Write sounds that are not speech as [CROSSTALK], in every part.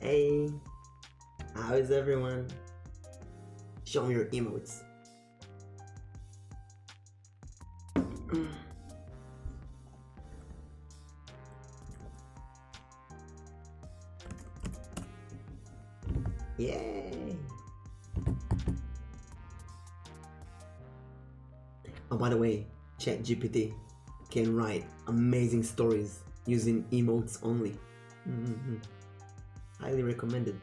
Hey, how is everyone? Show me your emotes. Yay! And oh, by the way, ChatGPT can write amazing stories using emotes only. Mm-hmm. Highly recommended.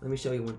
Let me show you one.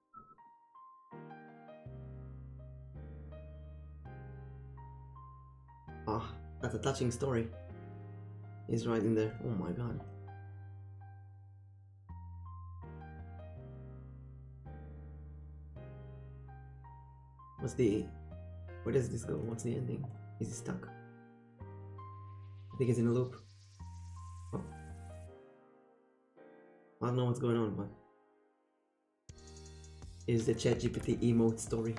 Ah, that's a touching story. He's right in there. Oh my god. What's the... Where does this go? What's the ending? Is he stuck? I think it's in a loop. Oh. I don't know what's going on, but is the ChatGPT emote story.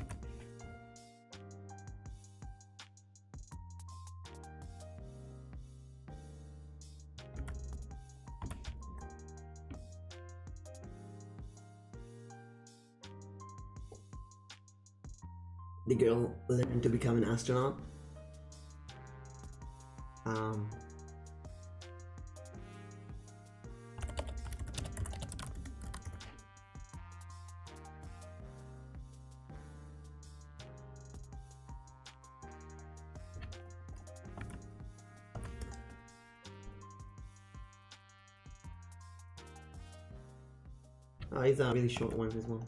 The girl learned to become an astronaut. Um, Oh, ah, it's a really short one as well.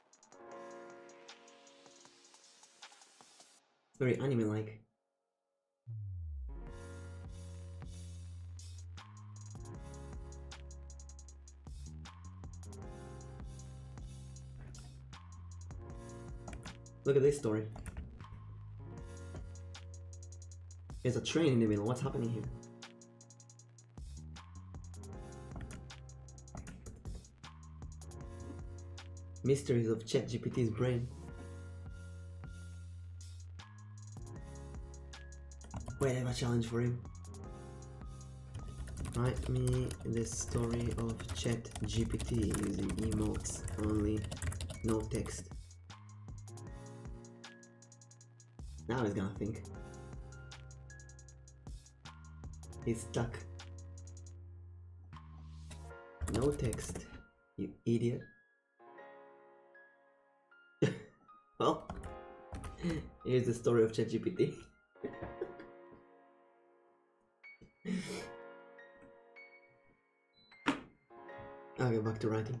Very anime-like. Look at this story. There's a train in the middle, what's happening here? Mysteries of ChatGPT's brain. Whatever challenge for him. Write me the story of ChatGPT using emotes only, no text. Now he's gonna think. It's stuck. No text, you idiot. [LAUGHS] well, here's the story of ChatGPT. [LAUGHS] okay, back to writing.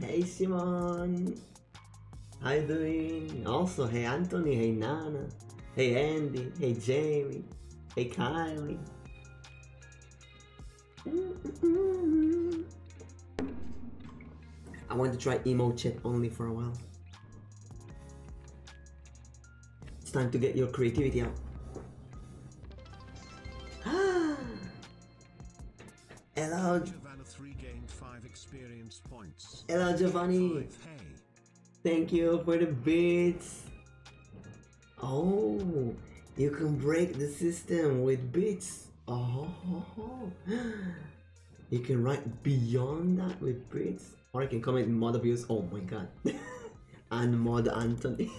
hey Simon, how you doing? Also, hey Anthony, hey Nana, hey Andy, hey Jamie, hey Kylie. I want to try emo chat only for a while. It's time to get your creativity out. Hello. three gained five experience points. Hello Giovanni. Thank you for the beats. Oh, you can break the system with beats. Oh, you can write beyond that with Brits, or you can comment mod abuse. Oh my god. [LAUGHS] and mod Anthony.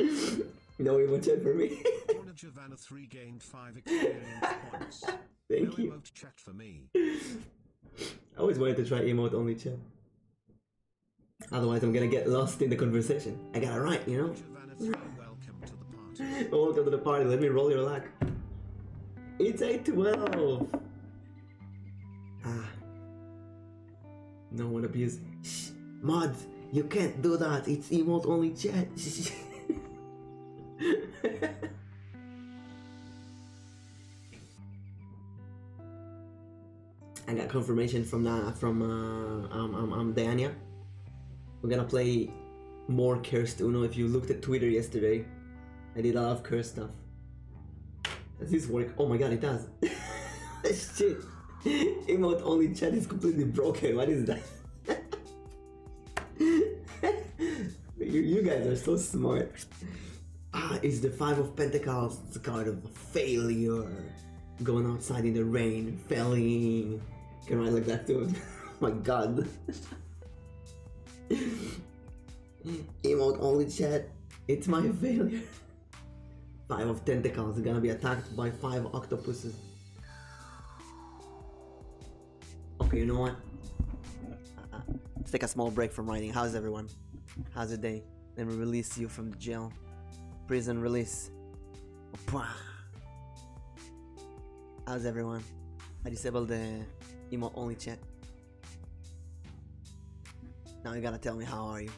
[LAUGHS] no emote chat for me. [LAUGHS] Thank you. chat for me. I always wanted to try emote only chat. Otherwise I'm gonna get lost in the conversation. I gotta write, you know? Welcome to the party. Let me roll your luck. It's a 12. Ah. No one abuses. Mods, you can't do that. It's emote only chat. [LAUGHS] I got confirmation from that from uh, um, um, um, Dania. We're gonna play more cursed you know. If you looked at Twitter yesterday, I did a lot of cursed stuff. Does this work? Oh my god, it does. [LAUGHS] Shit. Emote only chat is completely broken. What is that? [LAUGHS] you, you guys are so smart. Ah, it's the Five of Pentacles. It's a card of failure. Going outside in the rain, failing. Can I like that too? my god. Emote only chat. It's my failure. Five of tentacles gonna be attacked by five octopuses. Okay, you know what? let's take a small break from writing. How's everyone? How's your day? Let me release you from the jail. Prison release. How's everyone? I disabled the emo only chat. Now you gotta tell me how are you?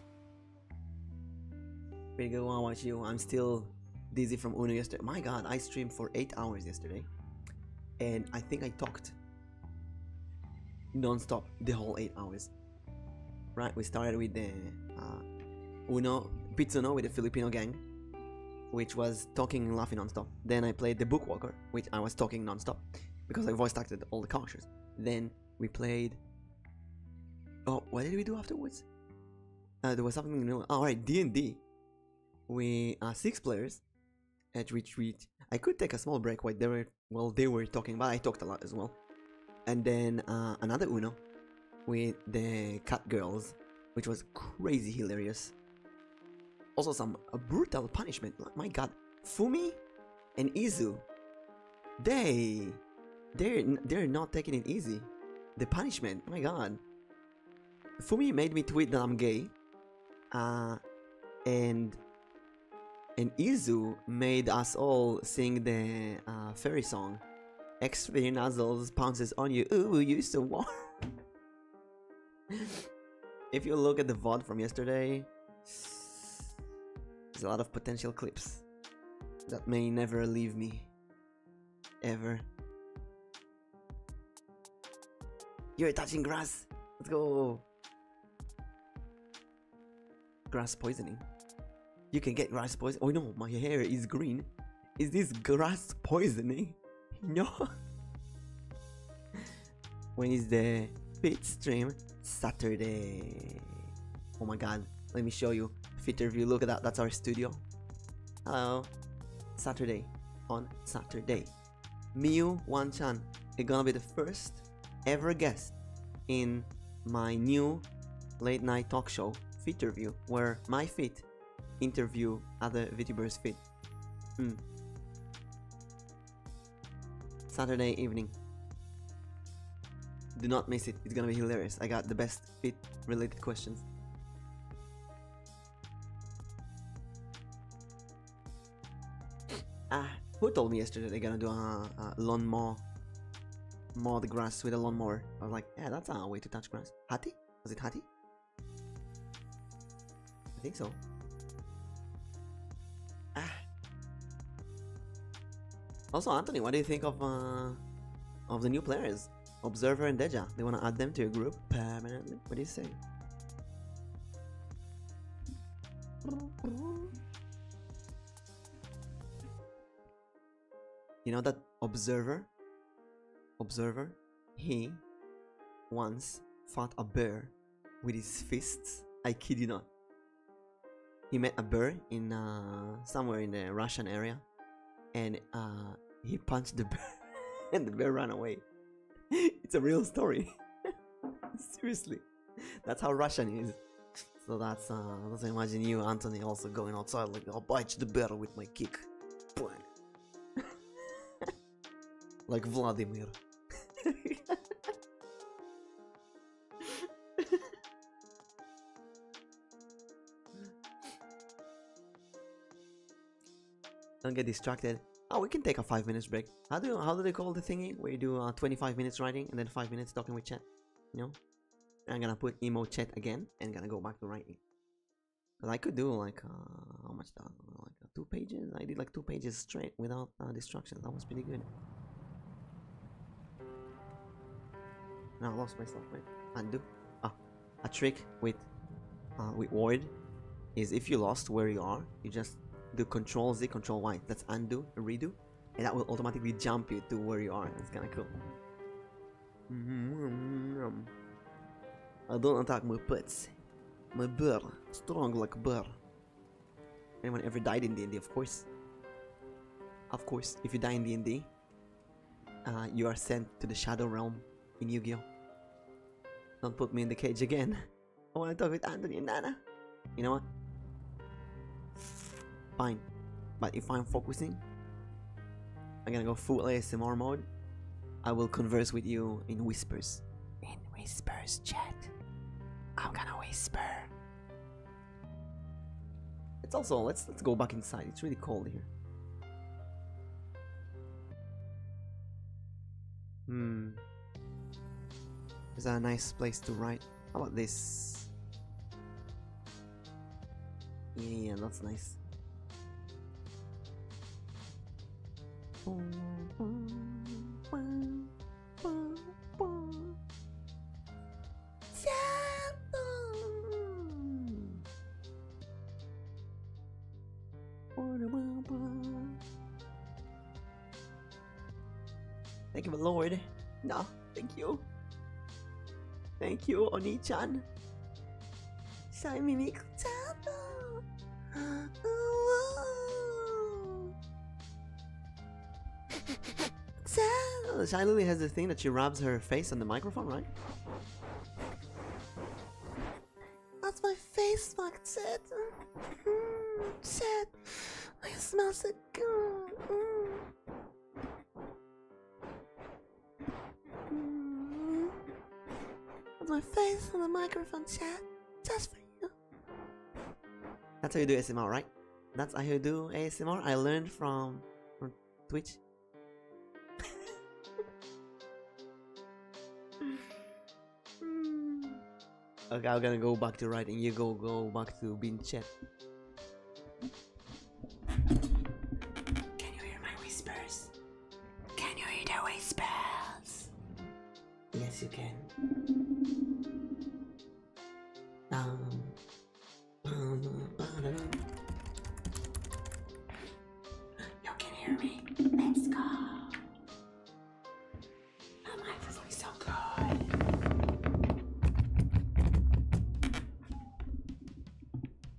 Pretty good one, how about you? I'm still dizzy from Uno yesterday. My god, I streamed for 8 hours yesterday. And I think I talked non-stop the whole 8 hours. Right, we started with the uh, Uno, Pizzuno with the Filipino gang which was talking and laughing nonstop. Then I played The Book Walker, which I was talking nonstop because I voice acted all the characters. Then we played. Oh, what did we do afterwards? Uh, there was something new. all right, D and D. We are uh, six players at retreat. I could take a small break while they were while they were talking, but I talked a lot as well. And then uh, another Uno with the cat girls, which was crazy hilarious. Also some brutal punishment, my god. Fumi and Izu, they, they're, they're not taking it easy. The punishment, my god. Fumi made me tweet that I'm gay. Uh, and and Izu made us all sing the uh, fairy song x the nozzles pounces on you. Ooh, you so warm. [LAUGHS] if you look at the VOD from yesterday, there's a lot of potential clips that may never leave me. Ever. You're touching grass. Let's go. Grass poisoning. You can get grass poison. Oh no, my hair is green. Is this grass poisoning? [LAUGHS] No. when is the pit stream? Saturday. Oh my god, let me show you. Fitter view, look at that, that's our studio. Hello. Saturday. On Saturday. Miu Wanchan is gonna be the first ever guest in my new late night talk show, Fitter View, where my feet interview other VTubers fit. Hmm. Saturday evening. Do not miss it, it's gonna be hilarious. I got the best fit related questions. Ah, who told me yesterday they're gonna do a, lawn lawnmower? Mow the grass with a lawn mower? I was like, yeah, that's a way to touch grass. Hati? Was it Hati? I think so. Ah. Also, Anthony, what do you think of uh, of the new players, Observer and Deja? Do you want to add them to your group permanently. What do you say? You know that Observer Observer. He once fought a bear with his fists. I kid you not. He met a bear in uh, somewhere in the Russian area, and uh, he punched the [LAUGHS] bear, and the bear ran away. [LAUGHS] it's a real story. [LAUGHS] Seriously, that's how Russian is. So that's uh, let imagine you, Anthony, also going outside like I'll bite the bear with my kick like Vladimir. Don't get distracted. Oh, we can take a five minutes break. How do how do they call the thingy where you do uh, 25 minutes writing and then five minutes talking with chat? You know. I'm gonna put emo chat again and gonna go back to writing. But I could do like uh, how much Like uh, two pages. I did like two pages straight without uh, destruction. That was pretty good. Now I lost myself. Wait, undo. Ah, a trick with with Word is if you lost where you are, you just do Control Z, Control Y. That's undo, redo, and that will automatically jump you to where you are. That's kind of cool. Mm-hmm. I don't attack my pets. My bear, strong like bear. Anyone ever died in D&D, of course. Of course, if you die in D&D, uh, you are sent to the Shadow Realm in Yu-Gi-Oh. Don't put me in the cage again. [LAUGHS] I wanna talk with Anthony and Nana. You know what? Fine. But if I'm focusing, I'm gonna go full ASMR mode. I will converse with you in whispers. In whispers, chat. I'm gonna whisper. It's also let's let's go back inside. It's really cold here. Hmm. Is that a nice place to write? How about this? Yeah, yeah, that's nice. Thank you, my lord. No, thank you. Thank you, Oni-chan. Sign me, Cortado. Whoa. so, Shai Lily has this thing that she rubs her face on the microphone, right? That's my face, Mark Ted. Mm, Ted, I smell so good. With mm. my face on the microphone chat, just for you. That's how you do ASMR, right? That's how you do ASMR. I learned from, Twitch. [LAUGHS] okay, I'm gonna go back to writing. You go, go back to being chat. Can you hear my whispers? Can you eat away spells? Yes, you can. Um, um, you can hear me. Let's go. My mic is so good.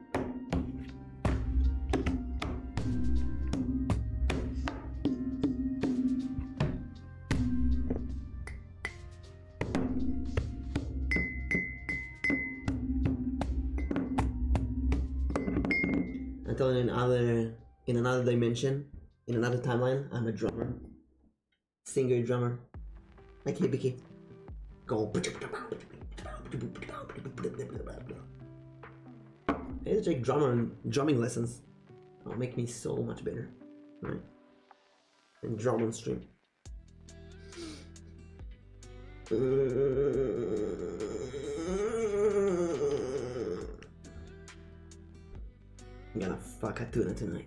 I'm until in another in another dimension, in another timeline, I'm a drummer, singer drummer, like Hibiki. Go. I need to take drumming lessons. That'll make me so much better. All right? And drum on stream. I'm gonna fuck a tuna tonight.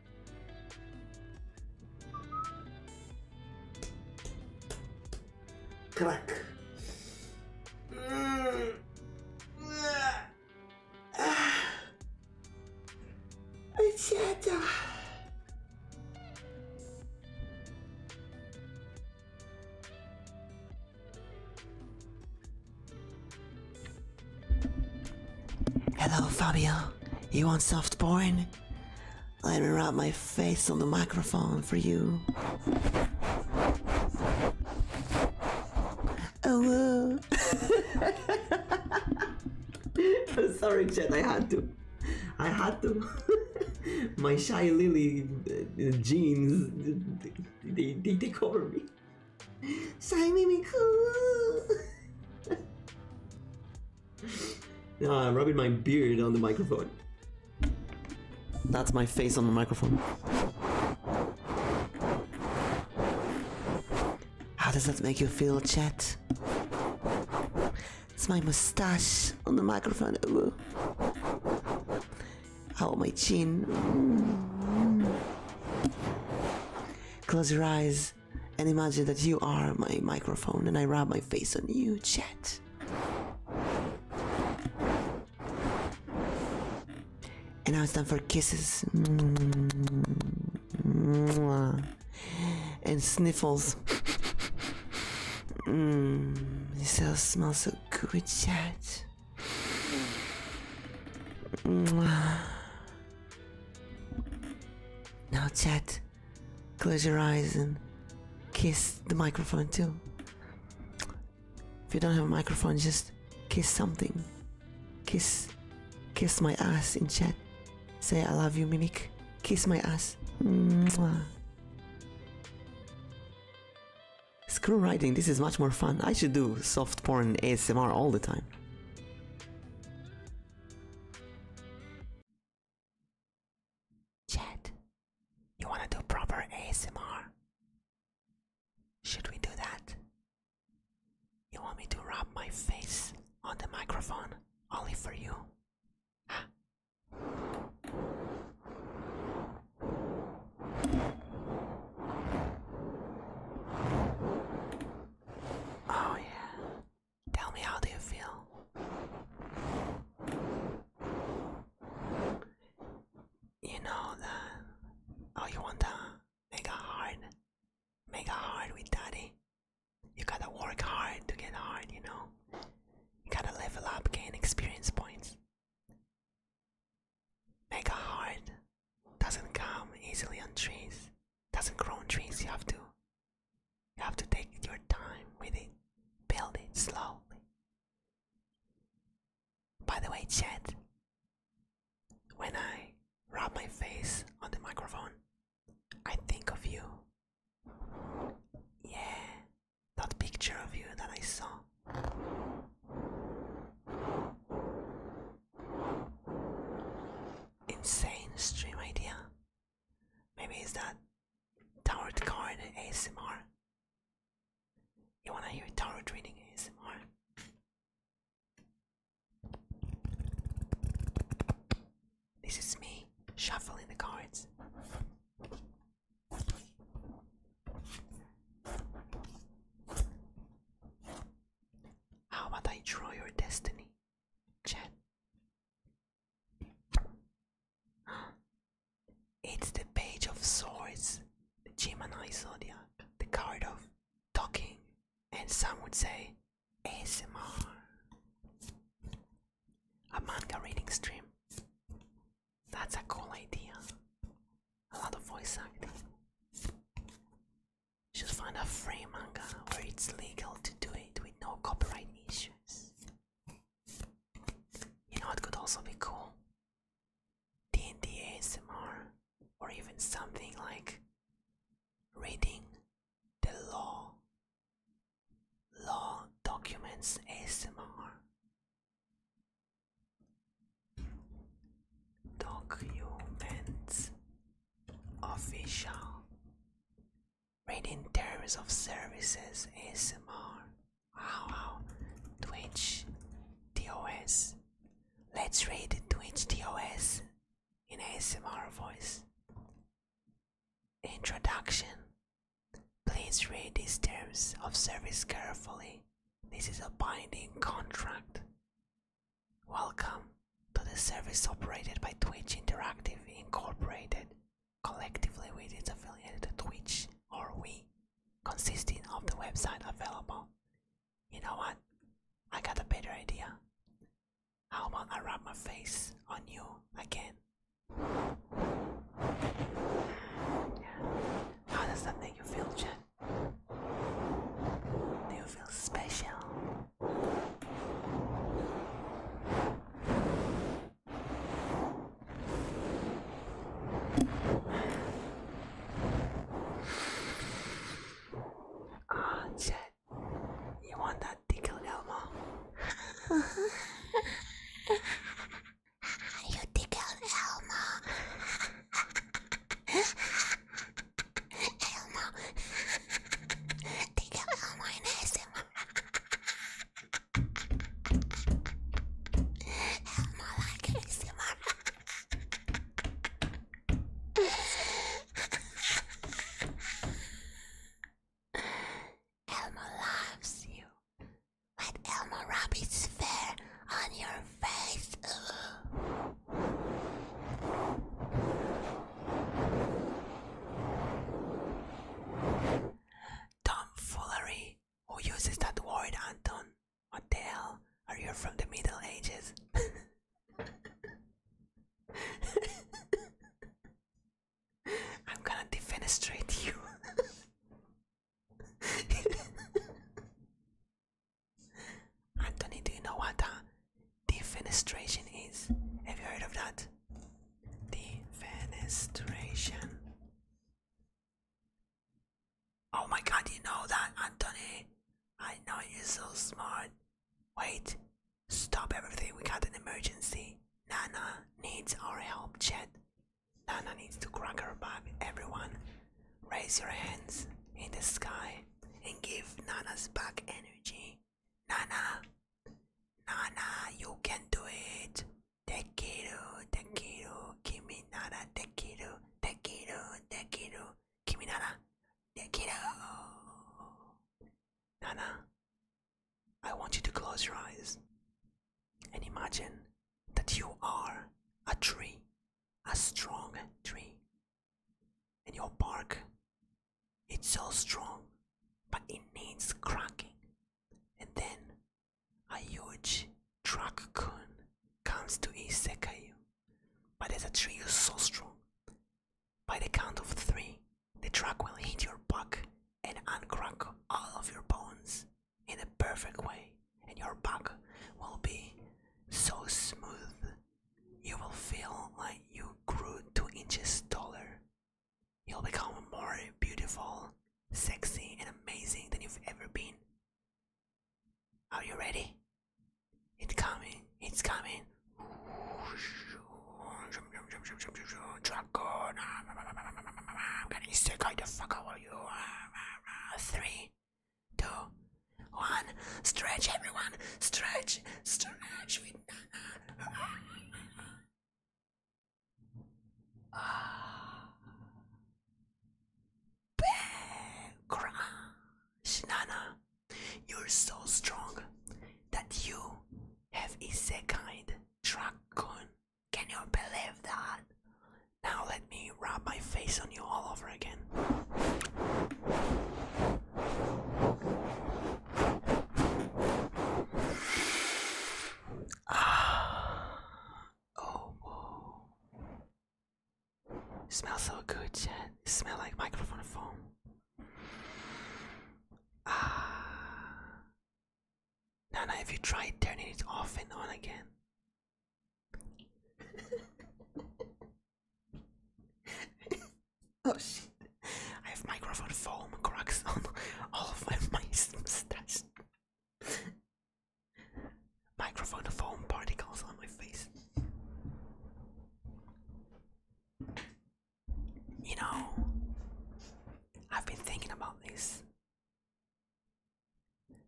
Crack. Eccetera. Hello, Fabio. You want soft porn? Let me rub my face on the microphone for you. Oh, [LAUGHS] Sorry, Jen, I had to. I had to. [LAUGHS] my shy Lily uh, jeans, they, take over me. サイミミクー [LAUGHS] no, I'm rubbing my beard on the microphone. That's my face on the microphone. How does that make you feel, chat? It's my mustache on the microphone. Ooh. Oh, my chin. Mm. Close your eyes. And imagine that you are my microphone and I rub my face on you, chat. And now it's time for kisses. Mm. And sniffles. Mmm, this smells so good, chat. Mm. Now, chat, close your eyes and kiss the microphone too. If you don't have a microphone, just kiss something. Kiss, kiss my ass in chat. Say I love you, Mimic. Kiss my ass. Screw writing, this is much more fun. I should do soft porn ASMR all the time. Chat, you wanna do proper ASMR? Should we do that? You want me to rub my face on the microphone only for you? Oh, yeah. Tell me, how do you feel? You know that. Oh, you want to make a hard? Make a hard with daddy? You gotta work hard to get hard, you know? You gotta level up, gain experience points. Mega hard doesn't come easily on trees doesn't grow on trees. You have to you have to take your time with it. Build it slowly. By the way, chat, when I rub my face on the microphone, I think of you. Yeah, that picture of you that I saw. Insane stream idea. Maybe it's that tarot card ASMR. You wanna hear tarot reading ASMR? This is me shuffling the cards. How about I draw your destiny? It's the page of swords, the Gemini zodiac, the card of talking, and some would say ASMR. A manga reading stream. That's a cool idea. A lot of voice acting. Should find a free manga where it's legal to do it with no copyright issues. You know, it could also be cool. d ASMR, or even something like reading the law, law documents ASMR. Documents official. Read terms of services ASMR. Wow, Twitch DOS Let's read Twitch DOS in ASMR voice. Introduction. Please read these terms of service carefully. This is a binding contract. Welcome to the service operated by Twitch Interactive Incorporated, collectively with its affiliate Twitch or We, consisting of the website available. You know what? I got a better idea. How about I rub my face on you again? How does that make you feel, Jen? Do you feel special? Ah, oh, shit. You want that tickle, Elmo? [LAUGHS] you tickle, Elmo. [LAUGHS] Elmo. Think Elmo in ASMR. Elmo like ASMR. Elmo loves you. Let Elmo rub its fur on your face. Tomfoolery. Who uses that word, Anton? What the hell? Are you from the Middle Ages? [LAUGHS] I'm gonna defenestrate you. [LAUGHS] Anthony, do you know what? Uh, defenestration is. Have you heard of that? Defenestration. Oh my god, you know that, Anthony. I know you're so smart. Wait, stop everything. We got an emergency. Nana needs our help, Chad. Nana needs to crack her back. Everyone, raise your hands in the sky and give Nana's back energy. Nana, Nana, you can do it. Dekiru, dekiru, kimi nara dekiru, dekiru, dekiru, kimi nara dekiru. Nana, I want you to close your eyes and imagine that you are a tree, a strong tree, and your bark, it's so strong, but it needs cracking. And then a huge Draccoon comes to Isekayu, but as a tree is so strong. By the count of three, the truck will hit your back and uncrack all of your bones in a perfect way, and your back will be so smooth you will feel like you grew two inches taller. You'll become more beautiful, sexy, and amazing than you've ever been. Are you ready? It's coming, it's coming. Dragon, I'm gonna isekai the fuck out of you. Three, two, one. Stretch, everyone. Stretch, stretch. We Shinana, you're so strong that you have a second dragon. Can you believe that? Now let me rub my face on you all over again. Ah, oh, it smells so good, Jen. It like microphone foam. Ah, Nana, have you tried turning it off and on again. [LAUGHS] Oh shit! I have microphone foam cracks [LAUGHS] on all of my mustache. microphone foam particles on my face. You know, I've been thinking about this.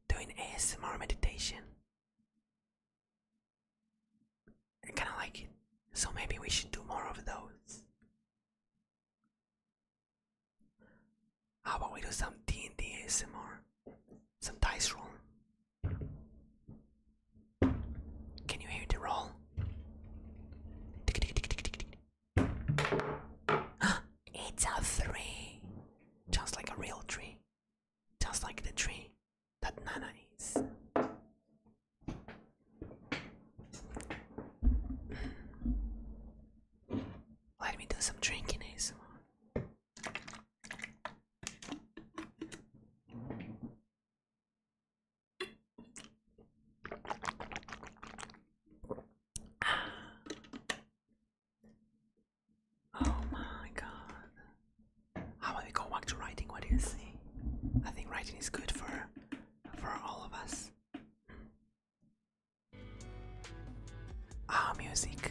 Doing ASMR meditation. I kind of like it. So maybe we should do more of those. How about we do some D&D some more, Some dice roll? Can you hear the roll? [GASPS] it's a three! Just like a real tree. Just like the tree that Nana is. Let me do some drinking ASMR. Ah. Oh my god. How about we go back to writing? What do you see? I think writing is good for for all of us. Ah, music.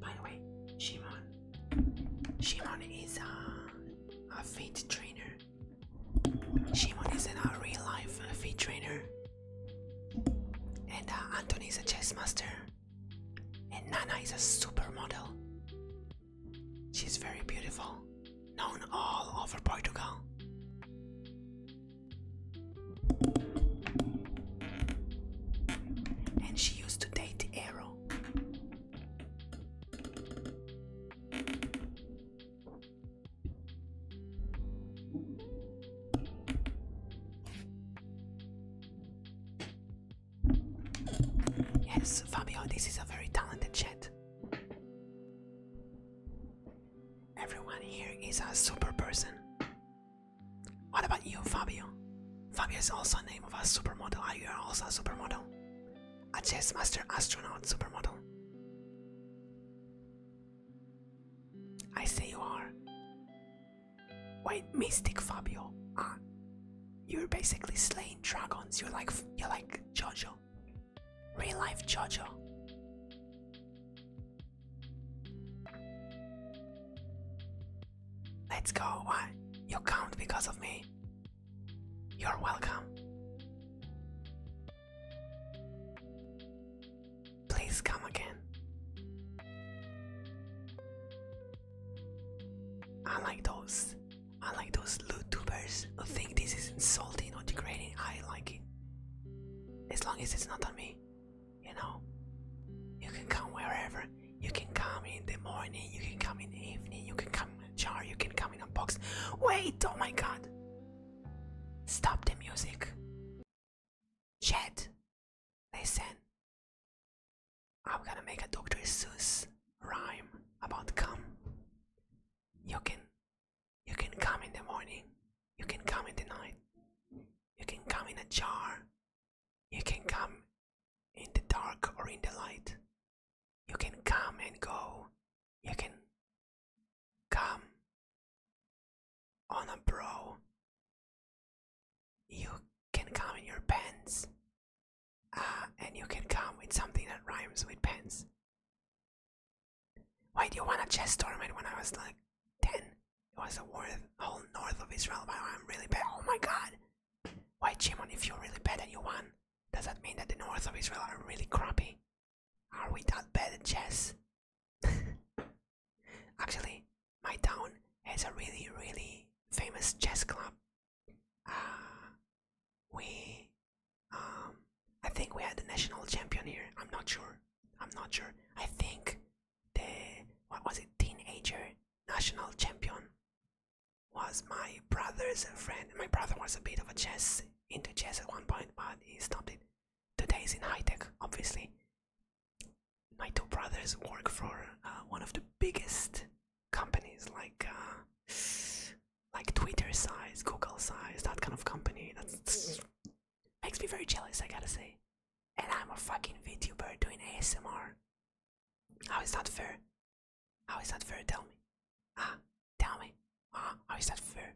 By the way, Shimon Shimon is uh, a, a fit trainer. Shimon is an, a real life uh, fit trainer. And uh, is a chess master. And Nana is a supermodel. She's very beautiful, known all over Portugal. And she used to date Arrow. Yes, Fabio, this is a very talented chat. Everyone here is a super person. What about you, Fabio? Fabio is also a name of a supermodel. Are you also a supermodel? A chess master, astronaut, supermodel. I say you are. Wait, Mystic Fabio. Ah, you're basically slaying dragons. You're like you're like Jojo, real life Jojo. Let's go. Why? Ah, you count because of me. You're welcome. Please come again. I like those. I like those loot tubers who think this is insulting or degrading. I like it. As long as it's not on me, you know. You can come wherever you can come in the morning, you can come in the evening, you can come in a jar, you can come in a box. Wait, oh my god! Stop the music. Chat, listen. I'm gonna make a Dr. Seuss rhyme about come. You can you can come in the morning, you can come in the night, you can come in a jar, you can come in the dark or in the light, you can come and go. You can come on a bro. You can come in your pants. Ah, and you can come with something that rhymes with pants. Why do you want a chess tournament when I was like 10? It was a war the whole north of Israel, I'm really bad. Oh my god! Why, Jimon, if you're really bad and you won, does that mean that the north of Israel are really crappy? Are we that bad at chess? [LAUGHS] Actually, my town has a really, really famous chess club. Uh, we, um, I think we had the national champion here. I'm not sure. I'm not sure. I think the, what was it, teenager national champion was my brother's friend. My brother was a bit of a chess into chess at one point, but he stopped it. Today he's in high tech, obviously. My two brothers work for uh, one of the biggest companies, like uh, like Twitter size, Google size, that kind of company. That makes me very jealous, I gotta say. And I'm a fucking VTuber doing ASMR. How is that fair? How is that fair? Tell me. Ah, tell me. Ah, how is that fair?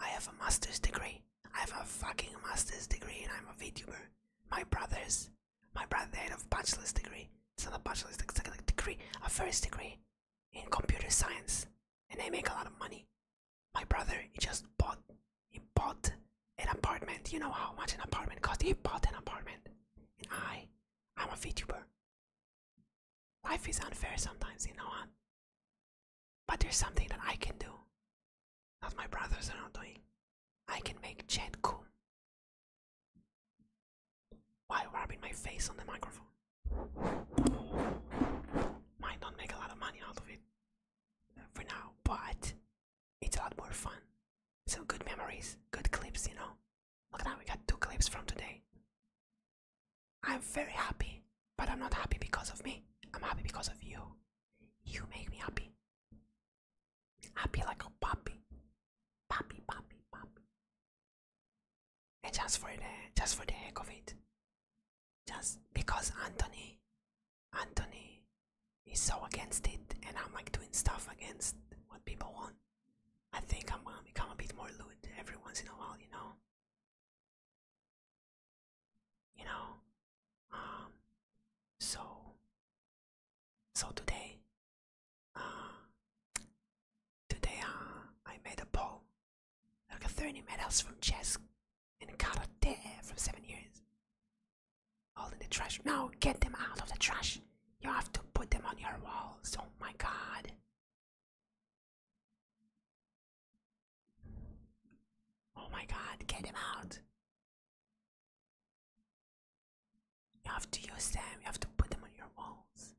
I have a master's degree. I have a fucking master's degree and I'm a VTuber. My brothers, my brother had a bachelor's degree. It's not a bachelor's degree, it's like a degree, a first degree in computer science. And they make a lot of money. My brother, he just bought, he bought an apartment. You know how much an apartment costs. He bought an apartment. And I, I'm a VTuber. Life is unfair sometimes, you know what? But there's something that I can do that my brothers are not doing. I can make chat cool. Why rubbing my face on the microphone? Might not make a lot of money out of it for now, but it's a lot more fun. So good memories, good clips, you know. Look at that, we got two clips from today. I'm very happy, but I'm not happy because of me. I'm happy because of you. You make me happy. Happy like a puppy. Puppy, puppy, puppy. And just for the just for the heck of it. Just because Anthony Anthony is so against it and I'm like doing stuff against what people want. I think I'm gonna become a bit more lewd every once in a while, you know. You know, um, so, so today, uh, today, uh, I made a poll. I got 30 medals from chess and karate for seven years. All in the trash. Now get them out of the trash. You have to put them on your walls. Oh my god. Oh my god, get them out. You have to use them, you have to put them on your walls.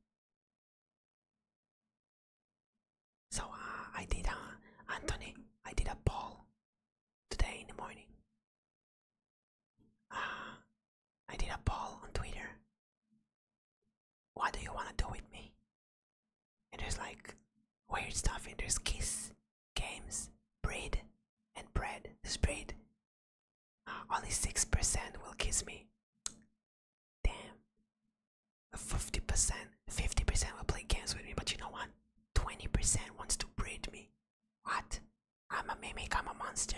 So uh, I did, uh, Anthony, I did a poll today in the morning. Ah, [SIGHS] I did a poll on Twitter. What do you want to do with me? It is like weird stuff in there's kiss, games, breed, and bread. breed. Uh, only 6% will kiss me. Damn. 50%, 50% will play games with me, but you know what? 20% wants to breed me. What? I'm a mimic, I'm a monster.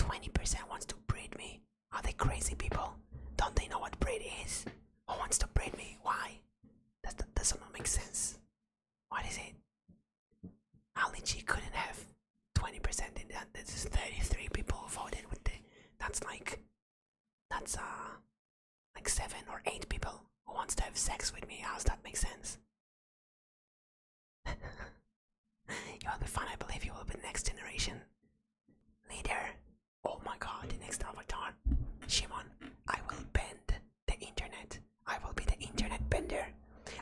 20% wants to breed me. Are they crazy people? Don't they know what breed is? Who wants to breed me? Why? That, doesn't make sense. What is it? Ali G couldn't have 20% in that. This is 33 people voted with the. That's like. That's uh. Like 7 or 8 people who wants to have sex with me. How does that make sense? [LAUGHS] You're the fan I believe you will be the next generation. Leader. Oh my god, the next avatar. Shimon, I will bend the internet. I will be the internet bender.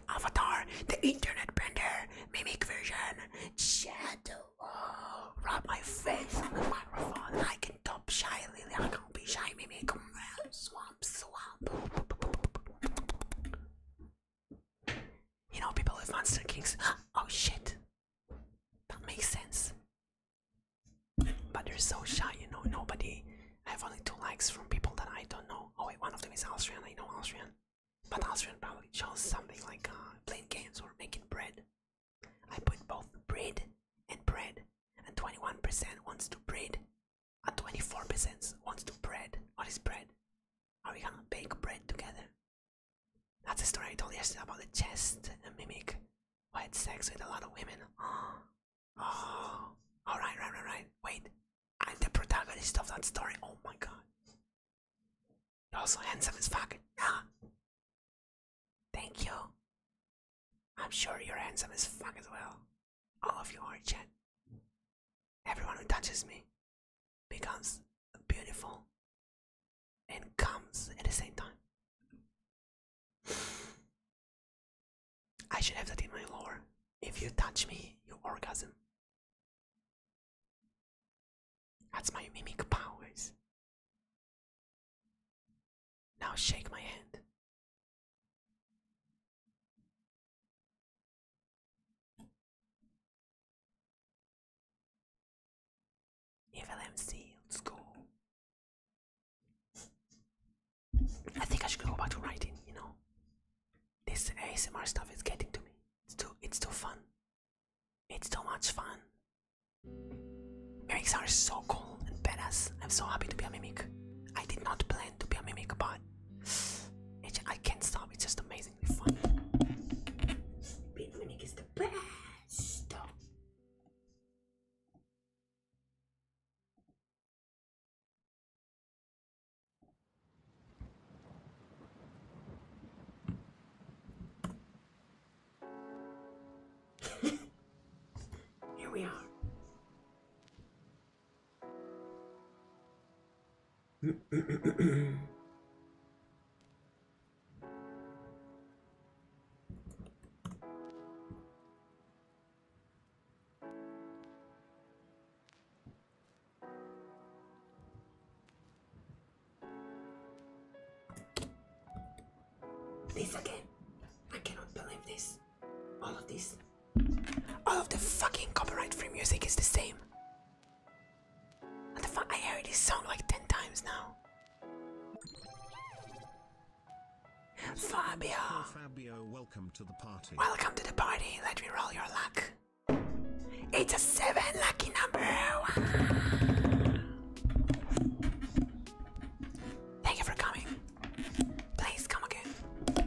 Avatar, the internet bender. Mimic version. Shadow. Oh, rub my face on the microphone. I can top shy Lily. I can be shy mimic. Swamp, swamp. You know, people with Monster Kings. [GASPS] Oh shit! That makes sense. But they're so shy, you know, nobody. I have only two likes from people that I don't know. Oh wait, one of them is Austrian, I know Austrian. But Austrian probably shows something like uh, playing games or making bread. I put both bread and bread. And 21% wants to bread. And 24% wants to bread. What is bread? Are we gonna bake bread together? That's the story I told yesterday about the chest mimic who had sex with a lot of women. [GASPS] Oh, oh. alright, right, right, right. Wait, I'm the protagonist of that story. Oh my god. You're also handsome as fuck. Yeah. Thank you. I'm sure you're handsome as fuck as well. All of you are, Chad. Everyone who touches me becomes beautiful and comes at the same time. [SIGHS] I should have that in my lore. If you touch me, you orgasm. That's my mimic powers. Now shake my hand. Evil MC, let's go. I think I should go back to writing, you know. This ASMR stuff is getting to me. It's too it's too fun. It's too much fun. Mimics are so cool and badass. I'm so happy to be a mimic. I did not plan to be a mimic, but [SIGHS] I can't stop. It's just amazing amazingly fun. is the best. Here we are this again. I cannot believe this. All of this. All of the fucking copyright free music is the same. I heard this song like 10 times now. Fabio. Fabio, welcome to the party. Welcome to the party. Let me roll your luck. It's a seven lucky number. Thank you for coming. Please come again.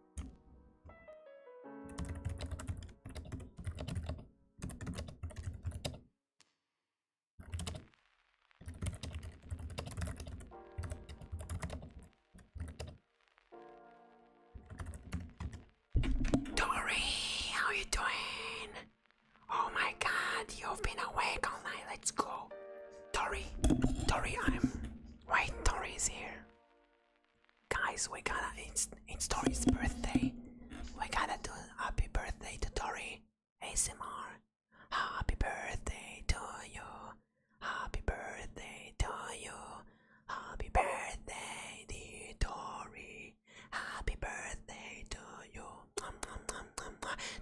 Tori, how you doing? Oh my god, you've been awake all night. Let's go. Tori, Tori, I'm. Wait, Tori is here. Guys, we gotta, it's, it's Tori's birthday. We gotta do happy birthday to Tori ASMR. Happy birthday to you. Happy birthday to you. Happy birthday, to Tori. Happy birthday to you.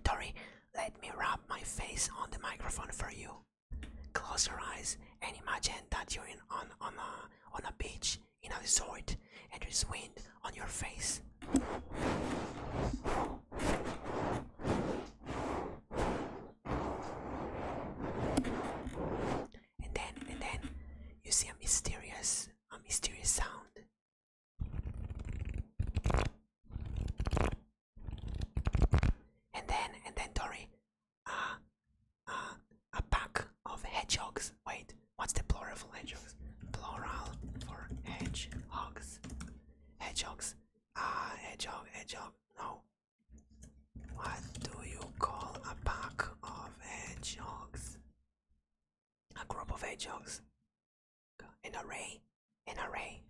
Tori, let me rub my face on the microphone for you. Close your eyes and imagine that you're in on, on, a, on a beach in a resort and there's wind on your face. And then and then you see a mysterious a mysterious sound. And then and then Tori uh, [GASPS] a pack of hedgehogs. Wait, what's the plural for hedgehogs? Plural for hedgehogs. Hedgehogs. Ah, hedgehog, hedgehog. No. What do you call a pack of hedgehogs? A group of hedgehogs. An array? An array?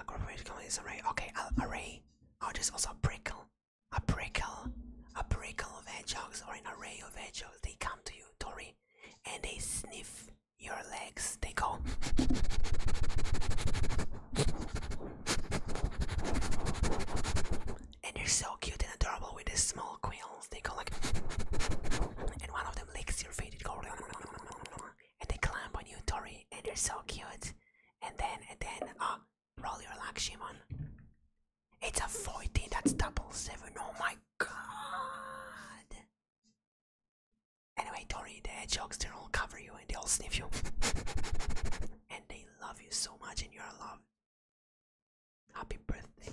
A group of hedgehogs is array. Okay, array. Oh, there's also prickle a prickle, a prickle of hedgehogs or an array of hedgehogs. They come to you, Tori, and they sniff your legs. They go. And they're so cute and adorable with these small quills. They go like. And one of them licks your feet. It goes. And they climb on you, Tori, and they're so cute. And then, and then, oh, Roll your luck, Shimon. It's a forty. that's double seven. Oh my god. Anyway, Dory, the hedgehogs, they'll all cover you and they'll sniff you. [LAUGHS] and they love you so much and you're loved. Happy birthday.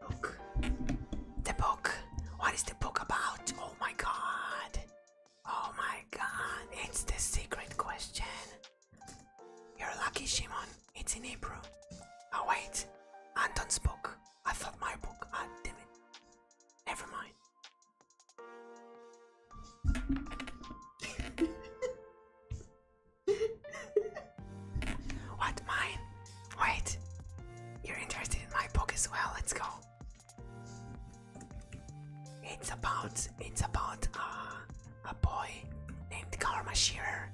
Book. The book. What is the book about? Oh my god. Oh my god. It's the secret question. You're lucky, Shimon. It's in Hebrew. Oh, wait. Anton's book. I thought my book. Ah, oh, damn it. Never mind. [LAUGHS] what, mine? Wait. You're interested in my book as well. Let's go. It's about. It's about. Uh, a boy named Karma Shearer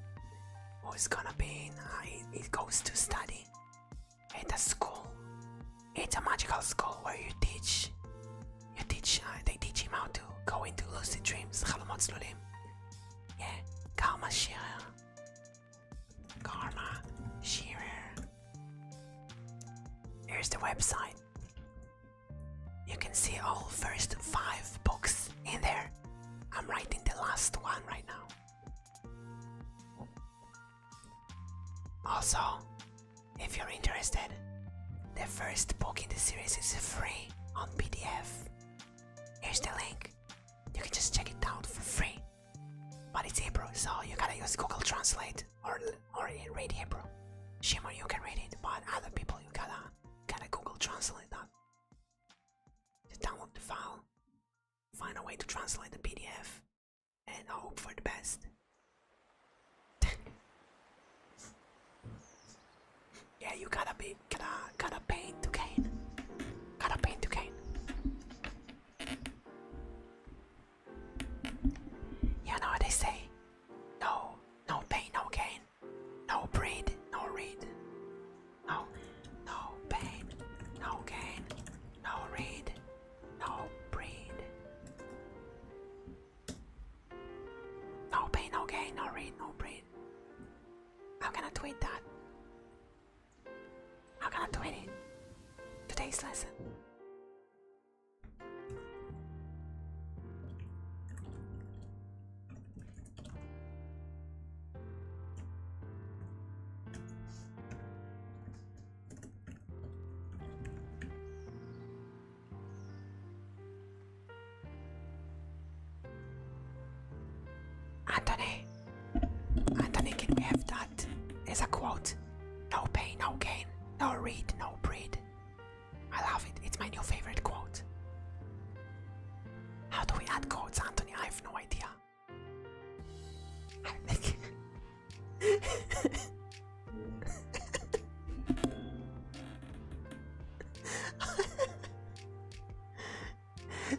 who is gonna be in. Uh, he, goes to study at a school. It's a magical school where you teach. You teach. Uh, they teach him how to go into lucid dreams. Halomot Slulim. Yeah, Karma Shearer. Karma Shearer. Here's the website. You can see all first five books in there. I'm writing the last one right now. Also, if you're interested, the first book in the series is free on PDF. Here's the link. You can just check it out for free. But it's Hebrew, so you gotta use Google Translate or or read Hebrew. Shimon, you can read it, but other people you gotta can I Google Translate that? download the file, find a way to translate the PDF, and hope for the best. [LAUGHS] yeah, you gotta be, gotta, gotta pay to gain. Gotta pay to gain. You know what they say? No, no pain, no gain. No breed, no read. No, no pain, no gain, no read, no breed. No pain, no gain, no read, no breed. I'm gonna tweet that. I'm gonna tweet it. Today's lesson. Anthony, Anthony, can we have that a quote? No pain, no gain, no read, no breed. I love it. It's my new favorite quote. How do we add quotes, Anthony? I have no idea. I think. [LAUGHS]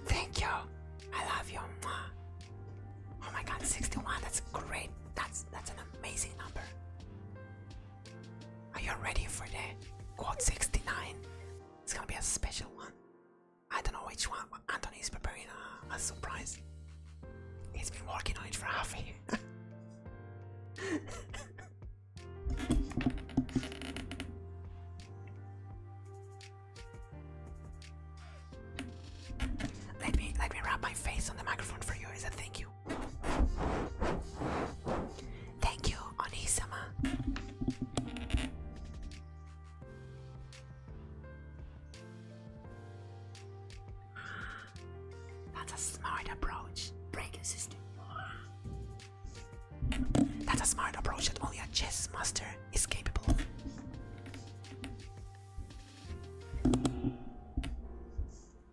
Thank you. I love you. Oh my god, 61. That's great. That's that's an amazing number. Are you ready for the quad 69? It's gonna be a special one. I don't know which one, but preparing a, surprise. He's been working on it for half a year. [LAUGHS] let me let me wrap my face on the microphone for you as a thank you. Thank you, Onisama. That's a smart approach. Break system. That's a smart approach that only a chess master is capable of.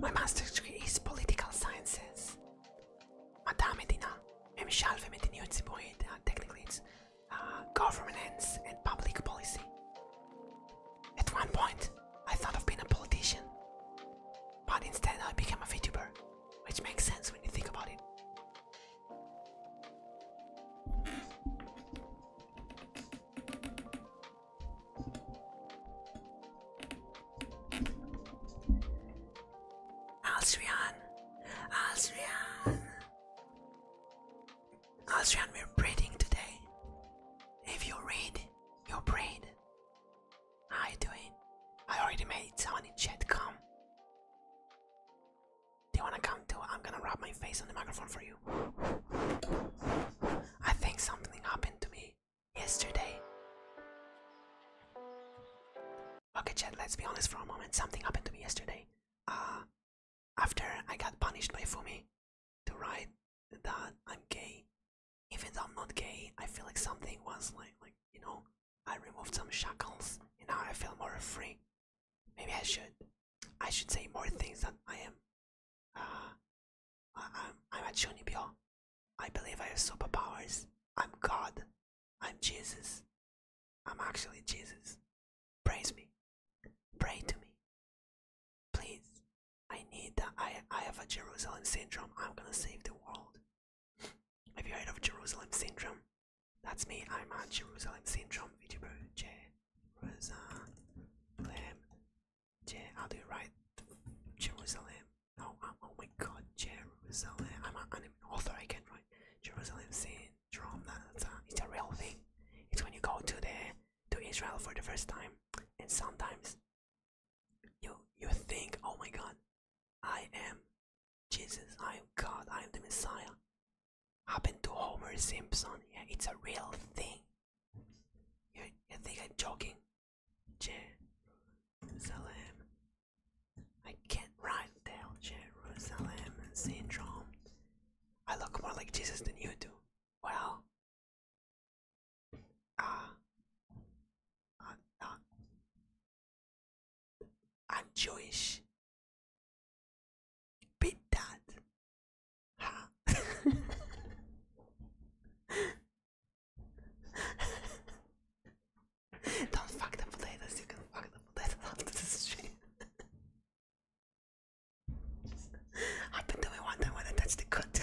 My master's degree is political sciences. مدى عام مدينة مش عارفة مدنية تسيبوها technically uh, governance and public policy. At one point, I thought of being a politician, but instead I became a VTuber, which makes sense when you think about it. Alstrian, Alstrian. Austrian we're breeding today. If you read, you breed. How you doing? I already made someone in chat come. Do you wanna come too? I'm gonna rub my face on the microphone for you. I think something happened to me yesterday. Okay, chat, let's be honest for a moment. Something happened to me yesterday. Uh, after I got punished by Fumi to write that I'm gay. Even though I'm not gay, I feel like something was like, like you know, I removed some shackles and now I feel more free. Maybe I should, I should say more things that I am. Uh, I, am I'm a Chunibyo. I believe I have superpowers. I'm God. I'm Jesus. I'm actually Jesus. Praise me. Pray to me. Please. I need that. I, I have a Jerusalem syndrome. I'm gonna save the world. [LAUGHS] have you heard of Jerusalem syndrome? That's me. I'm a Jerusalem syndrome VTuber. Jerusalem. Je how do you write Jerusalem? Oh, I'm, oh, oh my god, Jerusalem. I'm an anime author. I can't write Jerusalem syndrome. That's a, it's a real thing. It's when you go to the to Israel for the first time, and sometimes you you think, oh my God, I am Jesus, I am God, I am the Messiah. Happened to Homer Simpson. it's a real thing. You, you think I'm joking? Jerusalem. I can't write down Jerusalem syndrome. I look more like Jesus than you do. Well, uh, I'm uh, uh, I'm Jewish. Beat that. Huh? [LAUGHS] Don't fuck the potatoes, you can fuck the potatoes after the stream. [LAUGHS] I've been doing one time when I touched the cut. [LAUGHS]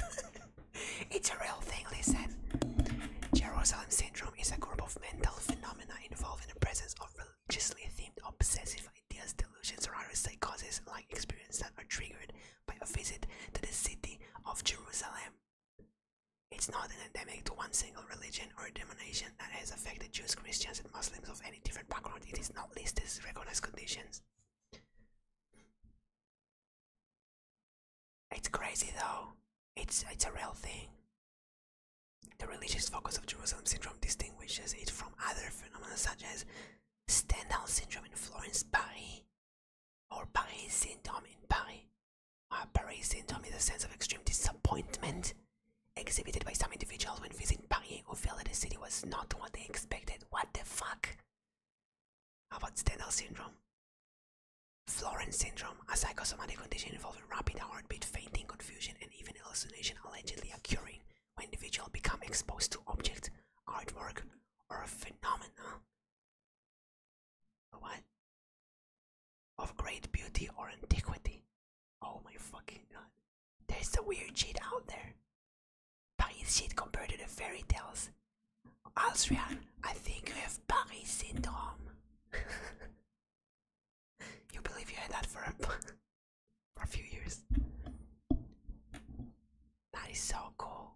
it's a real thing, listen. Jerusalem syndrome is a group of mental phenomena involving the presence of religiously themed obsessive ideas, delusions, or other psychoses like experiences that are triggered by a visit to the city of Jerusalem. It's not an endemic to one single religion or denomination that has affected Jews, Christians, and Muslims of any different background. It is not listed as recognized conditions. It's crazy though. It's it's a real thing. The religious focus of Jerusalem syndrome distinguishes it from other phenomena such as Stendhal syndrome in Florence, Paris, or Paris syndrome in Paris. Uh, Paris syndrome is a sense of extreme disappointment exhibited by some individuals when visiting Paris who feel that the city was not what they expected. What the fuck? How about Stendhal syndrome? Florence syndrome, a psychosomatic condition involving rapid heartbeat, fainting, confusion, and even hallucination allegedly occurring when individuals become exposed to objects, artwork, or phenomena what? of great beauty or antiquity. Oh my fucking god. There's a weird shit out there. Paris shit compared to the fairy tales. Alstrian, I think you have Paris syndrome. [LAUGHS] you believe you had that for a, [LAUGHS] for a few years. That is so cool.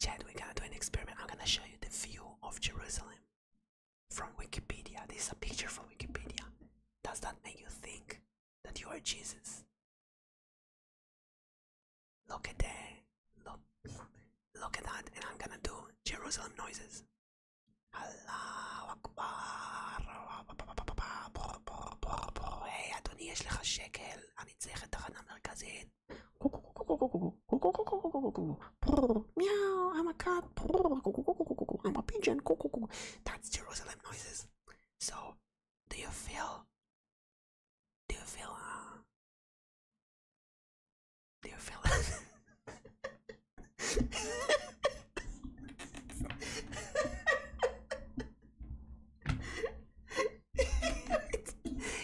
Chad, we're gonna do an experiment. I'm gonna show you the view of Jerusalem from Wikipedia. This is a picture from Wikipedia. Does that make you think? that you are Jesus. Look at that. Look, look at that. And I'm gonna do Jerusalem noises. Allah Akbar. היי אדוני, יש לך שקל? אני צריך את תחנה מרכזית. Meow, I'm a cat. I'm a pigeon. That's Jerusalem noises. So, do you feel? Do you feel? Uh, do you feel?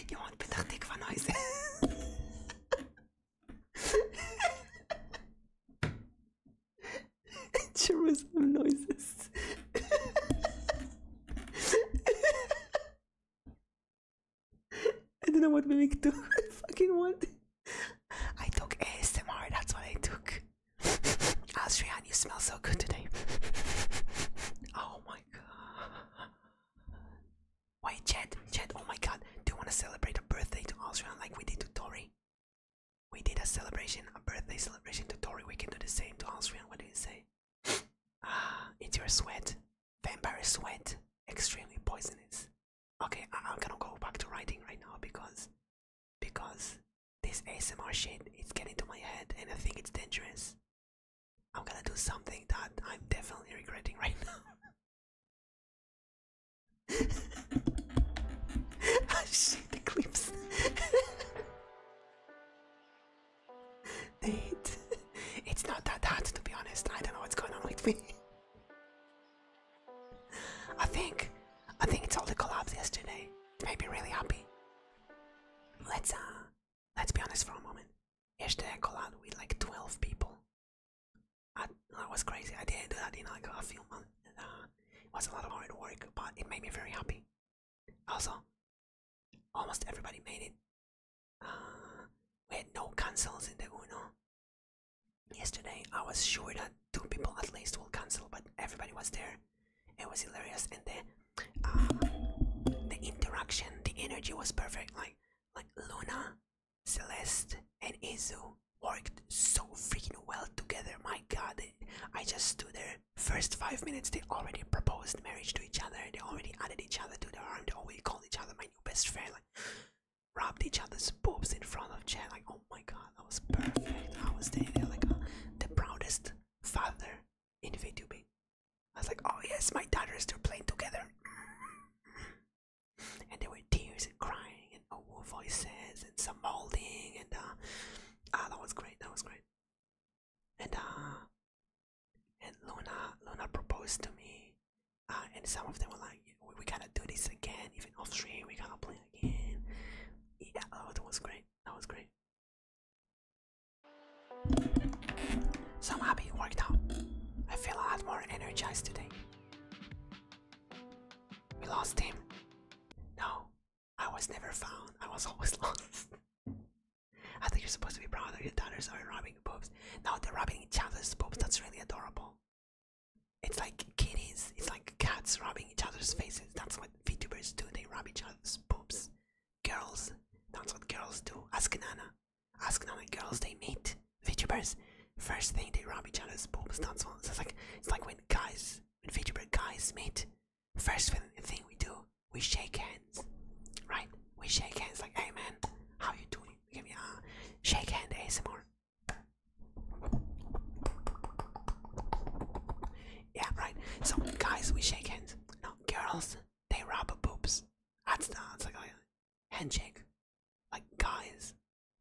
Je wordt bedacht van huis. Jerusalem [LAUGHS] noises. [LAUGHS] I don't know what we mimic to. [LAUGHS] I fucking want. I took ASMR. That's what I took. Asrian, you smell so good today. Oh my god. Wait, Chad, Chad, oh my god, do you want to celebrate a birthday to Asrian like we did to Tori? We did a celebration, a birthday celebration to tutorial. We can do the same to Austrian. What do you say? [SIGHS] ah, it's your sweat. Vampire sweat. Extremely poisonous. Okay, I I'm gonna go back to writing right now because because this ASMR shit is getting to my head and I think it's dangerous. I'm gonna do something that I'm definitely regretting right [LAUGHS] now. Shit, Eclipse. Nate, it's not that hard to be honest. I don't know what's going on with me. I think, I think it's all the collabs yesterday. It made me really happy. Let's uh, let's be honest for a moment. Yesterday I collabed with like 12 people. that was crazy. I didn't do that in like a few months, uh, it was a lot of hard work, but it made me very happy. Also, almost everybody made it. Uh, we had no cancels in the Uno. Yesterday, I was sure that two people at least will cancel, but everybody was there. It was hilarious, and the uh, the interaction, the energy was perfect. Like like Luna, Celeste, and Izu worked so freaking well together. My god, I just stood there. First five minutes, they already proposed marriage to each other. They already added each other to their arm. Oh, we called each other my new best friend. Like, rubbed each other's boobs in front of Chad. Like, oh my god, that was perfect. I was there like uh, the proudest father in VTubing. I was like, oh yes, my daughters, are playing together. and there were tears and crying Oh, voices and some molding and uh, ah that was great that was great and uh and Luna Luna proposed to me uh and some of them were like we, we gotta do this again even off stream we gotta play again yeah oh, that was great that was great so I'm happy it worked out I feel a lot more energized today we lost him no I was never found. I was [LAUGHS] always lost. I think you're supposed to be proud of your daughters are robbing boobs. Now they're robbing each other's boobs. That's really adorable. It's like kitties. It's like cats robbing each other's faces. That's what VTubers do. They rob each other's boobs. Girls. That's what girls do. Ask Nana. Ask Nana. Girls, they meet VTubers. First thing, they rob each other's boobs. That's what. It's like it's like when guys when VTuber guys meet, first thing we do, we shake hands, right? We shake hands like, hey man, how you doing? Give me a uh, shake hand ASMR. Yeah, right. So guys, we shake hands. No, girls, they rub boobs. That's that's like a handshake. Like guys,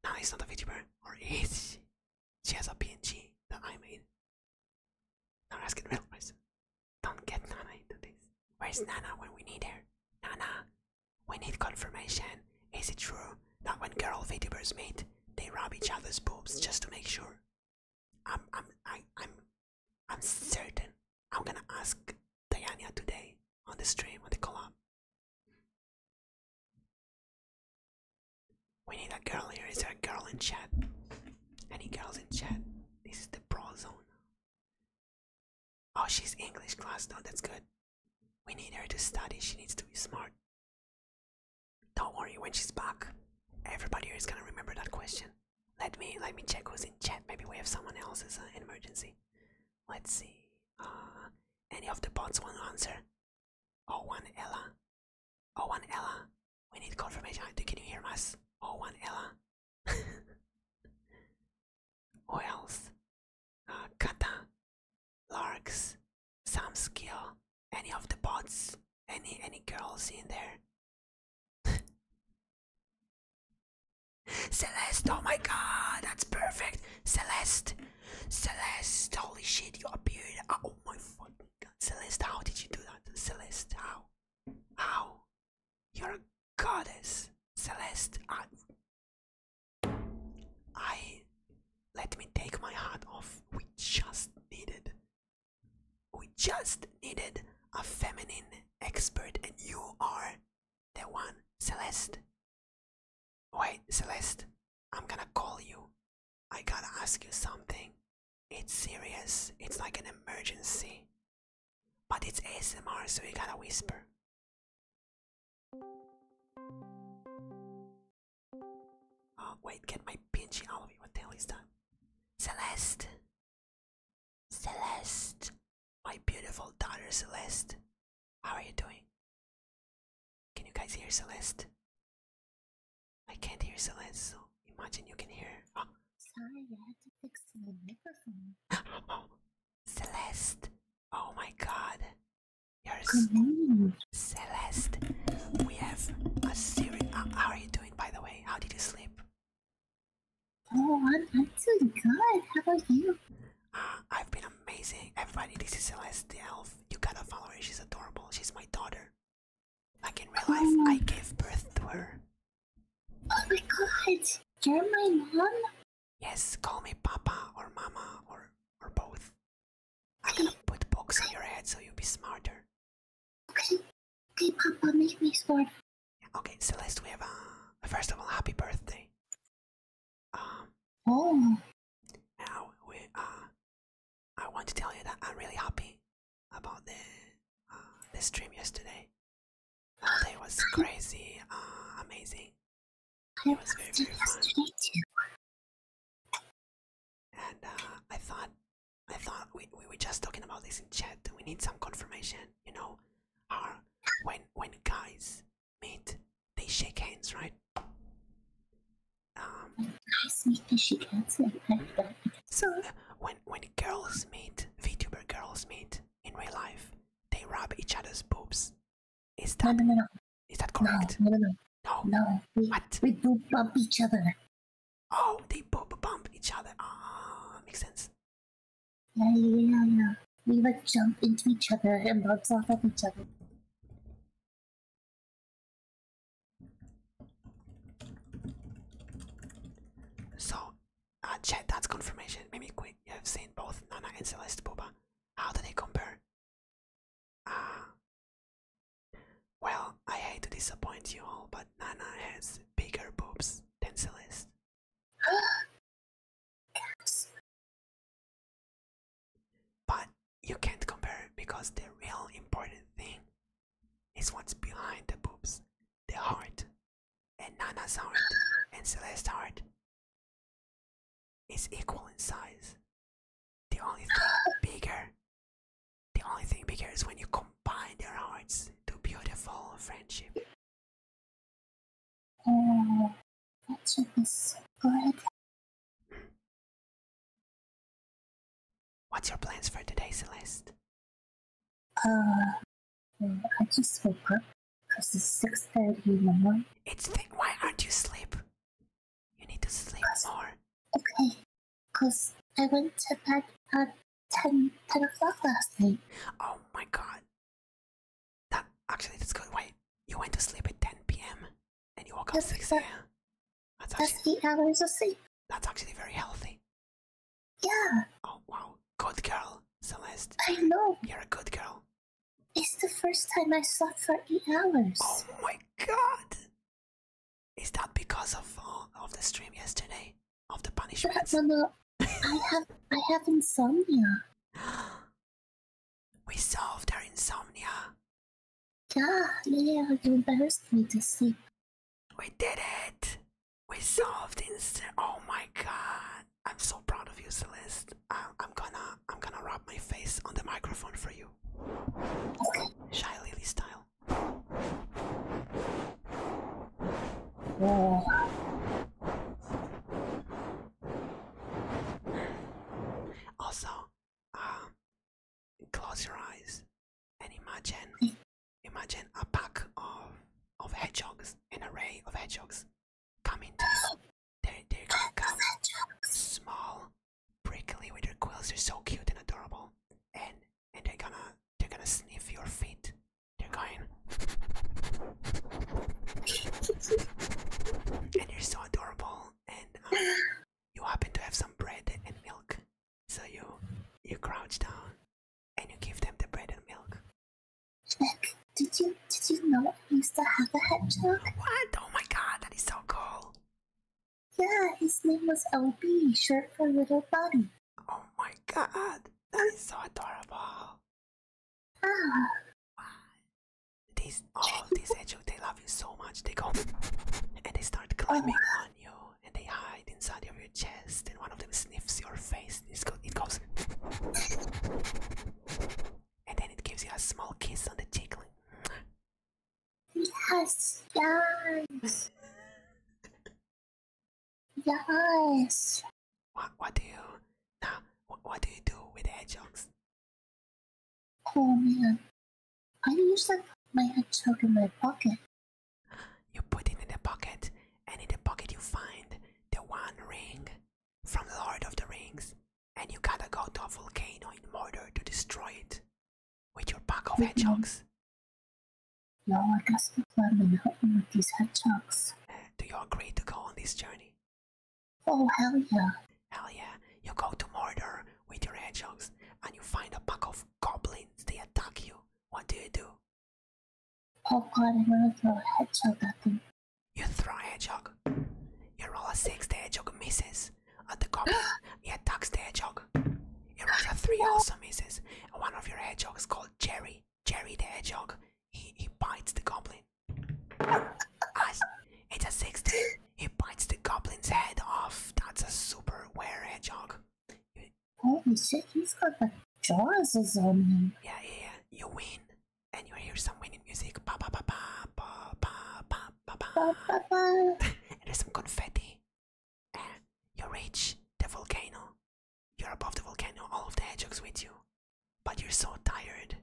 no, he's not a VTuber, or is she has a PNG that I made. Don't ask it real person. Don't get Nana into this. Where's Nana when we need her? Nana, we need confirmation. Is it true that when girl VTubers meet, they rub each other's boobs just to make sure? I'm, I'm, I, I'm, I'm certain. I'm gonna ask Diana today on the stream on the club. We need a girl here. Is there a girl in chat? Any girls in chat? This is the pro zone. Oh, she's English class though. That's good. We need her to study. She needs to be smart. Don't worry. When she's back, everybody here is gonna remember that question. Let me let me check who's in chat. Maybe we have someone else as an emergency. Let's see. Uh, any of the bots want to answer? 01 Ella. 01 Ella. We need confirmation. Can you hear us? 01 Ella. [LAUGHS] Who else? Uh, Kata. Larks. Some skill. Any of the bots. Any any girls in there? [LAUGHS] Celeste, oh my god, that's perfect. Celeste, Celeste, holy shit, you appeared. Oh my fuck. Celeste, how did you do that? Celeste, how? How? You're a goddess. Celeste, I... I... Let me take my hat off. We just needed... We just needed a feminine expert and you are the one. Celeste. Wait, Celeste, I'm gonna call you. I gotta ask you something. It's serious. It's like an emergency. But it's ASMR, so you gotta whisper. Oh, wait, get my pinchy out of you. What the hell is that? Celeste! Celeste! My beautiful daughter Celeste. How are you doing? Can you guys hear Celeste? I can't hear Celeste, so imagine you can hear. Ah. Sorry, I had to fix the microphone. [GASPS] Celeste! Oh my God! You're so... Celeste. We have a series. Uh, how are you doing, by the way? How did you sleep? Oh, I'm, i doing good. How about you? Uh, I've been amazing. Everybody, this is Celeste the Elf. You gotta follow her. She's adorable. She's my daughter. Like in real oh life, I gave birth to her. Oh my god, you're my mom? Yes, call me Papa or Mama or or both. I'm gonna put books in your head so you'll be smarter. Okay, okay, Papa, make me smart. Okay, Celeste, we have a first of all, happy birthday. Um, oh how we are. Uh, I want to tell you that I'm really happy about the uh, stream yesterday. It was crazy, uh, amazing. It was very, very fun. And uh, I thought, I thought we, we were just talking about this in chat. We need some confirmation, you know. when when guys meet, they shake hands, right? Um, so when when girls meet, VTuber girls meet in real life, they rub each other's boobs. Is that no, no, no. is that correct? No, no, no. what? We do bump each other. Oh, they boob bump each other. Ah, oh, makes sense. Yeah, yeah, yeah. We would jump into each other and bump off of each other. So, uh, chat, that's confirmation. Maybe quick, have seen both Nana and Celeste Boba. How do they compare? Uh, well, I hate to disappoint you all, but Nana has bigger boobs than Celeste. [GASPS] but you can't compare because the real important thing is what's behind the boobs, the heart, and Nana's heart and Celeste's heart is equal in size. The only thing bigger, the only thing bigger is when you combine their hearts to beautiful friendship. Oh, that so good. What's your plans for today, Celeste? Uh, I just woke up because it's six thirty in the morning. It's th- why aren't you sleep? You need to sleep more. Okay, cause I went to bed at 10, 10 o'clock last night. Oh my god. That actually that's good. Wait, you went to sleep at ten p.m and you woke up six a.m. That's, actually, eight hours of sleep. That's actually very healthy. Yeah. Oh wow, good girl, Celeste. I know. You're a good girl. It's the first time I slept for eight hours. Oh my god! Is that because of uh, of the stream yesterday? Of the punishments? No, no, I [LAUGHS] have I have insomnia. [GASPS] We solved our insomnia yeah, Lily, you embarrassed me to sleep. We did it! We solved instant. Oh my god! I'm so proud of you, Celeste. I'm, gonna, I'm gonna rub my face on the microphone for you, okay. shy lily style. Also, um, close your eyes and imagine hmm. imagine a pack of of hedgehogs, an array of hedgehogs coming to They're, they're gonna come small, prickly with their quills, they're so cute and adorable. And and they're gonna they're gonna sniff your feet. They're going [LAUGHS] and you're so adorable and um, you happen to have some bread and milk so you you crouch down and you give them the bread and milk. Nick, did you did you know Mr. used to have a What? Oh my god, that is so cool. Yeah, his name was LB, short for little buddy. Oh my god, that is so adorable. Ah. These all these hedgehogs, they love you so much. They go [LAUGHS] and they start climbing oh. on you and they hide inside of your chest and one of them sniffs your face and go it goes and then it gives you a small kiss on the cheek yes yes yes what, what do you now what, do you do with the hedgehogs oh man I usually put my hedgehog in my pocket. You put it in the pocket, and in the pocket you find the one ring from Lord of the Rings, and you gotta go to a volcano in Mordor to destroy it with your pack of mm -hmm. hedgehogs. No, I guess people have been helping with these hedgehogs. Do you agree to go on this journey? Oh, hell yeah. Hell yeah. You go to Mordor, with your hedgehogs and you find a pack of goblins, they attack you. What do you do? Oh god, I'm gonna throw a hedgehog at them. You throw a hedgehog. You roll a six, the hedgehog misses. At the goblin, [GASPS] he attacks the hedgehog. You roll a three, also misses. one of your hedgehogs called Jerry. Jerry the hedgehog. He, he bites the goblin. As it's a 16. He bites the goblin's head off. That's a super rare hedgehog. Holy oh, shit, he's got the jaws on him. Yeah, yeah, You win, and you hear some winning music. Ba ba ba ba ba ba ba ba ba. ba, ba. There's [LAUGHS] some confetti. And you reach the volcano. You're above the volcano. All of the hedgehogs with you, but you're so tired.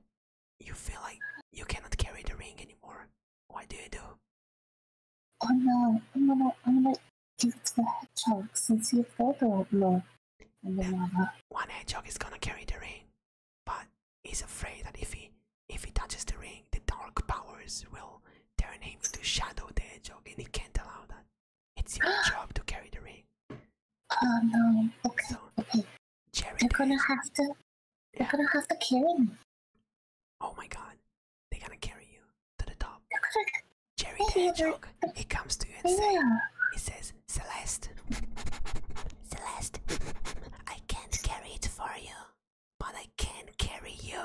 You feel like you cannot carry the ring anymore. What do you do? Oh no, I'm gonna, I'm gonna give it to the hedgehog since you've got the law and the mother. One hedgehog is gonna carry the ring, but he's afraid that if he if he touches the ring, the dark powers will turn him into shadow the hedgehog, and he can't allow that. It's your [GASPS] job to carry the ring. Oh no, okay, okay. Jerry you're gonna have to, you're gonna have to carry me. Oh my god, they're gonna carry you to the top. [LAUGHS] Jerry the Hedgehog, he comes to you and says, he says, Celeste, [LAUGHS] Celeste, I can't carry it for you, but I can carry you.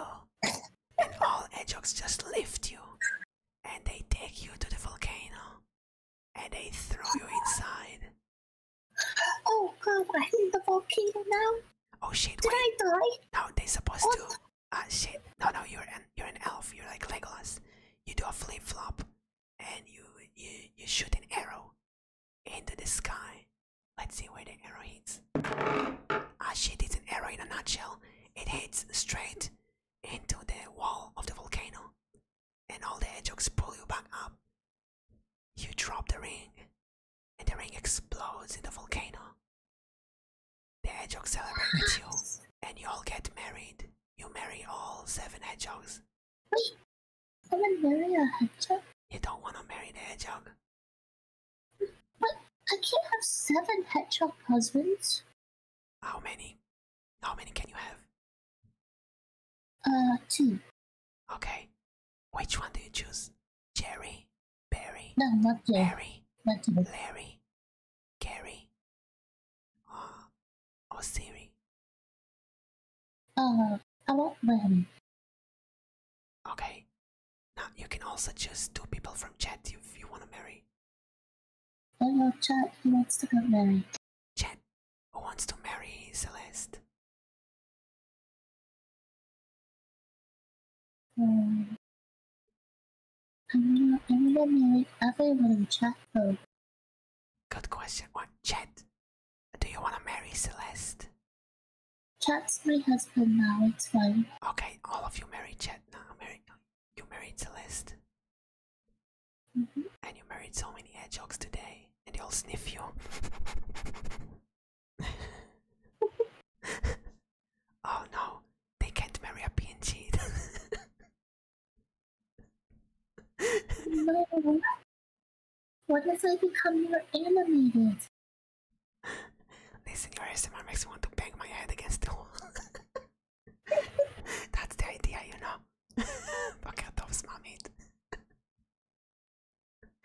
[LAUGHS] And all hedgehogs just lift you, and they take you to the volcano, and they throw you inside. Oh god, I'm in the volcano now. Oh shit! Did I die? No, they're supposed to. Ah shit! No, no, you're an you're an elf. You're like Legolas. You do a flip flop, and you you you shoot an arrow into the sky. Let's see where the arrow hits. Ah shit! It's an arrow in a nutshell. It hits straight into the wall of the volcano, and all the hedgehogs pull you back up. You drop the ring, and the ring explodes in the volcano. The hedgehogs celebrate with you, and you all get married. You marry all seven hedgehogs. Wait, I want to marry a hedgehog? You don't want to marry the hedgehog? But I can't have seven hedgehog husbands. How many? How many can you have? Uh, two. Okay. Which one do you choose? Jerry, Barry, no, not Jerry, Larry, not Jerry. Larry, Carrie, or, oh, or oh, Siri. Uh, I want Larry. Okay. Now you can also choose two people from chat if you want to marry. I chat. Who wants to get married? Chat. Who wants to marry Celeste? I'm going I'm gonna everyone in Good question. What chat? Do you wanna marry Celeste? Chat's my husband now, it's fine. Okay, all of you married Chat now. Marry, you married Celeste. Mm-hmm. And you married so many hedgehogs today, and they all sniff you. [LAUGHS] [LAUGHS] oh no, they can't marry a PNG. [LAUGHS] no. What does I become more animated? [LAUGHS] Listen, your ASMR makes me want to bang my head against the wall. That's the idea, you know. Fuck out of smamit.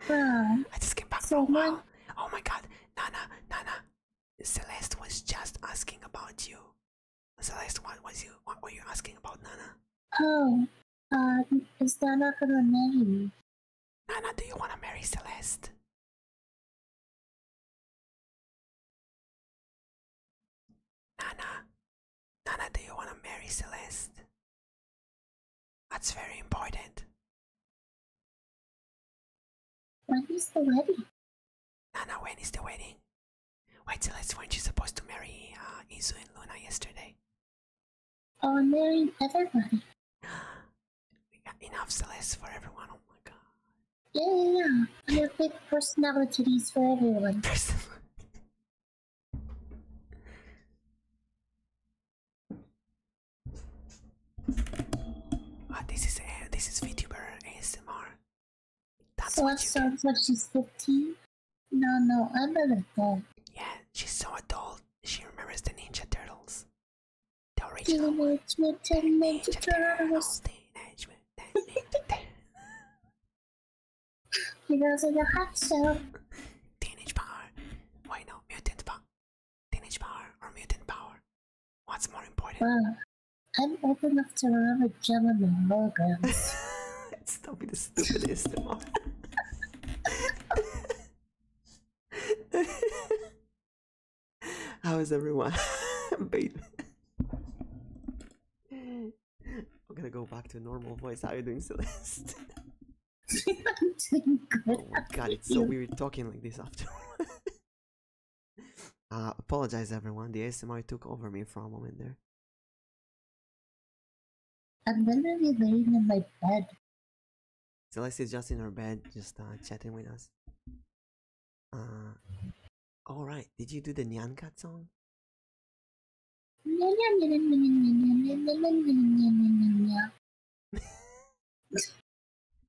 I just came back so from a while. Uh, oh my god, Nana, Nana, Celeste was just asking about you. Celeste, what was you? What were you asking about Nana? Oh, uh, is Nana gonna marry? Nana, do you wanna marry Celeste? Nana, Nana, do you wanna marry Celeste? That's very important. When is the wedding? Nana, when is the wedding? Wait till that's when she's supposed to marry uh, Izu and Luna yesterday. Oh, marry everyone. we got [GASPS] enough Celeste for everyone, oh my god. Yeah, yeah, yeah. I have big personalities for everyone. [LAUGHS] Ah, this is uh, this is VTuber ASMR. That's what, what you so, so she's 15? No, no, I'm an adult. Yeah, she's so adult. She remembers the Ninja Turtles. The original. Ninja, Ninja Turtles. Ninja, Ninja, Ninja. He goes in the hot show. Teenage Power. Why no? Mutant Power. Teenage power or mutant power? What's more important? Well, I'm old enough to remember Gemini holograms. [LAUGHS] it's not be the stupidest one. How is everyone? [LAUGHS] Babe. I'm gonna go back to normal voice. How are you doing, Celeste? [LAUGHS] I'm doing good. Oh my god, it's so weird talking like this after. Uh, apologize everyone, the ASMR took over me for a moment there. I'm literally laying in my bed. Celeste's just in her bed, just chatting with us. Alright, did you do the Nyankat song?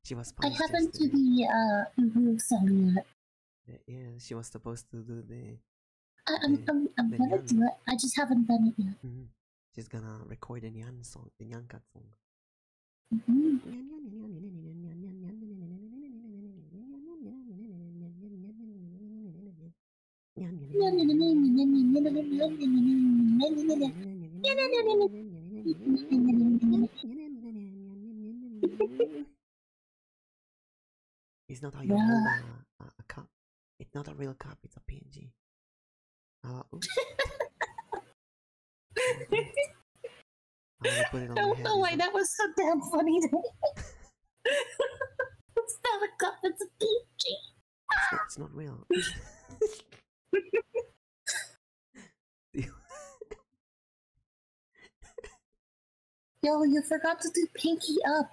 she was. I happen to, be uh roofs on eh, Yeah, she was supposed to do the. I, am I'm, I'm, gonna do it. I just haven't done it yet. Mm -hmm. She's gonna record the Nyan song, the Nyan Cat song. Mm-hmm. It's not a, a, It's not a real cup. It's a PNG. Uh, ah, [LAUGHS] I don't know why that was so damn funny [LAUGHS] it's not a cup, it's a PNG. it's not real. [LAUGHS] [LAUGHS] Yo, you forgot to do pinky up.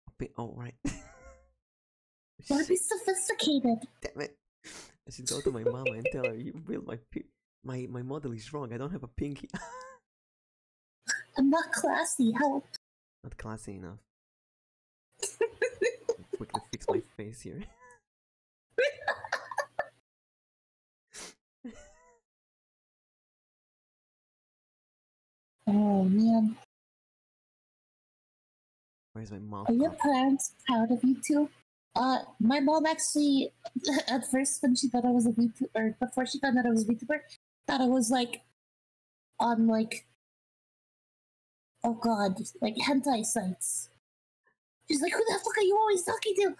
Oh, [LAUGHS] be all right. Gotta be sophisticated. Damn it! I should go to my mama and tell her you built my my my model is wrong. I don't have a pinky. [LAUGHS] I'm not classy. Help. Not classy enough. quickly fix my face here oh man. Where's my mom? Are your parents proud of you too? Uh, my mom actually, [LAUGHS] at first when she thought I was a VTuber, before she found out I was a VTuber, thought I was like, on like, oh god, like hentai sites. She's like, who the fuck are you always talking to?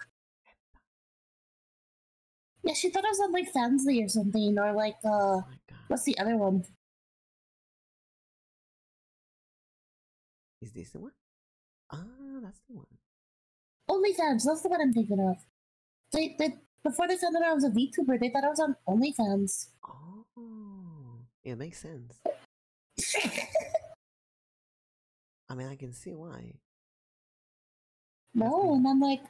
Yeah, she thought I was on like Fansley or something, or like uh, oh what's the other one? Is this the one? Ah, that's the one. OnlyFans, that's the one I'm thinking of. They, they, before they found out I was a VTuber, they thought I was on OnlyFans. Oh, it makes sense. I mean, I can see why. No, and I'm like,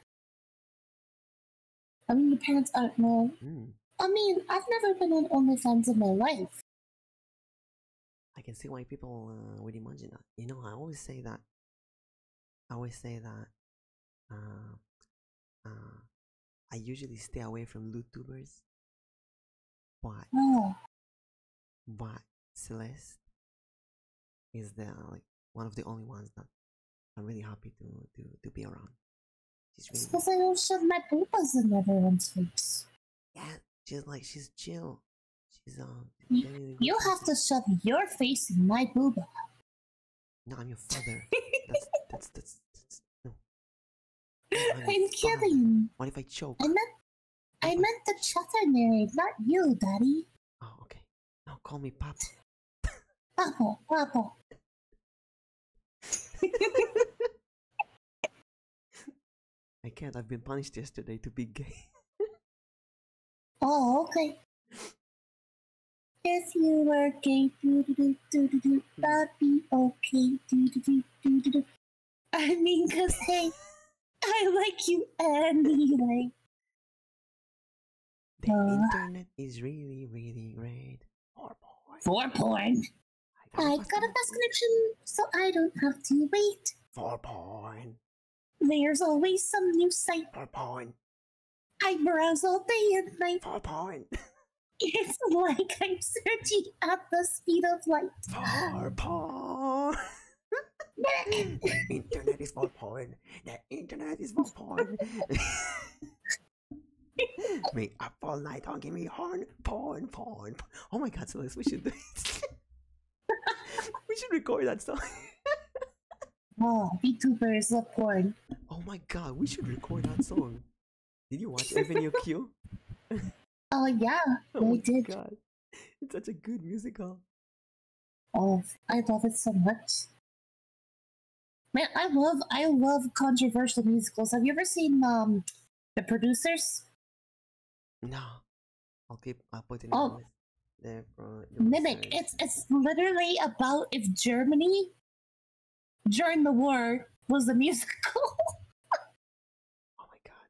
I mean, the parents aren't well. Hmm. I mean, I've never been on OnlyFans in my life. I can see why people uh, would imagine that. You know, I always say that. I always say that. Uh, uh, I usually stay away from YouTubers why? Oh. Why Celeste is the like one of the only ones that I'm really happy to to, to be around. She's really because I don't shove my papers in everyone's face. Yeah, she's like she's chill. She's um. Really you have to shove your face in my booba. No, I'm your father. [LAUGHS] that's, that's, that's, that's, no. I'm, I'm kidding. What if I choke? I'm not. I meant the Chatterberry, not you, Daddy. Oh, okay. Now call me Papa. Papa, Papa. I can't. I've been punished yesterday to be gay. [LAUGHS] oh, okay. Yes, you were gay. Do do do do do. That'd be okay. Do do do do do. I mean, cause I like you anyway. The uh. internet is really, really great. For porn. For porn. I got, got a fast connection, so I don't have to wait. For porn. There's always some new site. For porn. I browse all day and night. For porn. [LAUGHS] It's like I'm searching at the speed of light. Paw, internet is for porn. The internet is for porn. me up all night on give me horn, porn, porn. Oh my god, Celeste, we should [LAUGHS] we should record that song. [LAUGHS] oh, VTubers love porn. Oh my god, we should record that song. Did you watch Avenue Q? [LAUGHS] Oh yeah, [LAUGHS] oh they did. God. It's such a good musical. Oh, I love it so much. Man, I love I love controversial musicals. Have you ever seen um the producers? No. I'll keep I'll put it oh. Mimic. It's it's literally about if Germany during the war was a [LAUGHS] musical. Oh my god.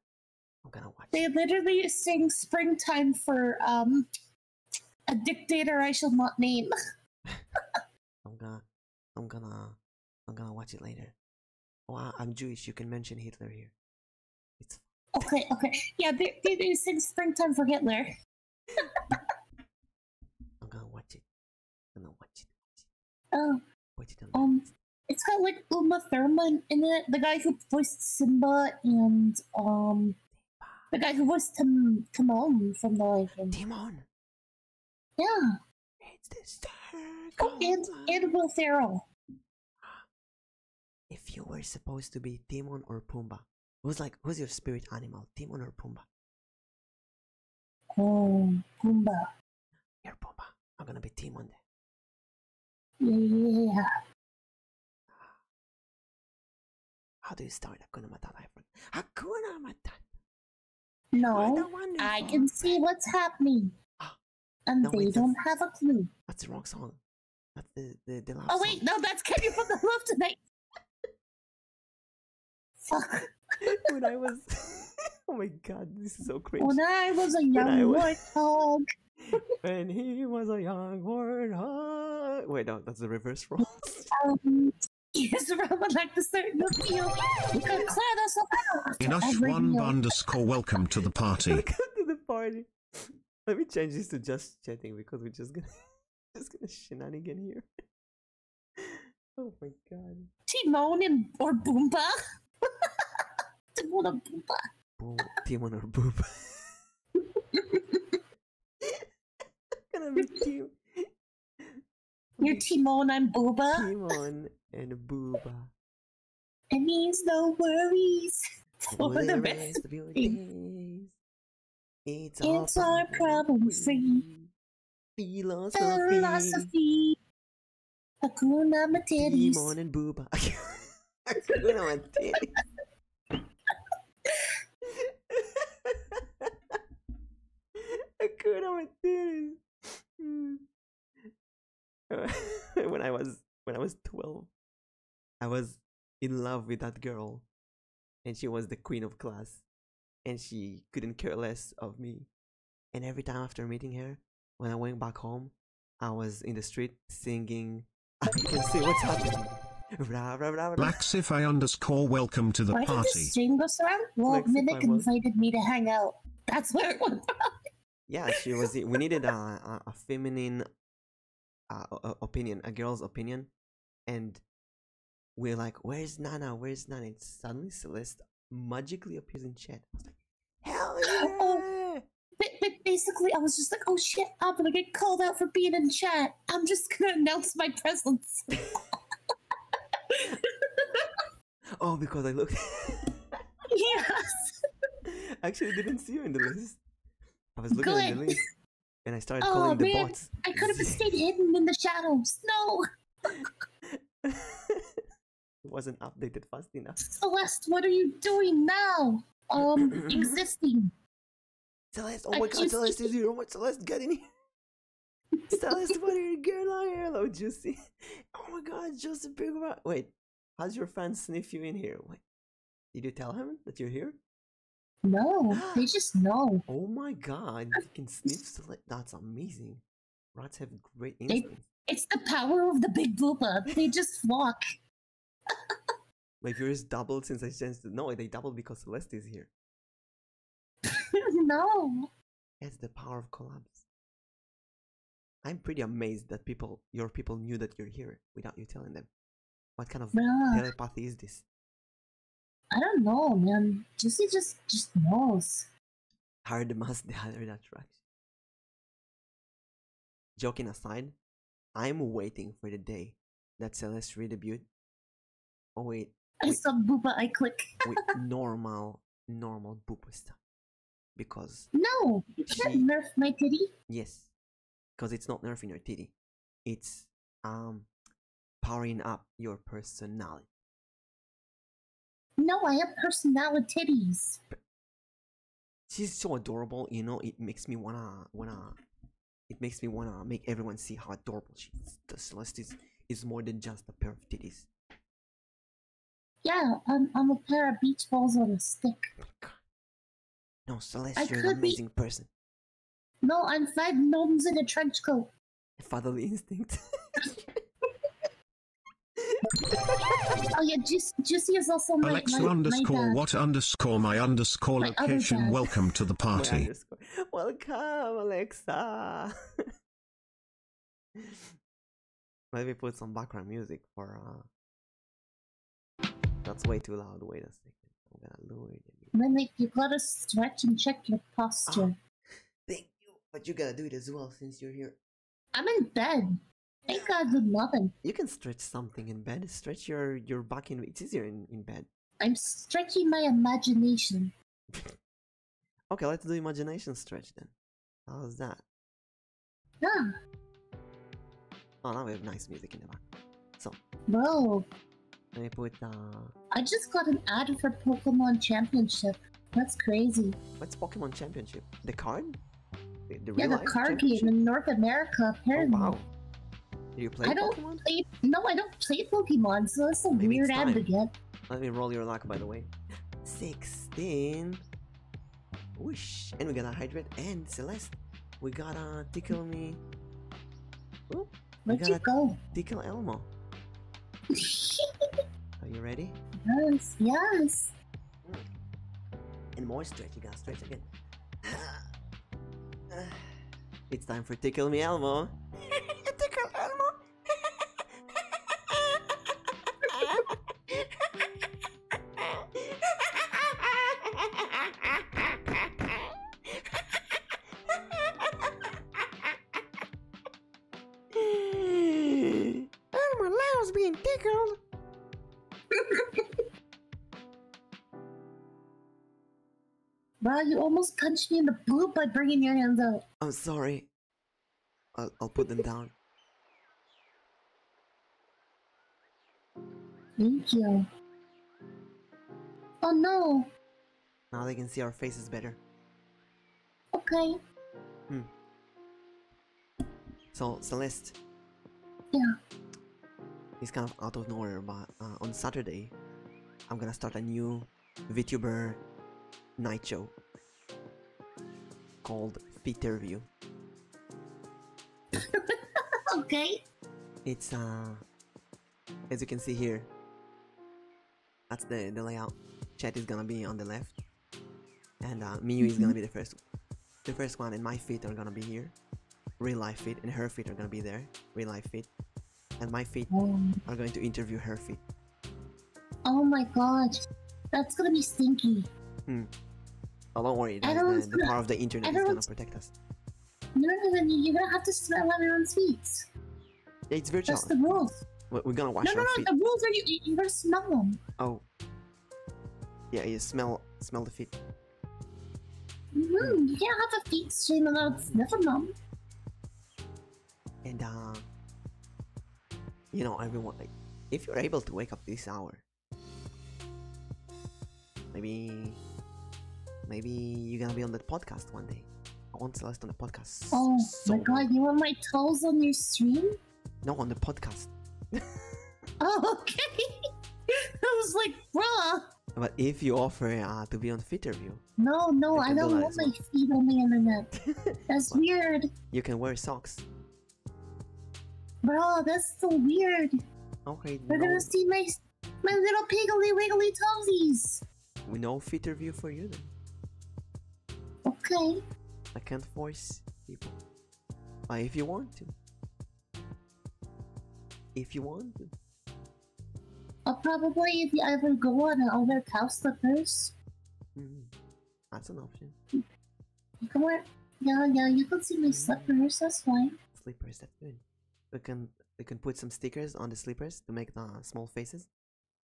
I'm gonna watch. They literally sing springtime for um a dictator I shall not name. [LAUGHS] I'm gonna I'm gonna I'm gonna watch it later. Oh, I'm Jewish, you can mention Hitler here. It's Okay, okay. Yeah, they they, sing springtime for Hitler. [LAUGHS] I'm gonna watch it. I'm gonna Watch it. Oh What's the um, it's got like Uma Thurman in it. The guy who voiced Simba and um, the guy who voiced Tim- Timon from the Lion. Timon. Yeah. It's the star. Oh, and and Will Ferrell. If you were supposed to be Timon or Pumbaa, who's like who's your spirit animal, Timon or Pumbaa? Oh, Pumbaa. You're Pumbaa. I'm gonna be team one day. Yeah. How do you start Hakuna Matata, everyone? Hakuna Matata. No, I can see what's happening, ah. and they don't have a clue. That's the wrong song. Oh wait, no, that's Kenny from the Love Tonight. [LAUGHS] when I was, [LAUGHS] oh my god, this is so crazy. When I was a young was... warthog. [LAUGHS] when he was a young warthog. Wait, no, that's the reverse role. um, yes, [LAUGHS] Rob would like the start with you. can clear this out. Enough one underscore welcome to the party. [LAUGHS] welcome to the party. Let me change this to just chatting because we're just gonna just gonna shenanigan here. Oh my god. Timon and or Boomba. Timon and Boomba bo- team on her boob. [LAUGHS] gonna be team. You're Timon and Booba. Timon and Booba. It means no worries for the, rest. of your days. It's, our problem free philosophy. Hakuna Materi. Demon and Booba. [LAUGHS] Hakuna Materi. [LAUGHS] Hakuna Materi. Hmm. [LAUGHS] when I was when I was twelve, I was in love with that girl, and she was the queen of class, and she couldn't care less of me. And every time after meeting her, when I went back home, I was in the street singing. I can see what's happening. Ra, ra, ra, ra. Blacksify underscore welcome to the Why party. Did the stream go around? Well, Mimic invited me to hang out. That's where it went from. yeah, she was. We needed a, a, a feminine uh, a, opinion, a girl's opinion, and we're like, "Where's Nana? Where's Nana?" And suddenly Celeste magically appears in chat. I was [GASPS] like, "Hell yeah!" Oh. But, basically, I was just like, oh shit, I'm gonna get called out for being in chat. I'm just gonna announce my presence. [LAUGHS] oh, because I looked. [LAUGHS] yes. [LAUGHS] Actually, didn't see you in the list. I was looking in the list, and I started oh, calling the bots. I could have stayed hidden in the shadows. No. It wasn't updated fast enough. Celeste, what are you doing now? Um, [CLEARS THROAT] existing. Celeste, oh, oh my god, Celeste is Oh my, Celeste, get in here. [LAUGHS] Celeste, what are you girl here? Hello, Juicy. Oh my god, Joseph Big Rock. Wait, how's your fan sniff you in here? Wait, did you tell him that you're here? No, they [GASPS] just know. Oh my god, they can sniff Celeste. That's amazing. Rats have great instincts. it's the power of the Big Booba. They just walk. My viewers doubled since I changed. No, they doubled because Celeste is here. [LAUGHS] no. it's the power of collabs. I'm pretty amazed that people, your people, knew that you're here without you telling them. What kind of telepathy is this? I don't know, man. Jesse just just knows. Hard must [LAUGHS] the other attraction. Joking aside, I'm waiting for the day that Celeste redebuted. Oh wait. I saw Boopa, I click. with [LAUGHS] normal, normal Boopa stuff. Because. No! You can't nerf my titty. Yes. Because it's not nerfing your titty. It's, um, powering up your personality. No, I have personality titties she's so adorable you know it makes me wanna wanna it makes me wanna make everyone see how adorable she is the Celestis is, more than just a pair of titties yeah i'm, I'm a pair of beach balls on a stick oh no Celestis, you're an amazing person no i'm five gnomes in a trench coat fatherly instinct [LAUGHS] oh you're just just Alexa underscore what underscore my underscore location. Welcome to the [LAUGHS] party. Welcome, Alexa. [LAUGHS] Let me put some background music for. Uh... That's way too loud. Wait a second. I'm gonna lower it. you gotta stretch and check your ah, posture. thank you, but you gotta do it as well since you're here. I'm in bed. Thank God did nothing. You can stretch something in bed. Stretch your your back in. It's easier in in bed. I'm stretching my imagination. [LAUGHS] okay, let's do imagination stretch then. How's that? Yeah. Oh, now we have nice music in the back. So. Bro. Let me put. Uh... I just got an ad for Pokemon Championship. That's crazy. What's Pokemon Championship? The card? yeah, the card game in North America, oh, apparently. I don't play. No, I don't play Pokemon, so that's a weird ad Let me roll your luck, by the way. 16. Whoosh. And we got a Hydrate and Celeste. We got a Tickle Me. Ooh, Where'd got you go? Tickle Elmo. [LAUGHS] Are you ready? Yes, yes. And mm. more stretch, you gotta stretch again. [SIGHS] It's time for Tickle Me Elmo. [LAUGHS] tickle Elmo? [LAUGHS] being tickled. [LAUGHS] Wow, you almost punched me in the boob by bringing your hands up. I'm oh, sorry. I'll, put them down. Thank you. Oh no! Now they can see our faces better. Okay. Hmm. So Celeste. Yeah. It's kind of out of nowhere, but uh, on Saturday, I'm gonna start a new VTuber night show called Feeterview. [LAUGHS] okay. It's uh, as you can see here. That's the the layout. Chat is gonna be on the left, and uh, Miyu is gonna mm-hmm. be the first the first one and my feet are gonna be here real life feet and her feet are gonna be there real life feet and my feet oh. are going to interview her feet oh my god that's gonna be stinky hmm oh don't worry the, power of the internet is gonna protect us no no no you're gonna have to smell everyone's feet it's virtual that's the rules we're gonna wash no, no, no, the rules are you, you're gonna smell them. Oh, yeah, you smell smell the feet. hmm You can't have a feet stream without sniffing them. And uh, you know, everyone, if you're able to wake up this hour, maybe, maybe you're gonna be on that podcast one day. I want to list on the podcast. Oh my god, you want my toes on your stream? No, on the podcast. [LAUGHS] Oh, okay. [LAUGHS] I was like, bruh. But if you offer uh, to be on Fit Review. No, no, I don't want my feet on the internet. [LAUGHS] That's weird. You can wear socks. Bro, that's so weird. Okay, we are gonna see my, my little piggly wiggly toesies. No Fit Review for you then. Okay. I can't force people. Uh, if you want to. If you want. Or probably if you ever go on an older cow slippers. Mm-hmm. that's an option. Come on, yeah, yeah, you can see my mm-hmm. slippers, that's fine. Slippers, that's good. We can we can put some stickers on the slippers to make the small faces.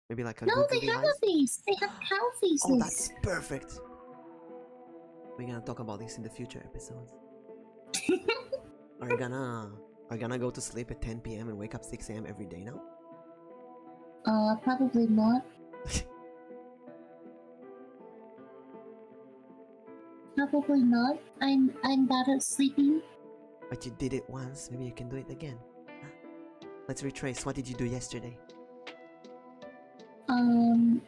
Maybe like a No, they have a face. They have cow oh, faces. Oh, that's perfect. We're gonna talk about this in the future episodes. [LAUGHS] are you gonna are you gonna go to sleep at 10 p.m. and wake up 6 a.m. every day now? Uh, probably not. [LAUGHS] probably not. I'm I'm bad at sleeping. But you did it once. Maybe you can do it again. Let's retrace. What did you do yesterday? Um,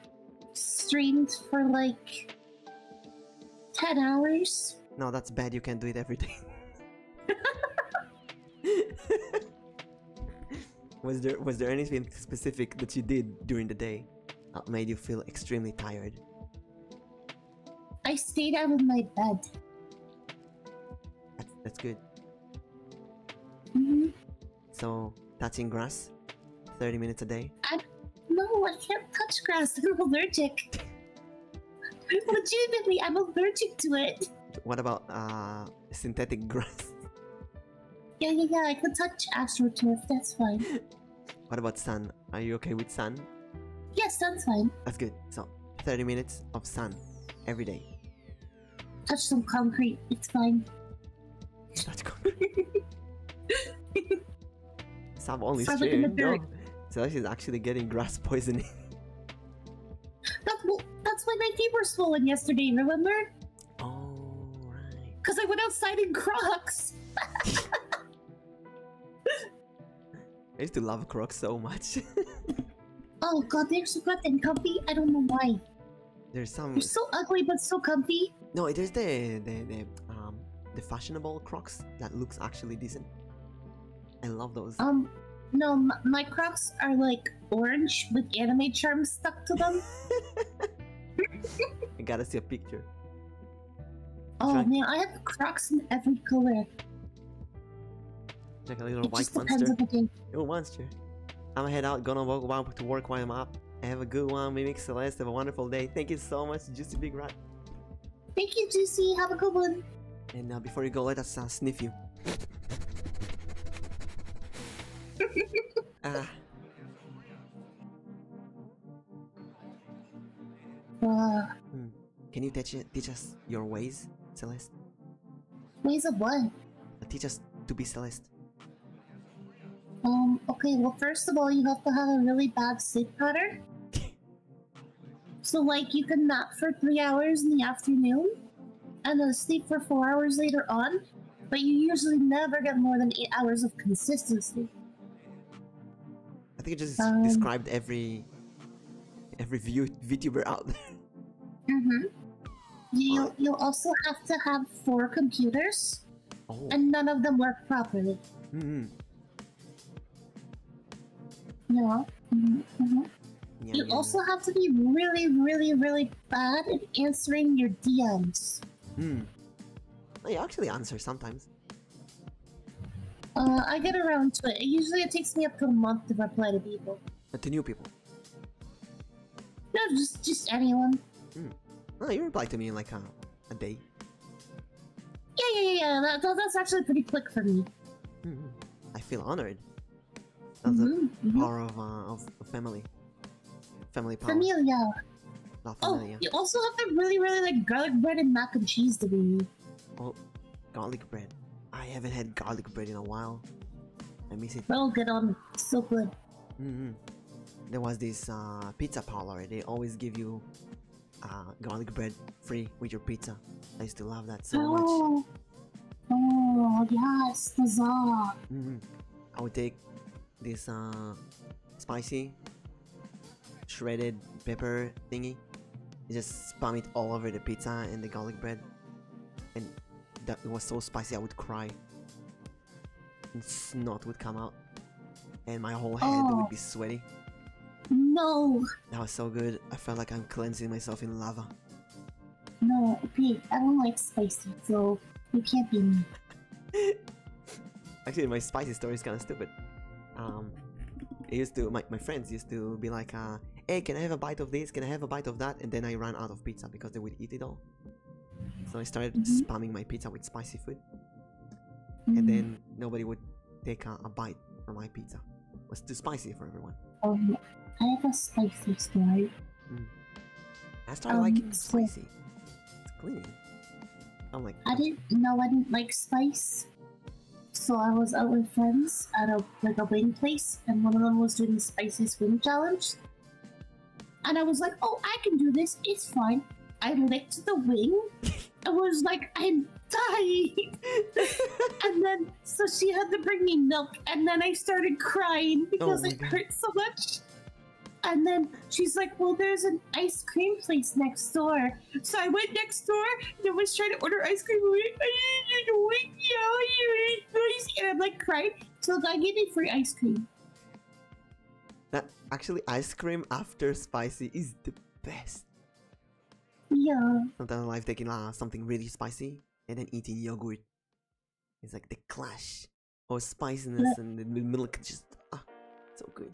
streamed for like 10 hours. No, that's bad. You can't do it every day. [LAUGHS] was there was there anything specific that you did during the day that made you feel extremely tired? I stayed out of my bed. That's, good. -hmm. So touching grass, 30 minutes a day. no, I can't touch grass. [LAUGHS] I'm allergic. Legitimately, I'm allergic to it. What about uh, synthetic grass? Yeah, yeah, yeah. I can touch astroturf. That's fine. [LAUGHS] what about sun? Are you okay with sun? Yes, sun's fine. That's good. So, 30 minutes of sun every day. Touch some concrete. It's fine. Sav only stream. No. Celeste is actually getting grass poisoning. [LAUGHS] that's, that's why my feet were swollen yesterday, remember? Oh, right. Because I went outside in Crocs. [LAUGHS] I used to love Crocs so much. [LAUGHS] oh god, they're so good and comfy. I don't know why. There's some. are so ugly, but so comfy. No, it's the the the um the fashionable Crocs that looks actually decent. I love those. Um, no, my, Crocs are like orange with anime charms stuck to them. [LAUGHS] [LAUGHS] I gotta see a picture. Oh Should man, I... have Crocs in every color. Like a little white just Depends on the day. Little monster. I'm gonna head out, gonna walk, walk to work while I'm up. Have a good one, We Mimic Celeste. Have a wonderful day. Thank you so much, Juicy Big Rat. Thank you, Juicy. Have a good one. And now, before you go, let us uh, sniff you. [LAUGHS] ah. Hmm. Can you teach, teach us your ways, Celeste? Ways of what? Uh, teach us to be Celeste. Um, okay, well, first of all, you have to have a really bad sleep pattern. So, like, you can nap for three hours in the afternoon and then sleep for four hours later on, but you usually never get more than eight hours of consistency. I think you just um, described every every view, VTuber out there. Mm-hmm. You, you also have to have four computers Oh. And none of them work properly. mm You also have to be really, really, really bad at answering your DMs. Hmm. I actually answer sometimes. Uh, I get around to it. Usually it takes me up to a month to reply to people. to new people? No, just just anyone. Hmm. Oh, you reply to me in like a, a day. Yeah, yeah, yeah, yeah. That, that's actually pretty quick for me. Mm-hmm. I feel honored. Mm-hmm, mm-hmm. Of uh, of, of family. Family power. Familia. Oh, you also have to really, really like garlic bread and mac and cheese to be. Oh, garlic bread. I haven't had garlic bread in a while. I miss it. Oh, good on. So good. Mm-hmm. There was this uh, pizza parlor. They always give you uh, garlic bread free with your pizza. I used to love that so oh. much. Oh yes, the czar. Mm-hmm. I would take this uh, spicy shredded pepper thingy. You just spam it all over the pizza and the garlic bread, and it was so spicy I would cry snot would come out, and my whole head would be oh. sweaty. No! That was so good. I felt like I'm cleansing myself in lava. No, Pete, I don't like spicy, so you can't be me. [LAUGHS] Actually, my spicy story is kind of stupid. Um, I used to my, my friends used to be like, uh, "Hey, can I have a bite of this? Can I have a bite of that?" And then I ran out of pizza because they would eat it all. So I started mm-hmm. spamming my pizza with spicy food. And then mm-hmm. nobody would take a, bite from my pizza. It was too spicy for everyone. Oh, I have a spicy story. Mm. I started um, liking spicy. It's cleaning. I'm like. I didn't know I didn't like spice. So I was out with friends at a like a wing place, and one of them was doing the spicy swing challenge. And I was like, oh, I can do this. It's fine. I licked the wing. [LAUGHS] I was like, I'm dying. [LAUGHS] and then, so she had to bring me milk. And then I started crying because oh it God. hurt so much. And then she's like, well, there's an ice cream place next door. So I went next door and I was trying to order ice cream. And I'm like crying. So the guy gave me free ice cream. That actually, ice cream after spicy is the best. Yeah. Sometimes I like taking uh, something really spicy and then eating yogurt. It's like the clash of spiciness and the milk just ah, so good.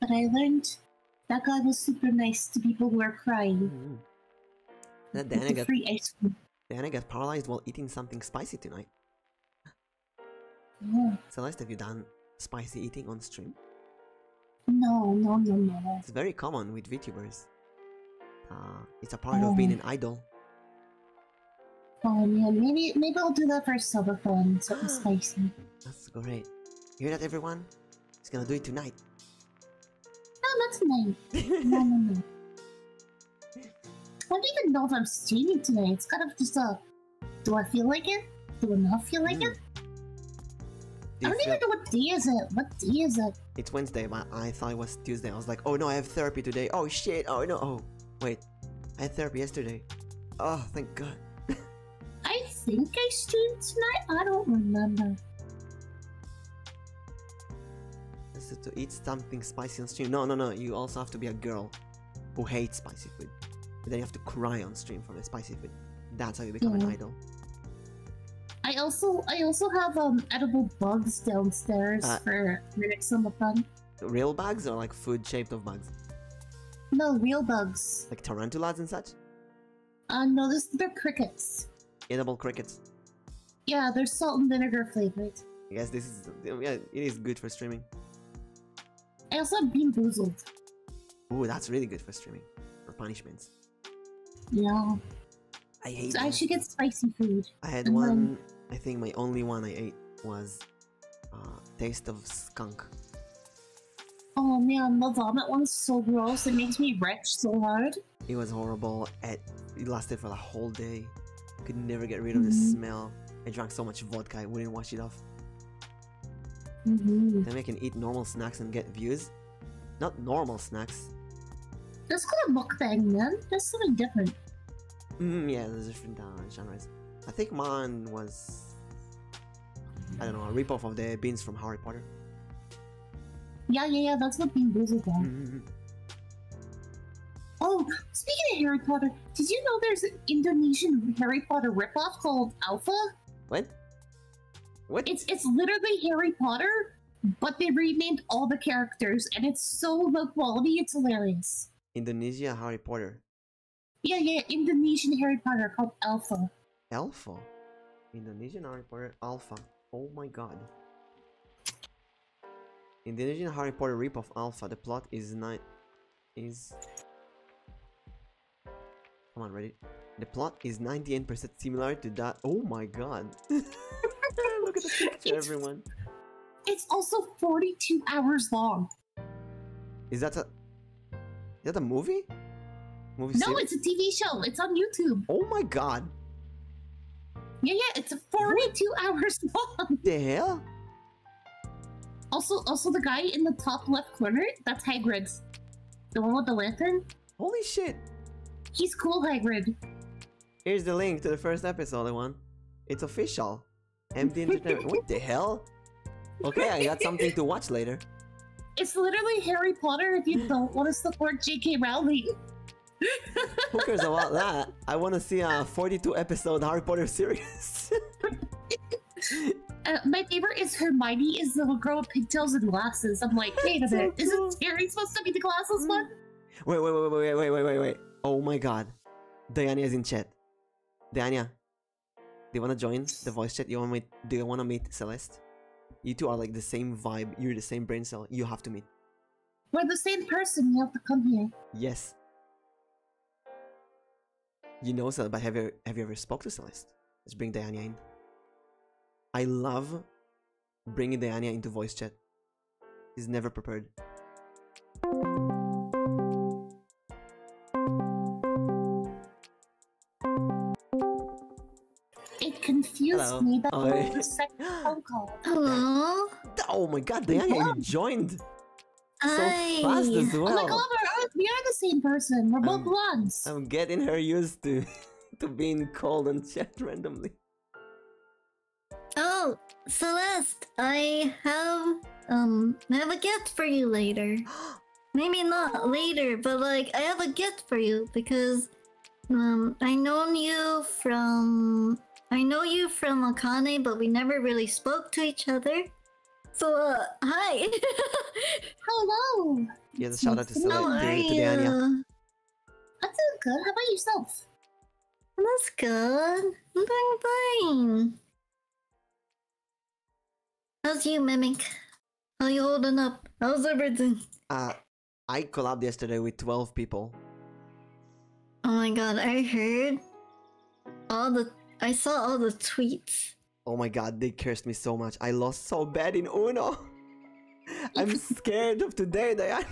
But I learned that guy was super nice to people who are crying. Mm -hmm. Then Dana free ice cream. Dana got paralyzed while eating something spicy tonight. Mm. last have you done spicy eating on stream? No, no, no, no. It's very common with VTubers. Uh, it's a part of being an idol. Oh yeah, maybe maybe I'll do that for a silver subathon, something [GASPS] spicy. That's great. hear that, everyone? He's gonna do it tonight. No, not tonight. [LAUGHS] no, no, no. I don't even know if I'm streaming today. It's kind of just a do I feel like it? Do I not feel like hmm. it? I don't even know what day is it. What day is it? It's Wednesday, but I thought it was Tuesday. I was like, oh no, I have therapy today. Oh shit. Oh no. Oh wait, I had therapy yesterday. Oh, thank God. [LAUGHS] I think I streamed tonight. I don't remember. To eat something spicy and stream. No, no, no. You also have to be a girl who hates spicy food. then you have to cry on stream for the spicy food. That's how you become an idol. I also I also have um edible bugs downstairs uh. for next summer fun. Real bugs or like food shaped of bugs? No, real bugs. Like tarantulas and such? Uh no, this they're crickets. Edible crickets. Yeah, they're salt and vinegar flavored. I guess this is yeah, it is good for streaming. I also been Bean Oh, that's really good for streaming. For punishments. Yeah. I hate I should get spicy food. I had one, I think my only one I ate was uh, Taste of Skunk. Oh man, the vomit one's so gross. It makes me retch so hard. It was horrible. It, lasted for the whole day. Could never get rid of the mm-hmm. smell. I drank so much vodka, I wouldn't wash it off. Mm-hmm. Then we can eat normal snacks and get views. Not normal snacks. That's called a it mukbang then. That's something different. Mm, yeah, there's different uh, genres. I think mine was... I don't know, a ripoff of the beans from Harry Potter. Yeah, yeah, yeah, that's what beans is again. Mm-hmm. Oh, speaking of Harry Potter, did you know there's an Indonesian Harry Potter ripoff called Alpha? What? What? It's it's literally Harry Potter, but they renamed all the characters, and it's so low quality, it's hilarious. Indonesia Harry Potter. Yeah, yeah, Indonesian Harry Potter called Alpha. Alpha? Indonesian Harry Potter Alpha. Oh my god. Indonesian Harry Potter ripoff Alpha. The plot is nine is... Come on, ready? The plot is 98% similar to that. Oh my god. [LAUGHS] Look at everyone. It's also 42 hours long. Is that a... Is that movie? no, it's a TV show. It's on YouTube. Oh my god. Yeah, yeah, it's 42 [LAUGHS] hours long. The hell? Also, also the guy in the top left corner, that's Hagrid. The one with the lantern. Holy shit! He's cool, Hagrid. Here's the link to the first episode, one. It's official. MD Entertainment. [LAUGHS] what the hell? Okay, I got something to watch later. It's literally Harry Potter if you don't want to support J.K. Rowling. Who cares about that? I want to see a 42 episode Harry Potter series. [LAUGHS] Uh, my favorite is Hermione is the little girl with pigtails and glasses. I'm like, wait a minute, isn't [LAUGHS] Harry supposed to be the glasses one? Wait, wait, wait, wait, wait, wait, wait, wait. Oh my god. Diana is in chat. Diana, do you wanna join the voice chat? You wanna meet do you wanna meet Celeste? You two are like the same vibe, you're the same brain cell, you have to meet. We're the same person, you have to come here. Yes. You know Celeste, but have you have you ever spoke to Celeste? Let's bring Diana in. I love bringing Diana into voice chat. He's never prepared. It confused me the oh. second phone call. Hello. [LAUGHS] Oh my god, Diana, joined. I... so fast as well. Oh my we're, the same person. We're both blonds. I'm getting her used to [LAUGHS] to being called and chat [LAUGHS] randomly. Oh, Celeste, I have um I have a gift for you later. [GASPS] Maybe not later, but like I have a gift for you because um I known you from I know you from Akane, but we never really spoke to each other. So, uh, hi. [LAUGHS] Hello. Yeah, the shout out to How are to you? good. How about yourself? That's good. I'm doing fine. How's you, Mimic? How you holding up? How's everything? Uh, I collabed yesterday with 12 people. Oh my god, I heard all the... I saw all the tweets. Oh my god, they cursed me so much. I lost so bad in Uno. [LAUGHS] I'm scared of today, Diane.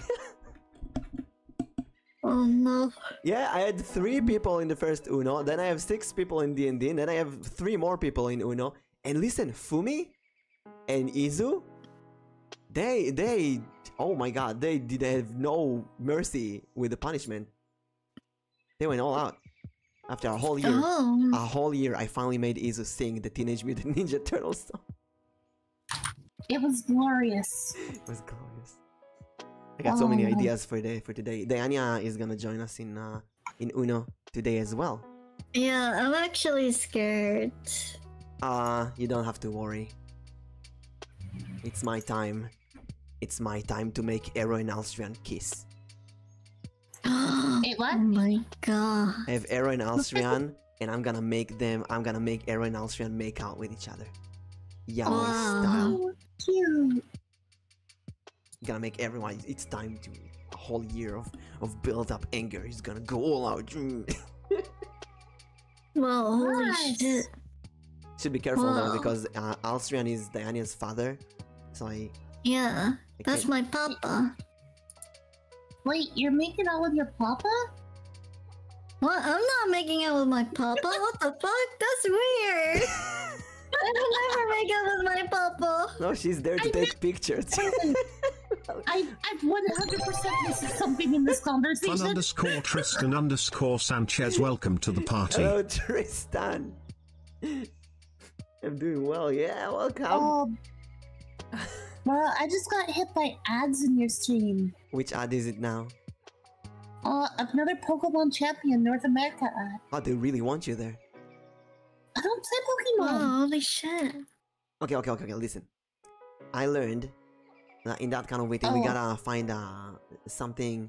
[LAUGHS] oh no. Yeah, I had three people in the first Uno, then I have six people in D&D, then I have three more people in Uno. And listen, Fumi and Izu, they, they, oh my god, they did have no mercy with the punishment. They went all out. After a whole year, oh. a whole year, I finally made Izu sing the Teenage Mutant [LAUGHS] Ninja Turtles song. It was glorious. it was glorious. I got so many oh. ideas for today. for today. Diana is gonna join us in uh, in Uno today as well. Yeah, I'm actually scared. Uh, you don't have to worry. It's my time. It's my time to make Ero and Alstrian kiss. [GASPS] Oh my god. I have Ero and Alstrian, [LAUGHS] and I'm gonna make them, I'm gonna make Ero and Alstrian make out with each other. Yaoi wow. style. Cute. Gonna make everyone, it's time to, a whole year of, of built up anger is gonna go all out. [LAUGHS] well, holy Should be careful though, because uh, is Diana's father, so I. Yeah, that's my papa. Wait, you're making out with your papa? What? I'm not making out with my papa. [LAUGHS] what the fuck? That's weird. I don't [LAUGHS] ever make out with my papa. No, she's there to take pictures. [LAUGHS] I, I 100% this is something in this conversation. underscore Tristan underscore Sanchez. Welcome to the party. Hello, Tristan. [LAUGHS] I'm doing well. Yeah, welcome. Oh. well, I just got hit by ads in your stream. Which ad is it now? Uh, another Pokemon Champion North America ad. Oh, they really want you there. I don't play Pokemon. Oh, holy shit. Okay, okay, okay, okay. Listen, I learned that in that kind of waiting, oh. we gotta find uh, something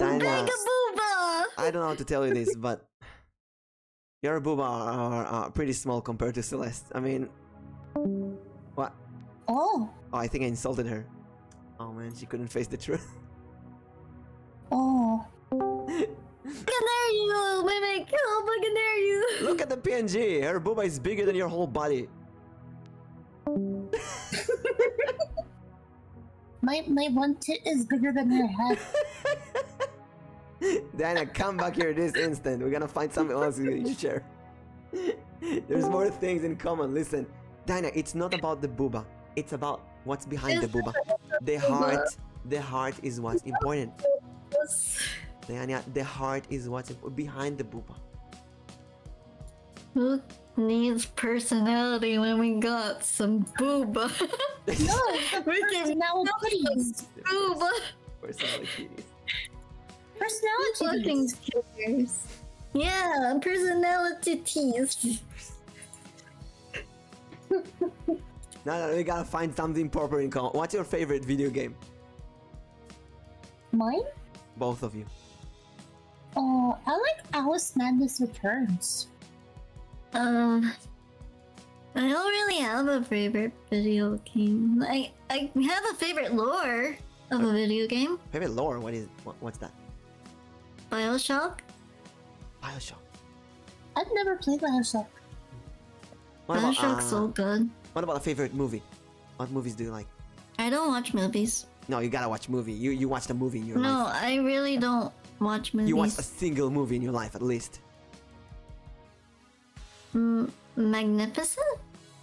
I don't know how to tell you this, but your booba are, pretty small compared to Celeste. I mean, what? Oh. Oh, I think I insulted her. Oh man, she couldn't face the truth. [LAUGHS] Oh. [LAUGHS] Look at you, mimic! Help! Look at you! Look at the PNG. Her booba is bigger than your whole body. [LAUGHS] My my one tit is bigger than your head. [LAUGHS] Dana, come back here this instant. We're gonna find something else to share. [LAUGHS] There's more things in common. Listen, Dina, it's not about the booba. It's about what's behind the booba. The heart, the heart is what's important. Dina, the heart is what's behind the booba. Who needs personality when we got some booba. [LAUGHS] no, we can now Booba. Personality cuties. Personality Yeah, personality teas. no, no, we gotta find something proper in common. What's your favorite video game? Mine? Both of you. Oh, I like Alice Madness Returns. Um, I don't really have a favorite video game. I I have a favorite lore of a video game. Favorite lore? What is what, what's that? Bioshock. Bioshock. I've never played Bioshock. What is about, so uh, good. What about a favorite movie? What movies do you like? I don't watch movies. No, you gotta watch movie. You you watch the movie in your No, I really don't. You watch a single movie in your life at least. Magnificent?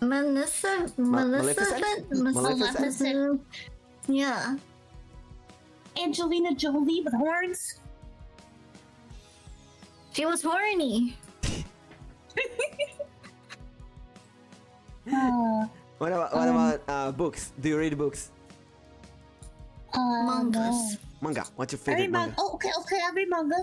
Melissa? Melissa, Melissa, Maleficent? Yeah. Angelina Jolie with horns? She was horny. [LAUGHS] what about, um, uh, books? Do you read books? Uh, Mangas. Manga. What's your favorite manga? Okay, oh, okay, okay, every manga.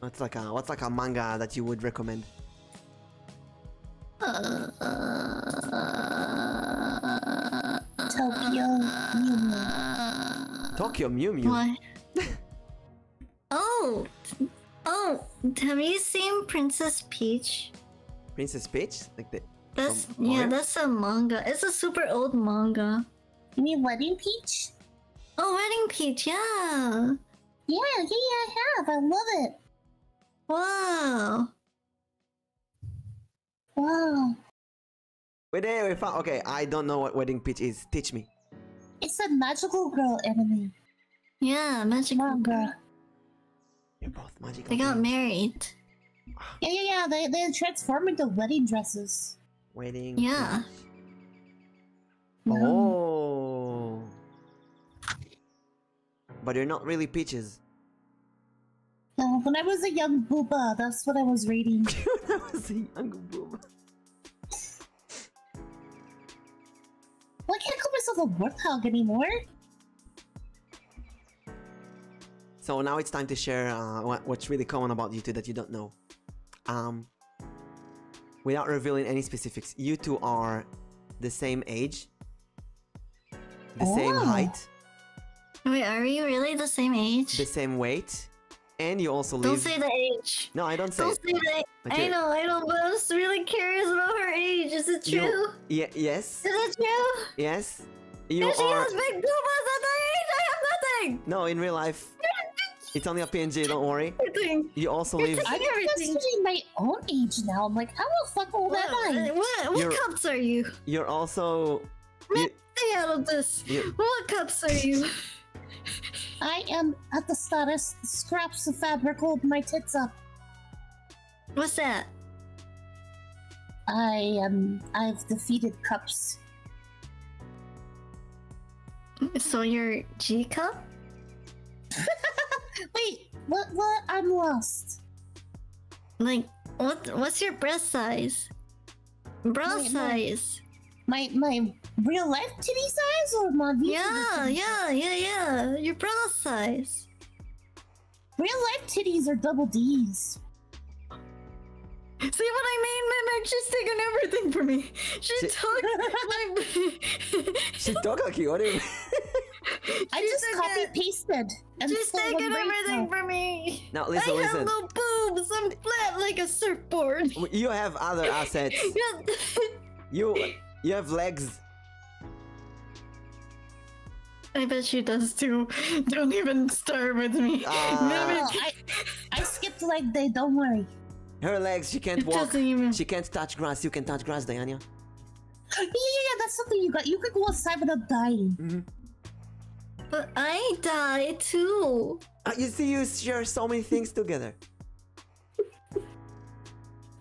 What's like a what's like a manga that you would recommend? Tokyo Mew Mew. Tokyo Mew Mew. [LAUGHS] Oh, oh, have you seen Princess Peach? Princess Peach, like the. That's yeah, that's a manga. It's a super old manga. You mean Wedding Peach? Oh, Wedding Peach, yeah. Yeah, yeah, yeah, I have. I love it. Wow. Wow. Wait there, we found. Okay, I don't know what Wedding Peach is. Teach me. It's a magical girl anime. Yeah, magic manga. Oh, you're both magical. They got married. Ah. Yeah, yeah, yeah. They they transform into wedding dresses. Wedding. Yeah. Oh. But they're not really peaches. No, when I was a young booba, that's what I was reading. [LAUGHS] when I was a young booba. Why can't I call myself a warthog anymore? So now it's time to share uh, what's really common about you two that you don't know. Um, without revealing any specifics, you two are the same age, the same oh. height. Wait, are we really the same age? The same weight, and you also live. Don't say the age. No, I don't say. Don't Okay. I know, I know, but I'm just really curious about her age. Is it true? You, yeah, yes. Is it true? Yes. You and she are... has big boobas at her age. I have nothing. No, in real life. It's only a PNG, don't worry. You also live. I'm considering my own age now. I'm like, how the fuck old what, am I? What, what you're, cups are you? You're also. You, stay out of this. What cups are you? I am at the status, scraps of fabric hold my tits up. What's that? I um I've defeated cups. So you're G cup? [LAUGHS] Wait, what what I'm lost. Like what what's your breast size? Bra size. my my real life titty size or my Yeah, yeah, yeah, yeah. Your bra size. Real life titties are double D's. See what I mean, Mimic? She's taking everything for me. She, she took my. [LAUGHS] she took a key. What do I just copy it. pasted. She's taking everything for me. Now listen, I have no boobs. I'm flat like a surfboard. You have other assets. [LAUGHS] you you have legs. I bet she does too. [LAUGHS] Don't even start with me. Ah. I, skipped like they. don't worry. Her legs, she can't walk. She can't touch grass. You can touch grass, Diana. Yeah, yeah, that's something you got. You can go outside without dying. Mm-hmm. But I die too. Ah, you see, you share so many things together.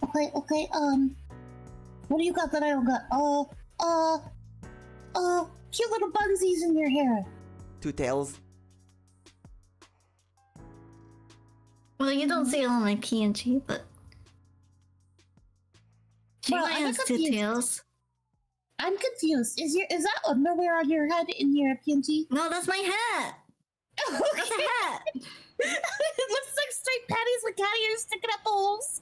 Okay, okay, um. What do you got that I don't got? Uh, uh, uh, cute little bunsies in your hair. Two tails. Well, you don't see it on my PNG, but. can I ask have two tails. I'm confused. Is your is that underwear on your head in your PNG? No, that's my hat. Okay. What's [LAUGHS] that? it looks like straight patties with cat ears sticking up holes.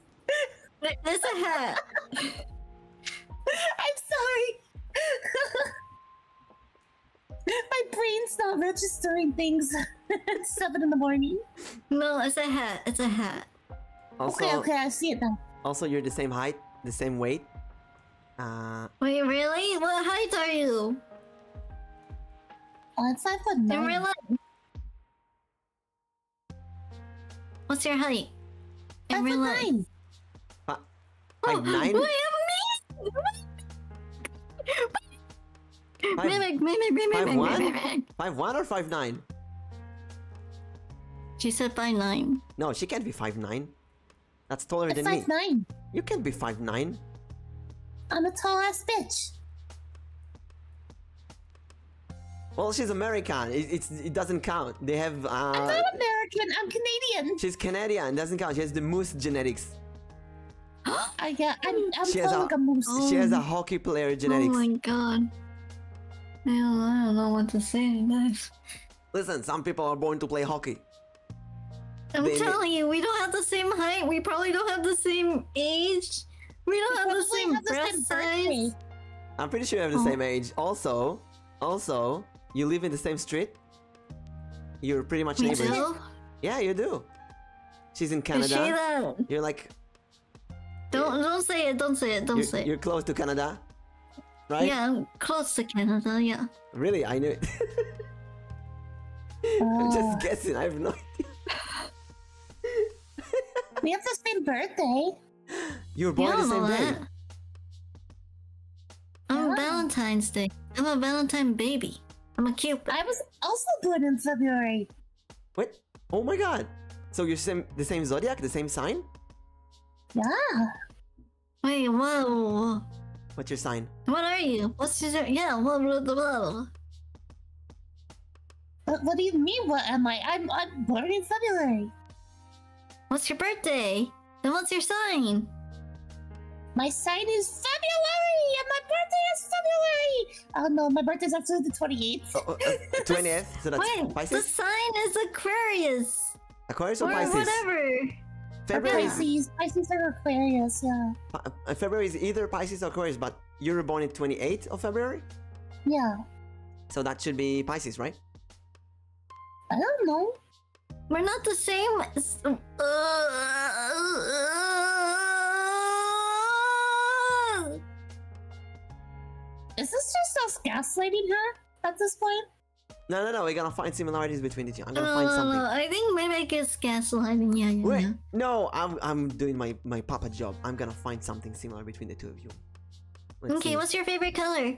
There's a hat. [LAUGHS] I'm sorry. [LAUGHS] My brain's not registering things. it's seven in the morning. No, it's a hat. It's a hat. okay, okay, I see it now. Also, you're the same height, the same weight. Uh. Wait, really? What height are you? Oh, it's five foot nine. Marilla... What's your height? Five foot nine. Huh? Oh, like oh, nine? Wait, amazing! five, mimic, mimic, mimic, five mimic, one? mimic. Five one or five nine? She said five nine. No, she can't be five nine. That's taller it's than five me. Nine. You can't be five nine. I'm a tall ass bitch. Well, she's American. It, doesn't count. They have. Uh, I'm not American. I'm Canadian. She's Canadian. Doesn't count. She has the moose genetics. [GASPS] I I'm, she has a, moose. She has a hockey player oh genetics. Oh my god. I don't, I don't know what to say Listen, some people are born to play hockey. I'm telling you, we don't have the same height. We probably don't have the same age. We don't have the same have breast size. I'm pretty sure we have the uh-huh. same age. Also, also, you live in the same street. You're pretty much we neighbors. Do? Yeah, you do. She's in Canada. You're like. Don't don't say it. Don't say it. Don't say it. You're close to Canada, right? Yeah, I'm close to Canada. Yeah. Really, I knew it. [LAUGHS] I'm just oh. guessing. I have no idea. [LAUGHS] we have the same birthday. You are born yeah, same day. I'm Valentine's Day. I'm a Valentine baby. I'm a cute. I was also born in February. What? Oh my god. So you're same, the same zodiac, the same sign? Yeah. Wait, whoa. What's your sign? What are you? What's your yeah? What, do you mean, what am I? I'm, I'm born in February. What's your birthday? And what's your sign? My sign is February, and my birthday is February. Oh no, my birthday's actually the twenty eighth. Oh, uh, uh, twenty eighth. So Pisces? the sign is Aquarius. Aquarius or, Pisces? Whatever. Pisces, Pisces or Aquarius, yeah uh, February is either Pisces or Aquarius, but you were born in 28th of February? Yeah. So that should be Pisces, right? I don't know. We're not the same. Uh, is this just us gaslighting her at this point? No, no, no. We're gonna find similarities between the two. I'm gonna find uh, something. I think Mimic is gaslighting. Yeah, yeah. yeah no, I'm I'm doing my my papa job. I'm gonna find something similar between the two of you. okay, what's your favorite color?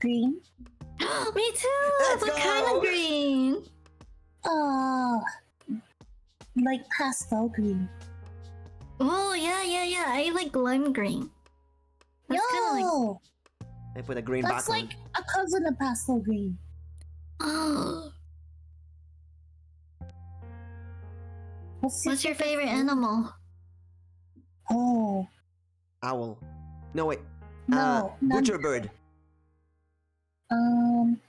Green. [GASPS] Me too. Let's what kind of green? Oh, like pastel green. Oh yeah, yeah, yeah. I like lime green. That's Yo. I put a green. That's like a cousin of pastel green. [GASPS] Oh. What's, your favorite animal? Oh. Owl. No, wait. No. Uh, butcher bird. Um.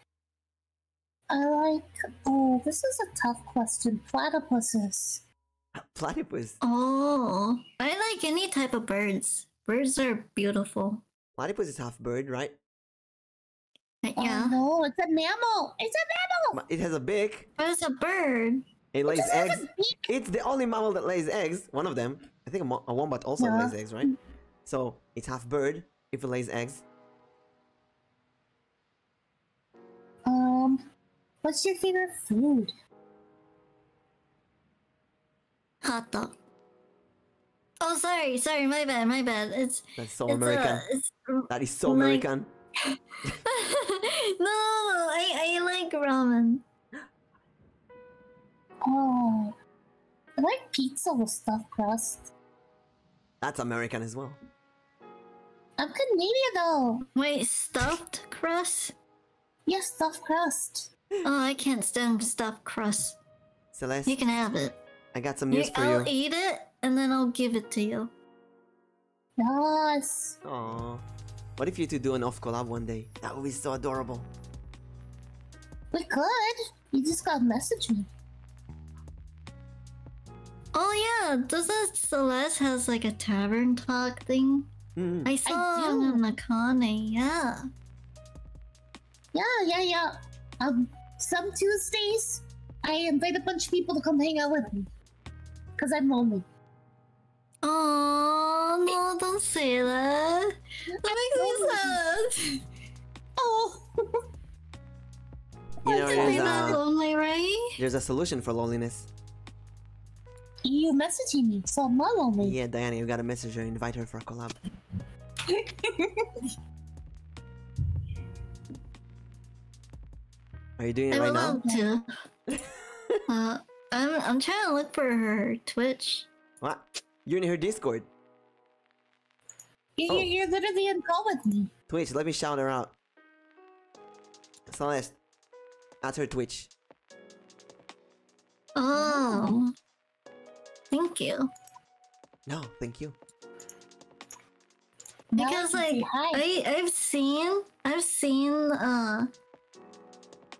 I like. Oh, this is a tough question. Platypuses. Platypus. Oh, I like any type of birds. Birds are beautiful. Platypus is half bird, right? Yeah. no, it's a mammal. It's a mammal. It has a beak. it's a bird. It lays eggs. It's the only mammal that lays eggs. One of them. I think a, a wombat also lays eggs, right? So it's half bird if it lays eggs. Um, what's your favorite food? Hot dog. Oh, sorry, sorry, my bad, my bad. It's that's so uh, American. that is so American. [LAUGHS] [LAUGHS] no, I I like ramen. Oh, I like pizza with stuffed crust. That's American as well. I'm Canadian though. Wait, stuffed crust? Yes, stuffed crust. Oh, I can't stand stuffed crust. Celeste. You can have it. I got some news for you. I'll eat it and then I'll give it to you. Nice. Oh, What if you two do an off collab one day? That would be so adorable. We could. You just got message me. Oh yeah, doesn't Celeste has like a tavern talk thing? Mm-hmm. I saw on the Connie, yeah. Yeah, yeah, yeah. Um, some Tuesdays, I invite a bunch of people to come hang out with me. Because I'm lonely. Oh no, don't say that. That makes oh. [LAUGHS] me sad. Oh. You know, there's, lonely, right? there's a solution for loneliness. You messaging me, so I'm not lonely. Yeah, Diana, you got a message her, invite her for a collab. Are you doing it right now? To. [LAUGHS] Uh, I'm I'm trying to look for her Twitch. What? You're in her Discord. You, oh. You're literally in call with me. Twitch, let me shout her out. Celeste, at her Twitch. Oh. Thank you. No, thank you. Because like I I've seen I've seen uh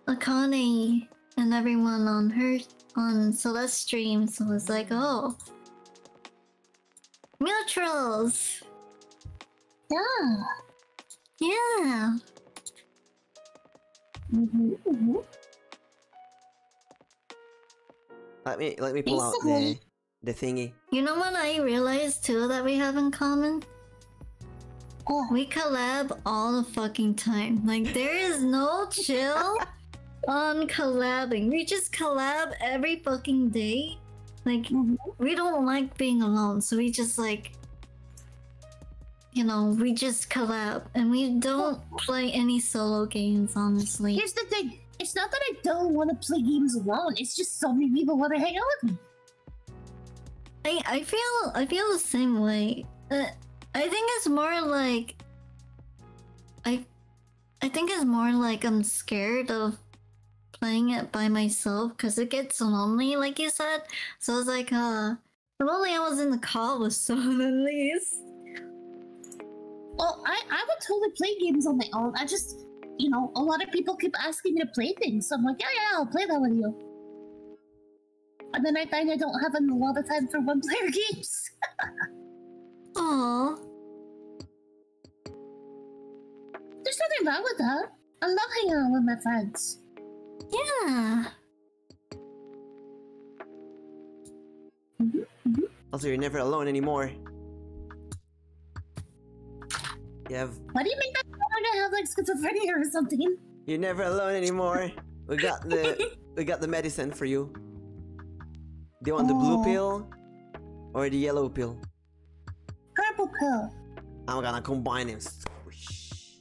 Akane and everyone on her on Celeste stream, so it's like mm-hmm. oh Mutuals Yeah Yeah mm-hmm, mm-hmm. Let me let me pull out the the thingy. You know what I realized too that we have in common? Oh. We collab all the fucking time. Like there is no chill [LAUGHS] on collabing. We just collab every fucking day. Like mm-hmm. we don't like being alone, so we just like you know, we just collab and we don't play any solo games, honestly. Here's the thing it's not that I don't want to play games alone. It's just so many people want to hang out with me. I I feel I feel the same way. I think it's more like I I think it's more like I'm scared of playing it by myself because it gets lonely, like you said. So it's like, uh, if only I was in the car with someone at well, I, I would totally play games on my own. I just, you know, a lot of people keep asking me to play things. So I'm like, yeah, yeah, I'll play that with you. And then I find I don't have a lot of time for one player [LAUGHS] games. Aww. There's nothing wrong with that. I love hanging out with my friends. Yeah. Mm-hmm, mm Also, you're never alone anymore. You have. What do you mean that i gonna have like schizophrenia or something? You're never alone anymore. we got the [LAUGHS] we got the medicine for you. Do you want the blue oh. pill or the yellow pill? Purple pill. I'm gonna combine them.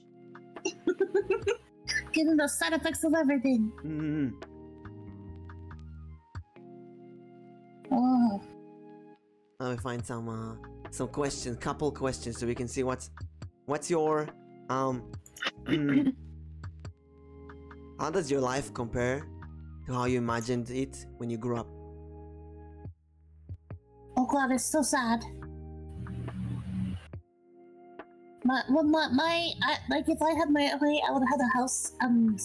[LAUGHS] Give Getting the side effects of everything. Mm-hmm. Let me find some uh, some questions, couple questions, so we can see what's what's your um. [CLEARS THROAT] how does your life compare to how you imagined it when you grew up? Oh god, it's so sad. My, well, my, my like if I had my way, I would have a house and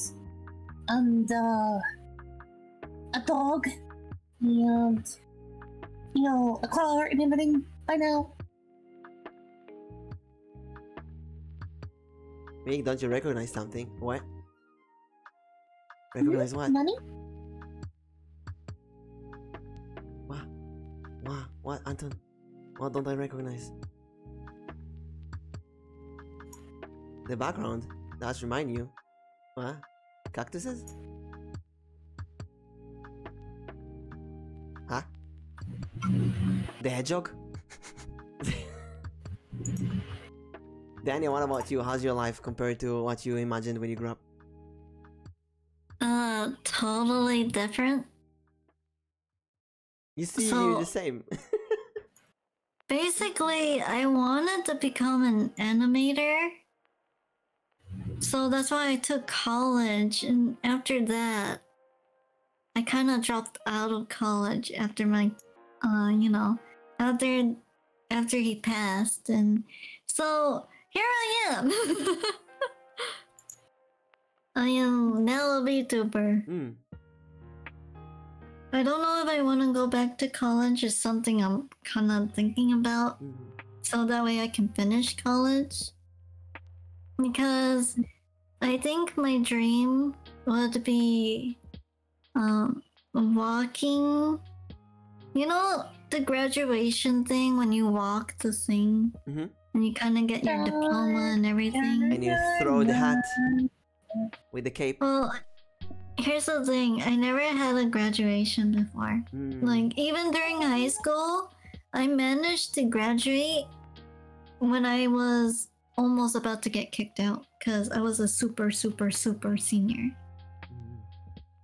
and uh, a dog and you know a car and everything by now. Meg, don't you recognize something? What? Hmm? Recognize what? Money? What? What? What? Anton, what don't I recognize? The background does remind you. What? Cactuses? Huh? The hedgehog? [LAUGHS] Daniel, what about you? How's your life compared to what you imagined when you grew up? Uh, totally different. You see, so, you the same. [LAUGHS] basically, I wanted to become an animator. So that's why I took college. And after that, I kind of dropped out of college after my, uh, you know, after after he passed. And so here I am. [LAUGHS] I am now a VTuber. Mm. I don't know if I want to go back to college. Is something I'm kind of thinking about. Hmm. So that way I can finish college. Because I think my dream would be um, walking. You know the graduation thing when you walk the thing? Mm-hmm. And you kind of get your diploma and everything. And you throw the hat. With the cape. Well, here's the thing. I never had a graduation before. Hmm. Like, even during high school, I managed to graduate when I was almost about to get kicked out because I was a super, super, super senior. Hmm.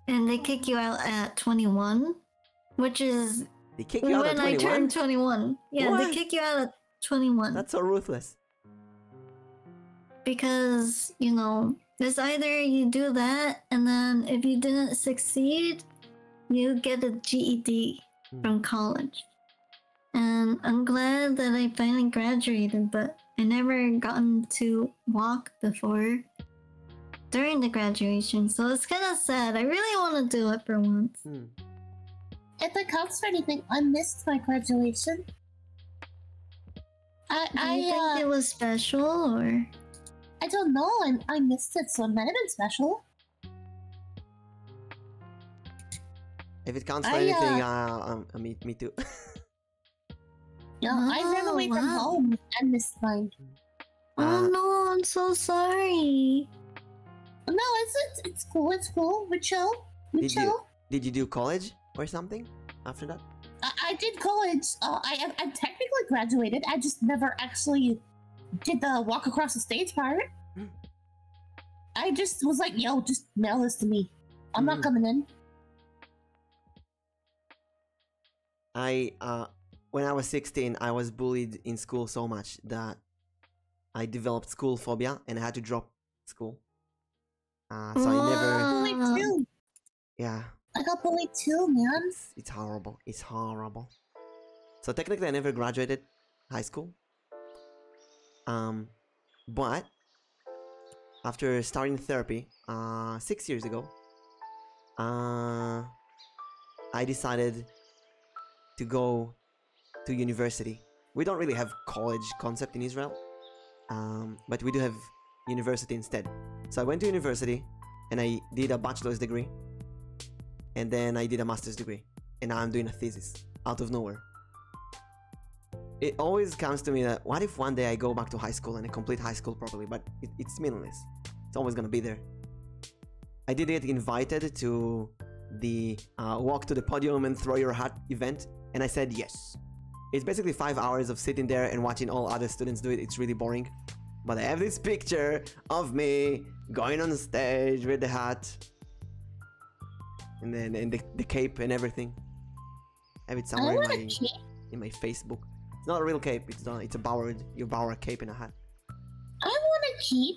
And they kick you out at 21, which is when I turned 21. Yeah, they kick you out 21. That's so ruthless. Because, you know, it's either you do that, and then if you didn't succeed, you get a GED from college. And I'm glad that I finally graduated, but I never gotten to walk before during the graduation, so it's kind of sad. I really want to do it for once. Hmm. If that counts for anything, I missed my graduation. I, Do you think uh, it was special or? I don't know. I, I missed it, so it might have been special. If it counts for anything, i uh, uh, um, uh, me, too. [LAUGHS] yeah, oh, I ran oh, away from home and missed mine. Oh no, I'm so sorry. No, it's it's, cool. It's cool. We chill. We did You, did you do college or something after that? I, did college. Uh, I I technically graduated. I just never actually did the walk across the stage part. Mm. I just was like, yo, just mail this to me. I'm not mm. coming in. I uh, when I was 16, I was bullied in school so much that I developed school phobia and I had to drop school. Uh, so I never. Ah. Yeah. I got bullied too, man. It's, horrible. It's horrible. So technically, I never graduated high school. Um, but after starting therapy uh, six years ago, uh, I decided to go to university. We don't really have college concept in Israel, um, but we do have university instead. So I went to university and I did a bachelor's degree and then I did a master's degree and I'm doing a thesis out of nowhere. It always comes to me that what if one day I go back to high school and I complete high school properly, but it's meaningless. It's always gonna be there. I did get invited to the uh, walk to the podium and throw your hat event? And I said yes. It's basically five hours of sitting there and watching all other students do it. It's really boring. But I have this picture of me going on the stage with the hat and then and the, the cape and everything. I have it somewhere in my, in my Facebook. It's not a real cape. It's not. It's a borrowed your borrowed cape and a hat. I want to keep.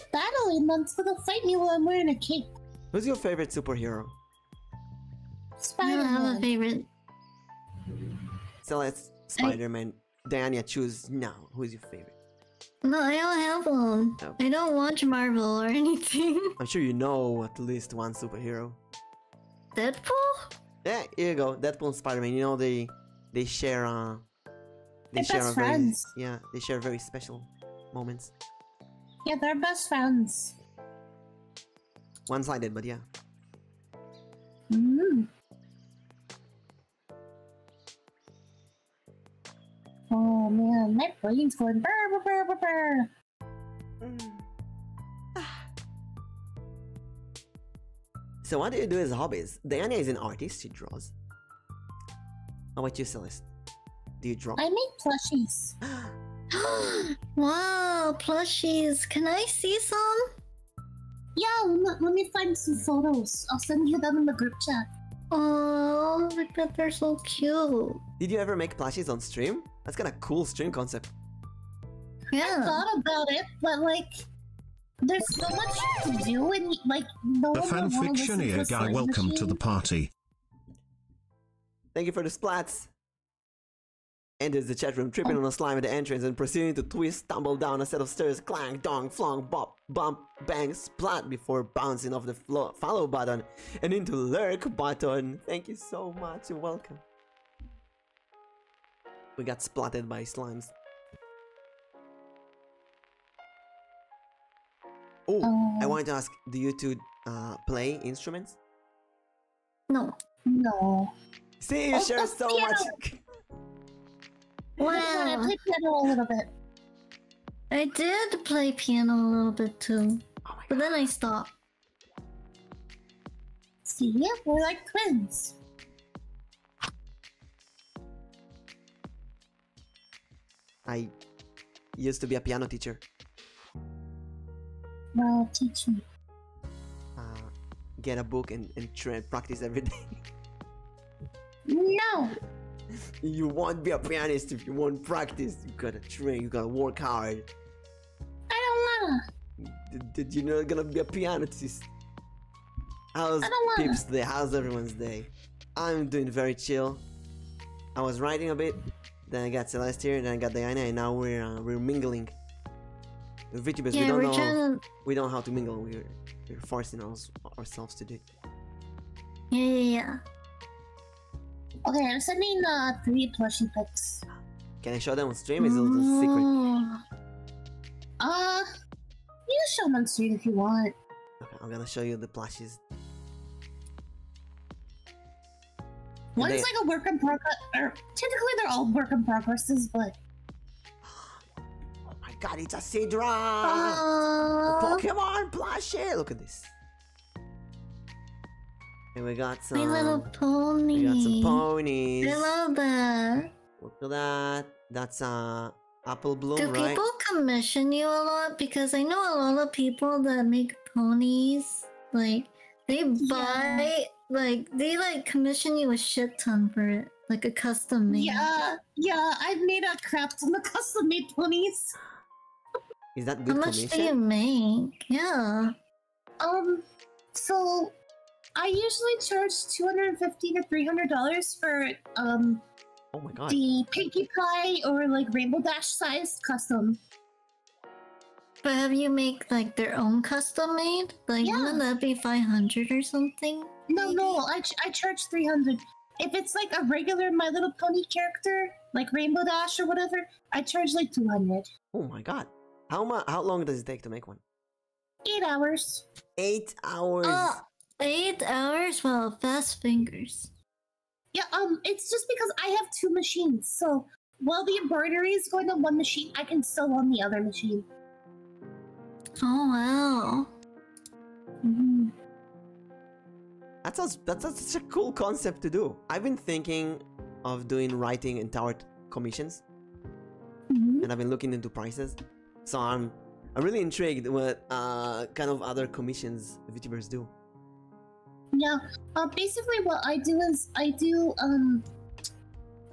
good battle in them, so they'll fight me while I'm wearing a cape. Who's your favorite superhero? Spider Man. I don't have a favorite. So let's Spider Man. I... Diana, choose now. Who's your favorite? No, I don't have one. I don't watch Marvel or [LAUGHS] anything. I'm sure you know at least one superhero. Deadpool? Yeah, here you go. Deadpool and Spider-Man. You know they they share uh they share Very, yeah, they share very special moments. Yeah, they're best friends. One-sided, but yeah. Mm. Oh man, my brain's going [SIGHS] so what do you do as hobbies? Diana is an artist, she draws. How about you, Celeste? Do you draw? I make plushies. [GASPS] [GASPS] wow, plushies. Can I see some? Yeah, let me, find some photos. I'll send you them in the group chat. Oh, I bet they're so cute. Did you ever make plushies on stream? That's kind of cool stream concept. Yeah. I thought about it, but like, there's so much to do, and like, no the fanfictioneer guy, welcome to the party. Thank you for the splats. Enters the chat room, tripping on a slime at the entrance and proceeding to twist, tumble down a set of stairs, clang, dong, flong, bop, bump, bang, splat before bouncing off the follow button and into lurk button. Thank you so much. You're welcome. We got splatted by slimes. Oh, I um, wanted to ask, do you two uh, play instruments? No, no. See, you oh, share so much. [LAUGHS] wow, I played piano a little bit. I did play piano a little bit too, oh but then I stopped. See, yeah, we're like twins. I used to be a piano teacher. Well, teach me. Ah, get a book and, and try practice every day. No! [LAUGHS] You won't be a pianist if you won't practice. You gotta train, you gotta work hard. I don't want Did, you know gonna be a pianist? I How's Pip's the house every Wednesday. I'm doing very chill. I was writing a bit. Then I got Celestia, then I got Diana, and now we're uh, we're mingling. With VTubers, we don't know we don't know how to mingle. We're forcing ourselves to do. Yeah, yeah, yeah. Okay, I'm sending the three plushie pics. Can I show them on stream? It's a little mm. secret. Uh, you show them on stream if you want. Okay, I'm gonna show you the plushies. One's like a work in progress, Typically, they're all work in progresses, but. Oh [GASPS] my god, it's a Sidra! Uh... Pokemon plushie! Look at this. And we got some. little ponies. We got some ponies. I love that. Look at that. That's a uh, apple bloom, Do people commission you a lot? Because I know a lot of people that make ponies. Like they buy yeah. like they like commission you a shit ton for it. Like a custom made. Yeah, yeah, I've made a crap ton of custom made ponies. Is that good How much commission? do you make? Yeah. Um so I usually charge 250 to 300 dollars for um oh my God. the Pinkie Pie or like Rainbow Dash sized custom. But have you make like their own custom made? Like, yeah. wouldn't that be 500 or something? No, no, I, I charge 300. If it's like a regular My Little Pony character, like Rainbow Dash or whatever, I charge like 200. Oh my god. How much? How long does it take to make one? Eight hours. Eight hours. Oh, eight hours? Well, fast fingers. Yeah, um, it's just because I have two machines, so while the embroidery is going on one machine, I can sew on the other machine. Oh wow. hmm That's a that's such a cool concept to do. I've been thinking of doing writing and tarot commissions, mm-hmm. and I've been looking into prices. So I'm I'm really intrigued with uh, kind of other commissions VTubers do. Yeah. Uh, basically, what I do is I do. Um,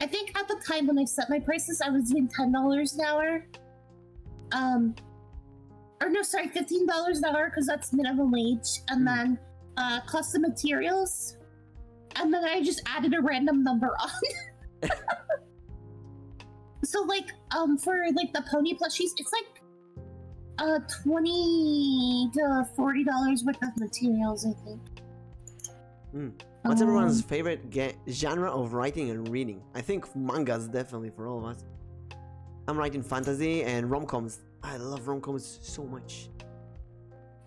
I think at the time when I set my prices, I was doing ten dollars an hour. Um, or no, sorry, fifteen dollars an hour because that's minimum wage, and hmm. then uh, cost of materials, and then I just added a random number [LAUGHS] on. [LAUGHS] so like um for like the pony plushies, it's like uh, twenty to forty dollars worth of materials, I think. Hmm. What's um, everyone's favorite genre of writing and reading? I think manga is definitely for all of us. I'm writing fantasy and rom-coms. I love rom-coms so much.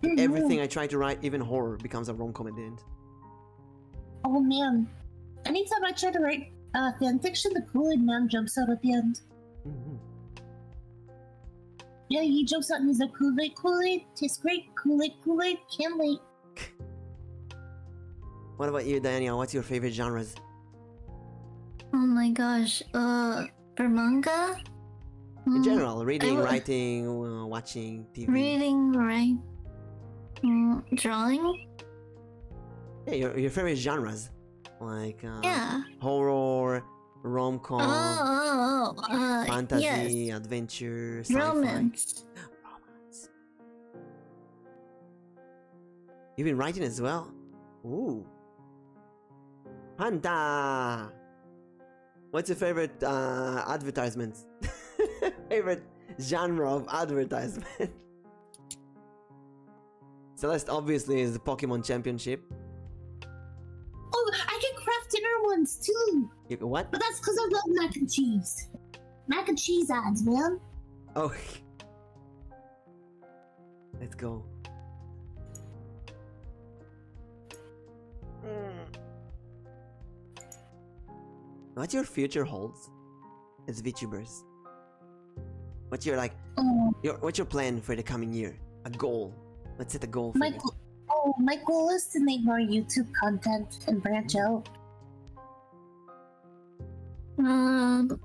Mm-hmm. Everything I try to write, even horror, becomes a rom-com at the end. Oh man. Anytime I try to write uh, fanfiction, the cool aid Man jumps out at the end. Yeah, he jumps out and he's cool, Kool Aid, Kool Aid, tastes great, cool, Aid, cool, Aid, can't wait. what about you, Daniel? What's your favorite genres? Oh my gosh, uh, for manga? In hmm, general, reading, writing, uh, watching TV. Reading, writing, drawing? Yeah, your, your favorite genres like uh, yeah. horror, rom com, oh, oh, oh, uh, fantasy, adventure, romance. romance. You've been writing as well. Ooh, Panda. What's your favorite uh, advertisement? [LAUGHS] favorite genre of advertisement? [LAUGHS] Celeste obviously is the Pokemon Championship. Oh, I can craft dinner ones too. You, what? But that's because I love mac and cheese. Mac and cheese ads, man. Oh. Let's go. What your future holds as VTubers What's your like? Um, your what's your plan for the coming year? A goal. Let's set a goal for my Oh, my goal is to make more YouTube content and branch out. Um,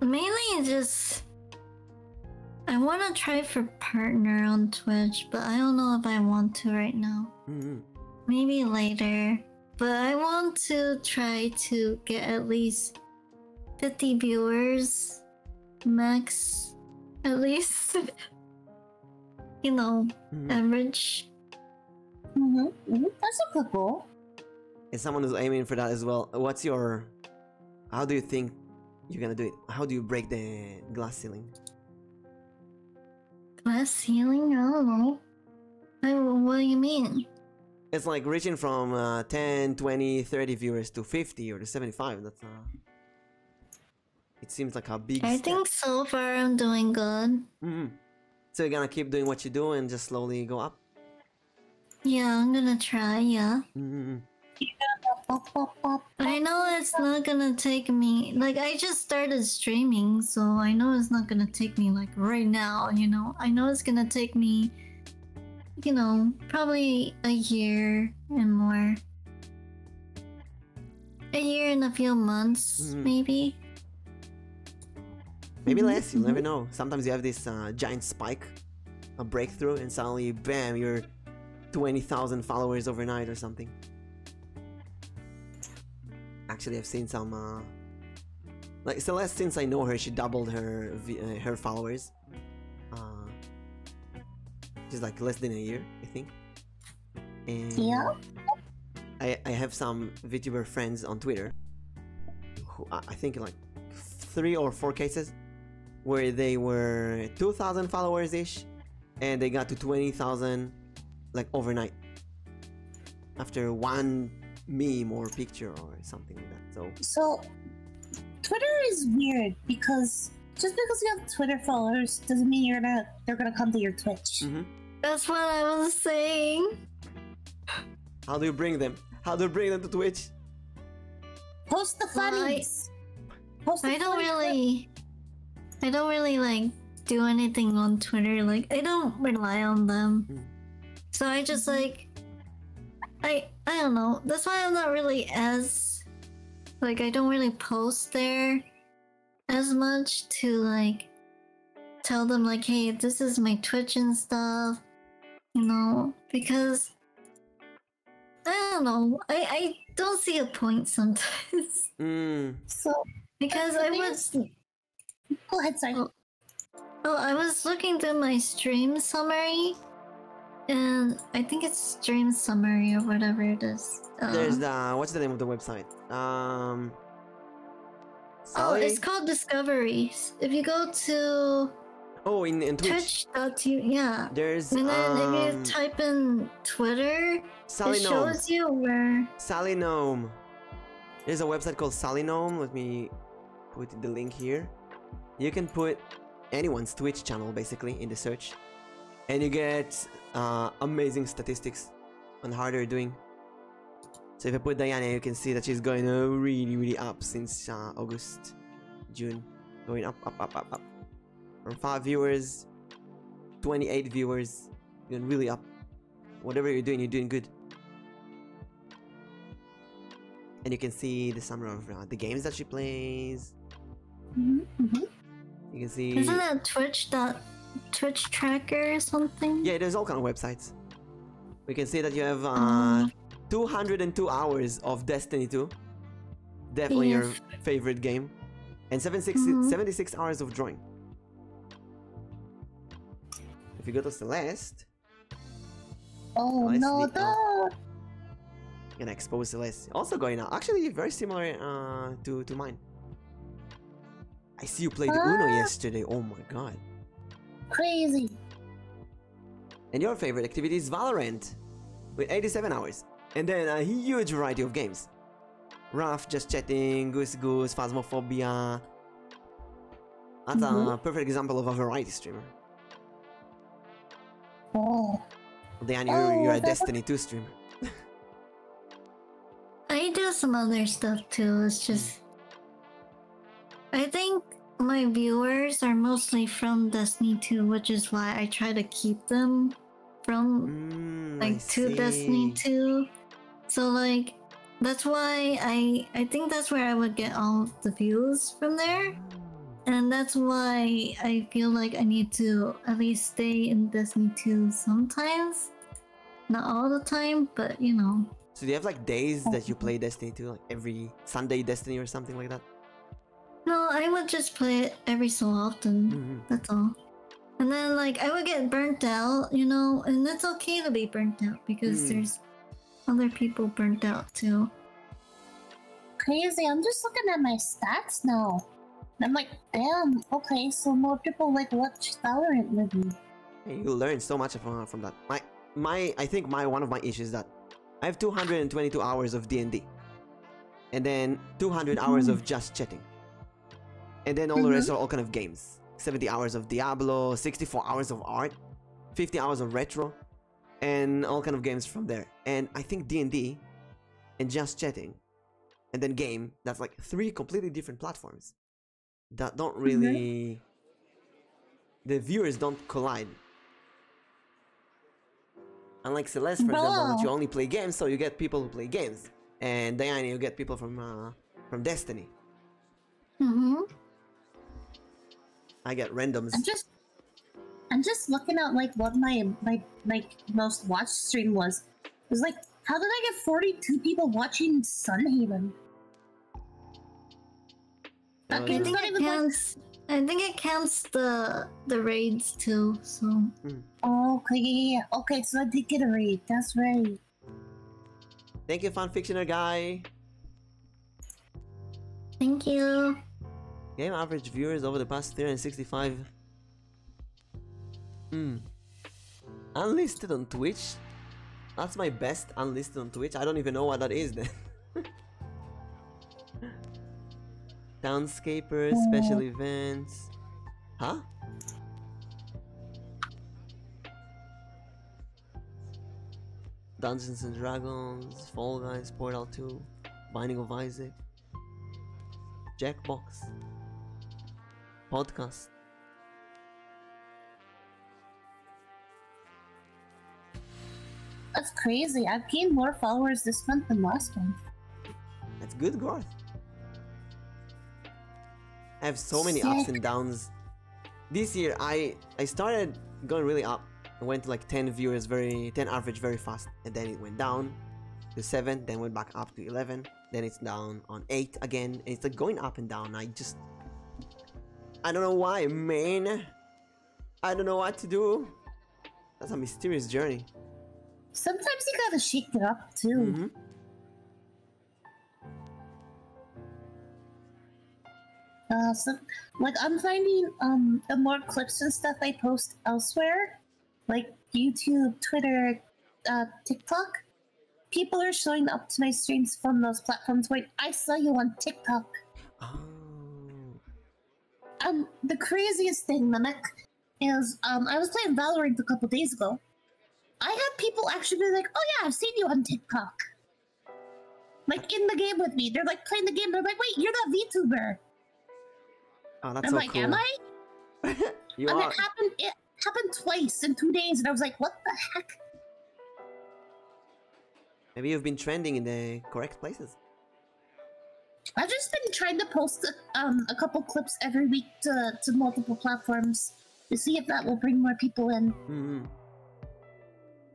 mainly just I want to try for partner on Twitch, but I don't know if I want to right now. Mm-hmm. Maybe later. But I want to try to get at least 50 viewers max at least [LAUGHS] you know hmm. average hmm that's a good goal and someone who's aiming for that as well what's your how do you think you're gonna do it how do you break the glass ceiling glass ceiling i don't know what do you mean it's like reaching from uh, 10, 20, 30 viewers to 50 or to 75. That's uh, It seems like a big. I think so far I'm doing good. Mm-hmm. So you're gonna keep doing what you do and just slowly go up. Yeah, I'm gonna try. Yeah. Mm-hmm. I know it's not gonna take me like I just started streaming, so I know it's not gonna take me like right now, you know. I know it's gonna take me you know, probably a year and more. A year and a few months, hmm. maybe. Maybe mm-hmm. less, you'll never know. Sometimes you have this uh, giant spike, a breakthrough, and suddenly, bam, you're 20,000 followers overnight or something. Actually, I've seen some. Uh, like Celeste, since I know her, she doubled her uh, her followers uh, just like less than a year, I think. And yeah. I, I have some VTuber friends on Twitter who I think like three or four cases where they were 2,000 followers ish and they got to 20,000 like overnight after one meme or picture or something like that. So, so Twitter is weird because just because you have Twitter followers doesn't mean you're gonna they're gonna come to your Twitch. Mm-hmm. That's what I was saying. How do you bring them? How do you bring them to Twitch? Post the funnies. Well, I, I don't really. I don't really like do anything on Twitter. Like I don't rely on them. Hmm. So I just like I I don't know. That's why I'm not really as like I don't really post there as much to like tell them like hey this is my Twitch and stuff. You know, because I don't know. I, I don't see a point sometimes. [LAUGHS] Hmm. So because I was Go ahead, sorry. oh, oh I was looking through my stream summary and I think it's Stream Summary or whatever it is. Uh, There's uh-huh. the what's the name of the website? Um. Sally? Oh, it's called Discoveries. If you go to Oh, in, in Twitch. Twitch.tv, yeah. There's. And then um, if you um, type in Twitter, Salinome. it shows you where. Salinome. There's a website called Salinome. Let me put the link here. You can put anyone's Twitch channel basically in the search and you get uh, amazing statistics on how they're doing. So if I put Diana, you can see that she's going really, really up since uh, August, June, going up, up, up, up, up. From five viewers, 28 viewers, going really up. Whatever you're doing, you're doing good. And you can see the summary of uh, the games that she plays. Mm-hmm, mm-hmm. You can see. Isn't that Twitch dot Twitch tracker or something? Yeah, there's all kind of websites. We can see that you have uh, mm-hmm. 202 hours of Destiny 2. Definitely your favorite game. And 76 hours of drawing. If you go to Celeste, Oh now no, the... Gonna expose the list. Also going out. Actually, very similar uh, to, to mine. I see you played ah. Uno yesterday. Oh my god. Crazy. And your favorite activity is Valorant with 87 hours. And then a huge variety of games. Raf, Just Chatting, Goose Goose, Phasmophobia. That's a mm-hmm. perfect example of a variety streamer. Oh. Well, oh, you're, a Destiny 2 streamer. I do some other stuff too. It's just. I think my viewers are mostly from Destiny 2, which is why I try to keep them from mm, like to Destiny 2. So like that's why I I think that's where I would get all the views from there. And that's why I feel like I need to at least stay in Destiny 2 sometimes. Not all the time, but you know. So you have like days that you play [LAUGHS] Destiny 2? Like every Sunday Destiny or something like that? No, I would just play it every so often. Mm-hmm. That's all. And then like I would get burnt out, you know, and it's okay to be burnt out because mm. there's other people burnt out too. Crazy, I'm just looking at my stats now. I'm like, damn, okay, so more people like watch Valorant with me. You learn so much from, from that. My, my, I think my one of my issues is that I have 222 hours of D&D. And then 200 mm-hmm. hours of just chatting. And then all the rest mm-hmm. are all kind of games. 70 hours of Diablo, 64 hours of art, 50 hours of retro and all kind of games from there. And I think D&D and just chatting and then game, that's like three completely different platforms that don't mm-hmm. really the viewers don't collide. Unlike Celeste, for example, that you only play games, so you get people who play games, and Diana, you get people from uh, from Destiny. Mm-hmm. I get randoms. I'm just looking at like what my my like most watched stream was. It was like, how did I get 42 people watching Sun Uh, I think it counts. I think it counts the the raids too. So. Oh, okay, Okay, so I did get a raid. That's right. Thank you, fanfictioner guy. Thank you. Game average viewers over the past 365. Hmm. Unlisted on Twitch? That's my best unlisted on Twitch. I don't even know what that is then. Townscapers, [LAUGHS] special events. Huh? Dungeons and Dragons, Fall Guys, Portal 2. Binding of Isaac, Jackbox, Podcast. That's crazy. I've gained more followers this month than last month. That's good growth. I have so many ups and downs. This year I I started going really up it went like 10 viewers very, 10 average very fast. And then it went down to 7, then went back up to 11. Then it's down on 8 again. it's like going up and down. I just, I don't know why, man. I don't know what to do. That's a mysterious journey. Sometimes you gotta shake it up too. Mm-hmm. Uh, like I'm finding um, the more clips and stuff I post elsewhere, like YouTube, Twitter, uh, TikTok, people are showing up to my streams from those platforms Like, I saw you on TikTok. Oh. Um, the craziest thing, Mimic, is um, I was playing Valorant a couple days ago. I had people actually be like, oh yeah, I've seen you on TikTok. Like in the game with me. They're like playing the game. They're like, wait, you're that VTuber. Oh, that's I'm like, am I? [LAUGHS] and It happened. It happened twice in two days, and I was like, what the heck? Maybe you've been trending in the correct places. I've just been trying to post a, um, a couple clips every week to, to multiple platforms to see if that will bring more people in.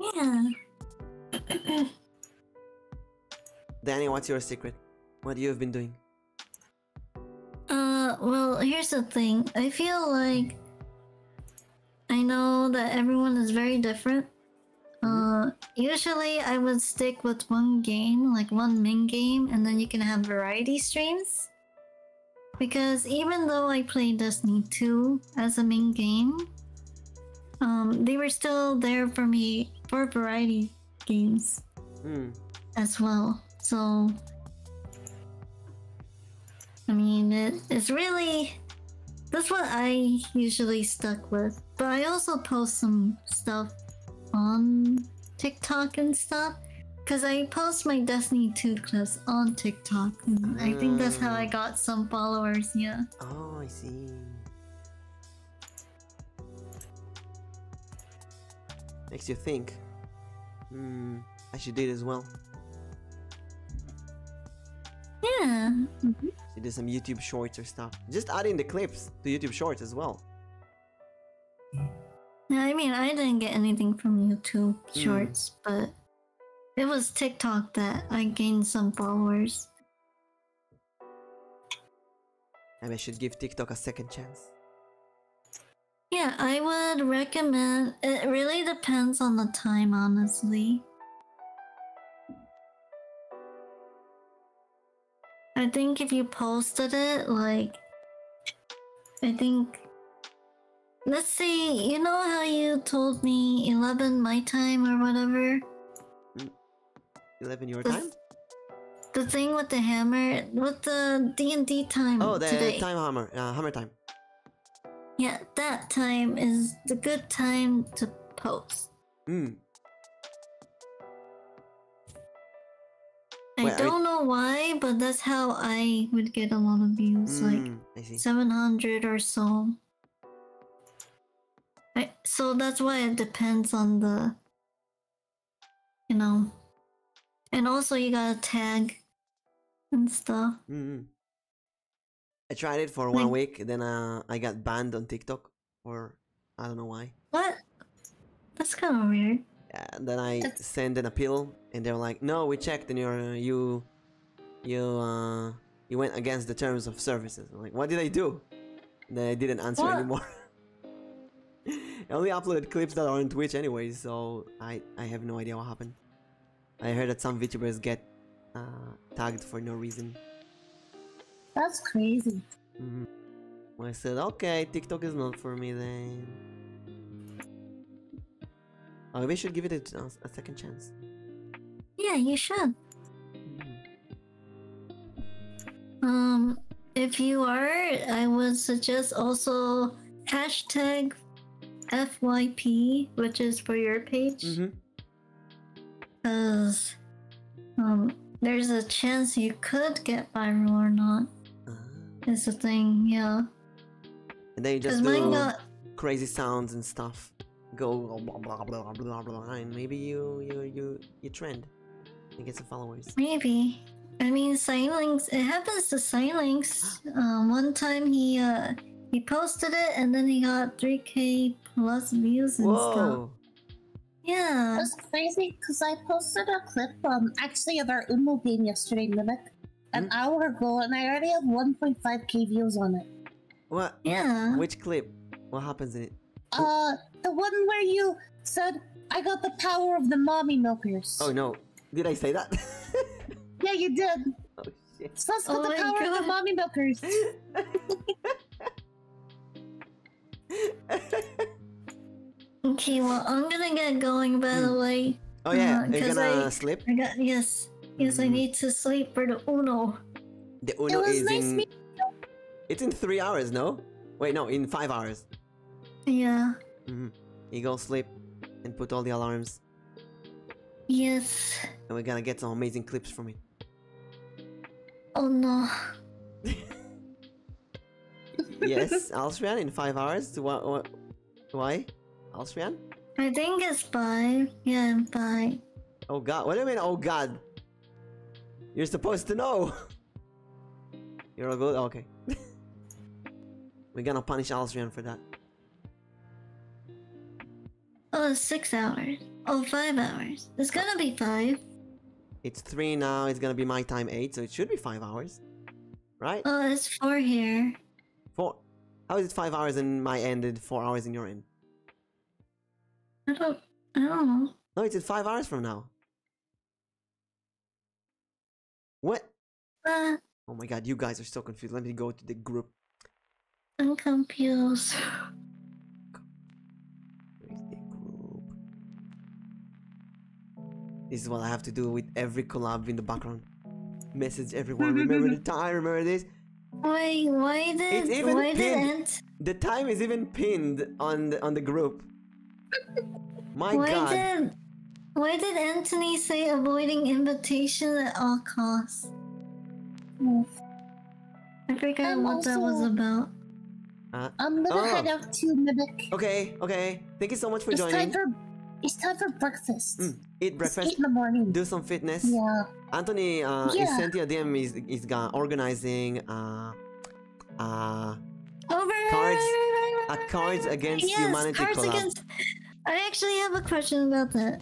Mm-hmm. Yeah. [CLEARS THROAT] Danny, what's your secret? What you have been doing? Uh, well, here's the thing. I feel like I know that everyone is very different. Mm-hmm. Uh, usually I would stick with one game, like one main game, and then you can have variety streams. Because even though I play Destiny 2 as a main game, um, they were still there for me for variety games hmm. as well. So, I mean, it, it's really that's what I usually stuck with. But I also post some stuff on TikTok and stuff. Cause I post my Destiny 2 clips on TikTok. I think that's how I hmm. got some followers, yeah. Oh, I see. Makes you think. Hmm, I should do it as well. Yeah. Mm -hmm. some YouTube shorts or stuff. Just adding the clips to YouTube shorts as well. Yeah, I mean, I didn't get anything from YouTube hmm. shorts, but it was TikTok that I gained some followers. And I should give TikTok a second chance. Yeah, I would recommend. It really depends on the time, honestly. I think if you posted it, like, I think. Let's see, you know how you told me 11 my time or whatever? Mm. Eleven your time. The thing with the hammer, with the D and D time. Oh, the time hammer, uh, hammer time. Yeah, that time is the good time to post. Hmm. I don't know why, but that's how I would get a lot of views, hmm, like 700 or so. Right. So that's why it depends on the, you know, and also you gotta tag and stuff. Mm-hmm. I tried it for one week, then uh, I got banned on TikTok, or I don't know why. What? That's kind of weird. Yeah, then I that's... send an appeal, and they're like, "No, we checked, and you're you, you, uh, you went against the terms of services." like, "What did I do?" Then I didn't answer anymore. [LAUGHS] I only uploaded clips that are on Twitch anyway, so I, I have no idea what happened. I heard that some VTubers get uh, tagged for no reason. That's crazy. Mm-hmm. I said, okay, TikTok is not for me then. Oh, we should give it a, second chance. Yeah, you should. Mm-hmm. Um, if you are, I would suggest also hashtag FYP, which is for your page. Because mm-hmm. um, there's a chance you could get viral or not. Uh-huh. It's a thing, yeah. And then you just do crazy sounds and stuff. Go blah blah blah blah blah, and maybe you you you you trend and get some followers. Maybe. I mean, Silinx. It happens to Silinx. Um, one time he uh, he posted it and then he got 3k plus views and Whoa. stuff. Yeah. it's crazy because I posted a clip um actually of our Umu game yesterday, Mimic, an hmm? hour ago, and I already have 1.5k views on it. What? Yeah. Which clip? What happens it? Uh, the one where you said, I got the power of the mommy milkers. Oh no. Did I say that? [LAUGHS] yeah, you did. Oh shit. Sus got oh the power of the mommy milkers. [LAUGHS] okay, well, I'm gonna get going by the hmm. way. Oh yeah, uh, you're gonna I, sleep? I got, yes. Yes, I hmm. need to sleep for the Uno. The Uno is in... It's in three hours, no? Wait, no, in five hours. Yeah. Mm You go sleep and put all the alarms. Yes. And we're gonna get some amazing clips from it. Oh no. [LAUGHS] yes, Alstrian in five hours. Why? why? Alstrian? I think it's five. Yeah, bye. Oh god. What do you mean, oh god? You're supposed to know. [LAUGHS] You're all good? Oh, okay. [LAUGHS] We're gonna punish Alstrian for that. Oh, six hours. Oh, five hours. It's gonna be five. It's three now. It's gonna be my time eight, so it should be five hours. Right? Oh, it's four here. Four? How is it five hours in my end and four hours in your end? I don't. I don't know. No, it's in five hours from now. What? oh my god, you guys are still confused. Let me go to the group. I'm confused. Where's the group? This is what I have to do with every collab in the background. Message everyone. Remember the [LAUGHS] time. Remember this. Wait, why did? It's why did Ant the time is even pinned on the on the group. My why Did, why did Anthony say avoiding invitation at all costs? I forgot what that was about. Uh, I'm gonna oh. head out to Mimic. Okay, okay. Thank you so much for it's joining. Time for, it's time for breakfast. Mm, eat breakfast. in the morning. Do some fitness. Yeah. Anthony uh, is sent you a DM. He's, he's organizing. Uh, uh, Over. cards, a cards against yes, humanity cards collab. Against... I actually have a question about that.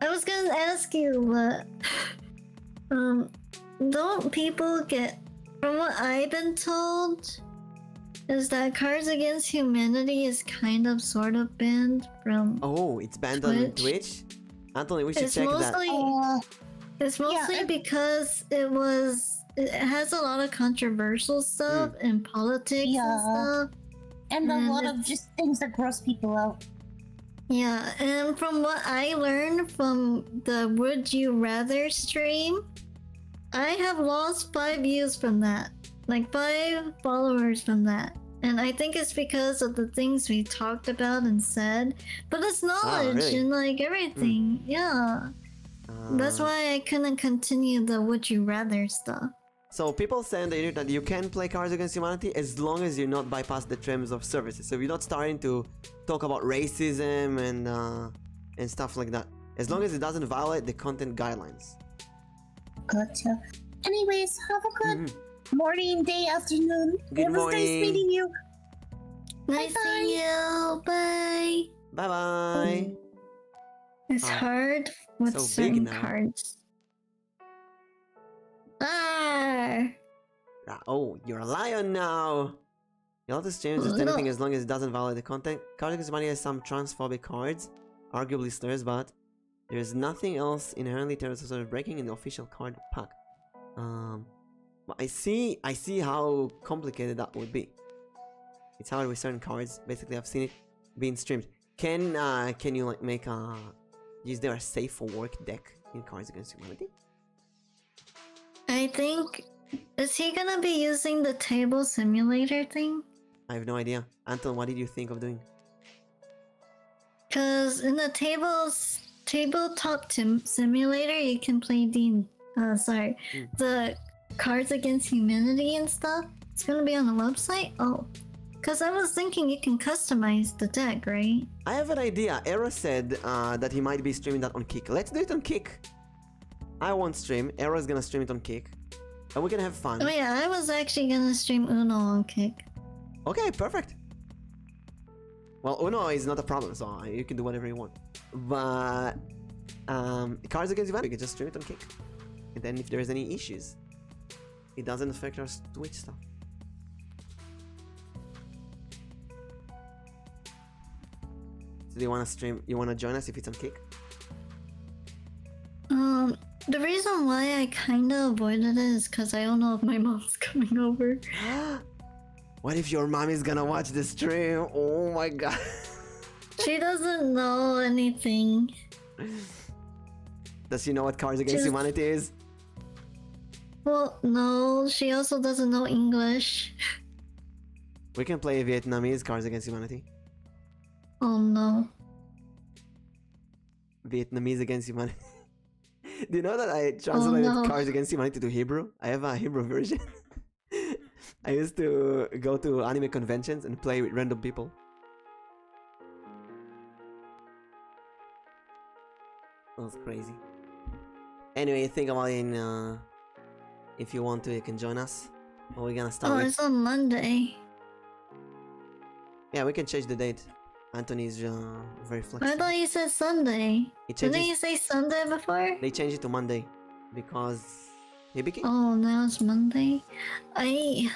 I was gonna ask you, but um, don't people get? From what I've been told, is that Cards Against Humanity is kind of sort of banned from. Oh, it's banned Twitch. on Twitch. Anthony, we should it's check mostly, that. Uh, it's mostly because it was it has a lot of controversial stuff mm. and politics and stuff. and a lot of just things that gross people out. Yeah, and from what I learned from the Would You Rather stream, I have lost five views from that. Like five followers from that. And I think it's because of the things we talked about and said but it's ah, knowledge and like everything. Hmm. Yeah. That's ah. why I couldn't continue the would you rather stuff. So people say that you can play Cards Against Humanity as long as you are not bypass the terms of services. So you're not starting to talk about racism and uh, and stuff like that. As long as it doesn't violate the content guidelines. Gotcha. Anyways, have a good mm-hmm. morning, day, afternoon. Good it was morning. nice meeting you. Nice bye seeing you. Bye. Bye bye. It's hard with certain cards. Ah. Oh, you're a liar now. You'll just change is oh, anything as long as it doesn't violate the content. Cardigan's money has some transphobic cards, arguably slurs, but there is nothing else inherently terrorist breaking in the official card pack. Um, I see, I see how complicated that would be. It's hard with certain cards. Basically, I've seen it being streamed. Can uh, can you like make a is there a safe for work deck in Cards Against Humanity? I think is he gonna be using the table simulator thing? I have no idea. Anton, what did you think of doing? Cause in the tables tabletop sim- simulator you can play the uh, sorry hmm. the cards against humanity and stuff it's gonna be on the website oh because i was thinking you can customize the deck right i have an idea era said uh, that he might be streaming that on kick let's do it on kick i won't stream era's gonna stream it on kick and we're gonna have fun oh yeah i was actually gonna stream uno on kick okay perfect well, Uno oh, is not a problem, so you can do whatever you want. But um, Cards Against you, you can just stream it on Kick. And then if there's any issues, it doesn't affect our Twitch stuff. So do you wanna stream you wanna join us if it's on Kick? Um the reason why I kinda avoided it is because I don't know if my [LAUGHS] mom's coming over. [GASPS] [LAUGHS] What if your mommy's gonna watch the stream? Oh my god. she doesn't know anything. Does she know what Cards Against Humanity is? Well, no, she also doesn't know English. We can play Vietnamese Cards Against Humanity. Oh no. Vietnamese Against Humanity. [LAUGHS] Do you know that I oh, translated Cards Against Humanity to Hebrew? I have a Hebrew version. [LAUGHS] I used to go to anime conventions and play with random people. That was crazy. Anyway, think about it. Uh, if you want to, you can join us. What are we gonna start? Oh, it's on Monday. Yeah, we can change the date. Anthony's uh, very flexible. I thought you said Sunday. Didn't you say Sunday before? They changed it to Monday because he became. Oh, now it's Monday. I.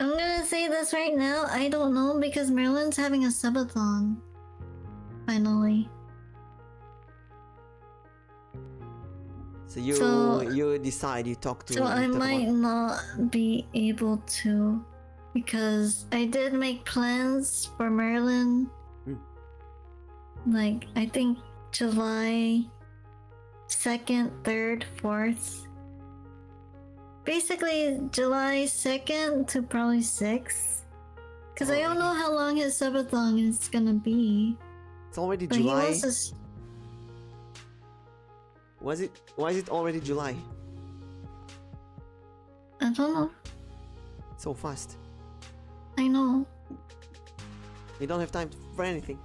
I'm gonna say this right now. I don't know because Marilyn's having a subathon. Finally. So you you decide. You talk to. So I might not be able to. Because I did make plans for Merlin. Hmm. Like, I think July 2nd, 3rd, 4th. Basically, July 2nd to probably 6th. Because I don't know how long his subathon is gonna be. It's already July. was it? Why is it already July? I don't know. So fast. I know. We don't have time for anything.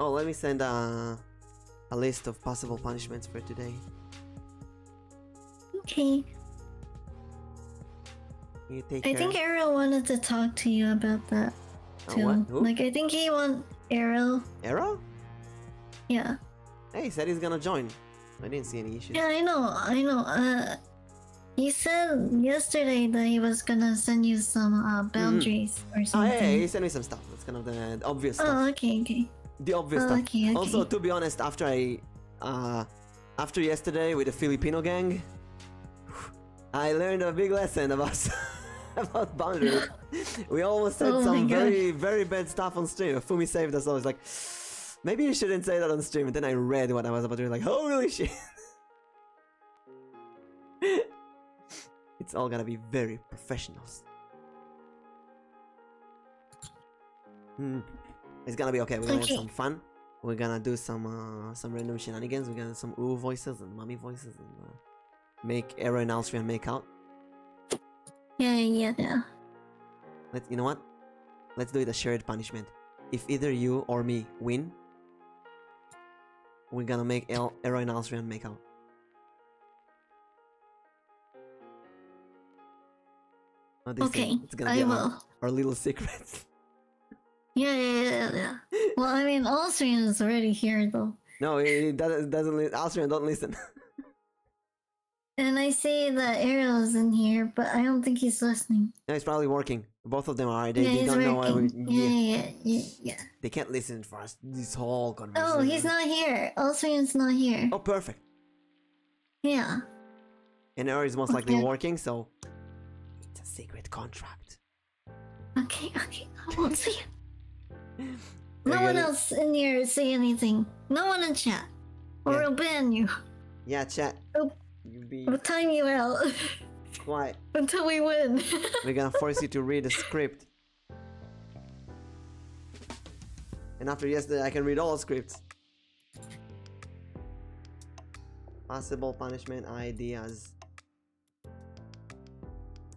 oh, let me send a, a list of possible punishments for today. Okay. I think Arrow wanted to talk to you about that. Uh, too. like I think he want Arrow. Arrow? Yeah. Hey, he said he's gonna join. I didn't see any issues. Yeah, I know, I know. Uh, he said yesterday that he was gonna send you some uh, mm-hmm. boundaries or oh, something. Oh, yeah, he sent me some stuff. That's kind of the obvious oh, stuff. Oh, okay, okay. The obvious stuff. Okay, okay. Also, to be honest, after I, uh, after yesterday with the Filipino gang, [SIGHS] I learned a big lesson about [LAUGHS] about boundaries. [LAUGHS] we almost said oh some very, very bad stuff on stream. Fumi saved us all. was like, maybe you shouldn't say that on stream. And then I read what I was about to do. Like, holy shit. [LAUGHS] it's all gonna be very professional. Hmm. It's gonna be okay. We're gonna have some fun. We're gonna do some uh, some random shenanigans. We're gonna do some ooh voices and mummy voices and uh, make Aaron and Alstrian make out. Yeah, yeah, yeah. Let's, you know what? Let's do it a shared punishment. If either you or me win, we're gonna make El Ero and Alstrian make out. okay, I will. Our, little secrets. [LAUGHS] Yeah, yeah, yeah, [LAUGHS] well, I mean, Austrian is already here, though. No, it, doesn't. doesn't Alstrian, don't listen. [LAUGHS] And I see that Ariel's in here, but I don't think he's listening. No, he's probably working. Both of them are. yeah, they working. Yeah. Yeah, yeah, They can't listen for us. This whole Oh, he's not here. All Ulstrian's not here. Oh, perfect. Yeah. And Ariel's most likely working, so it's a secret contract. Okay, okay. I won't see. [LAUGHS] no one else in here say anything. No one in chat. Or yeah. we'll ban you. Yeah, chat. Oh, will You'll be... we time you out. Why? [LAUGHS] Until we win. [LAUGHS] We're gonna force you to read the script. And after yesterday, I can read all scripts. Possible punishment ideas.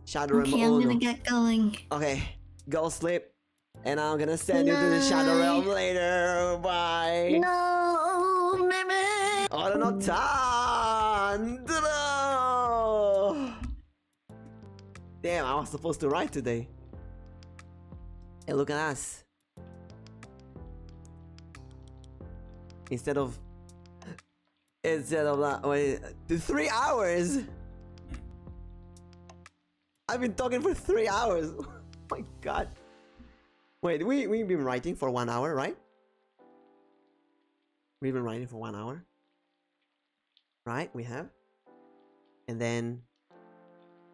Shadow okay, I'm gonna get going. Okay, go sleep. And I'm gonna send you to the Shadow Realm later. Bye. No, don't no tanto. Damn, I was supposed to write today. And look at us. Instead of instead of that, wait, three hours. I've been talking for three hours. [LAUGHS] Oh my god. Wait, we, we've been writing for one hour, right? We've been writing for one hour. Right, we have. And then...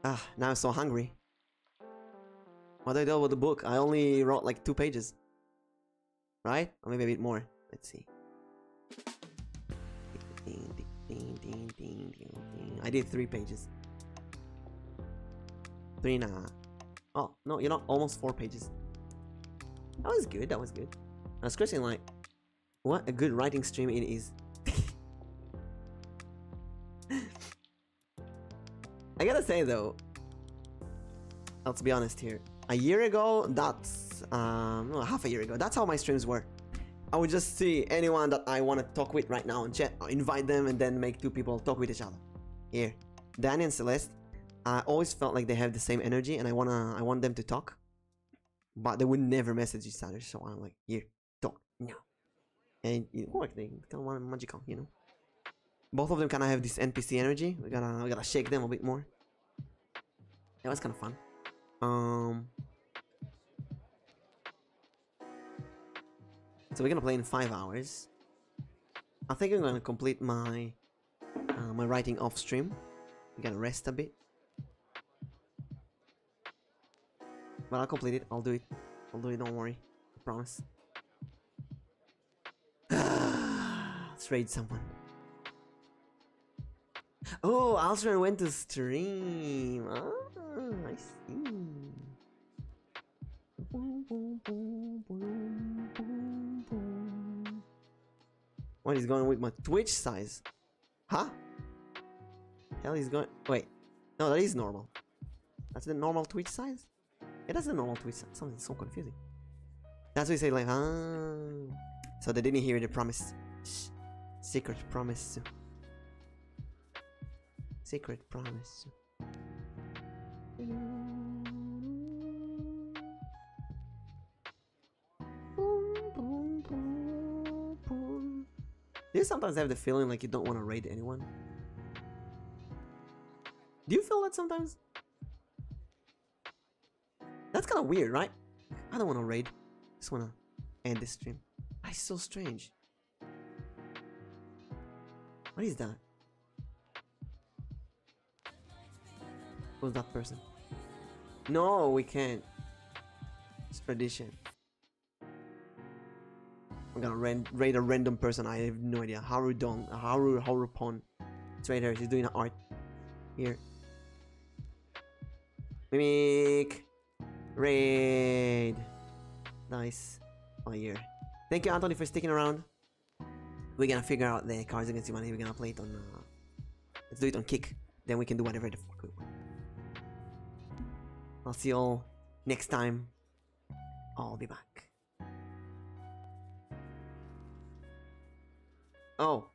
Ah, now I'm so hungry. What did I do with the book? I only wrote like two pages. Right? Or maybe a bit more. Let's see. Ding, ding, ding, ding, ding, I did three pages. Three and a half. Oh, no, you're not. Almost four pages. That was good. That was good. I was questioning, like, what a good writing stream it is. [LAUGHS] I gotta say, though, let's be honest here. A year ago, that's, um, half a year ago, that's how my streams were. I would just see anyone that I want to talk with right now and chat, invite them and then make two people talk with each other. Here, Danny and Celeste, I always felt like they have the same energy and I wanna, I want them to talk. But they would never message each other, so I'm like, here, talk now. And it worked, they kind of want magical, you know. Both of them kind of have this NPC energy, we gotta, we gotta shake them a bit more. That was kind of fun. Um, so we're gonna play in five hours. I think I'm gonna complete my uh, my writing off stream. I'm gonna rest a bit. But I'll complete it. I'll do it. I'll do it. Don't worry. I promise. [SIGHS] Let's raid someone. Oh, Alstron went to stream. Ah, I see. What is going with my Twitch size? Huh? Hell is going- wait. No, that is normal. That's the normal Twitch size? It It is the normal Twitch Something so confusing. That's what you say like, huh? Ah. So they didn't hear the promise. Secret promise. Secret promise. Do you sometimes have the feeling like you don't want to raid anyone? Do you feel that sometimes? That's kind of weird, right? I don't want to raid. Just want to end this stream. That's so strange. What is that? Who's that person? No, we can't. It's tradition. We're gonna ran raid a random person. I have no idea. Haru Dong, Haru Harupon. It's right here. She's doing art. Here. Mimic. Raid. Nice. Oh, yeah. Thank you, Anthony, for sticking around. We're gonna figure out the Cards Against Humanity. We're gonna play it on... Uh, let's do it on kick. Then we can do whatever the fuck we want. I'll see y'all next time. I'll be back. Oh.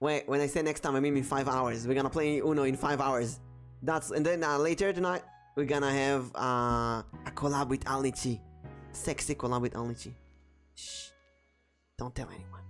Wait, when I say next time, I mean in 5 hours. We're gonna play Uno in 5 hours. That's and then uh, later tonight we're gonna have uh, a collab with Alnichi. Sexy collab with Alnichi. Shh. Don't tell anyone.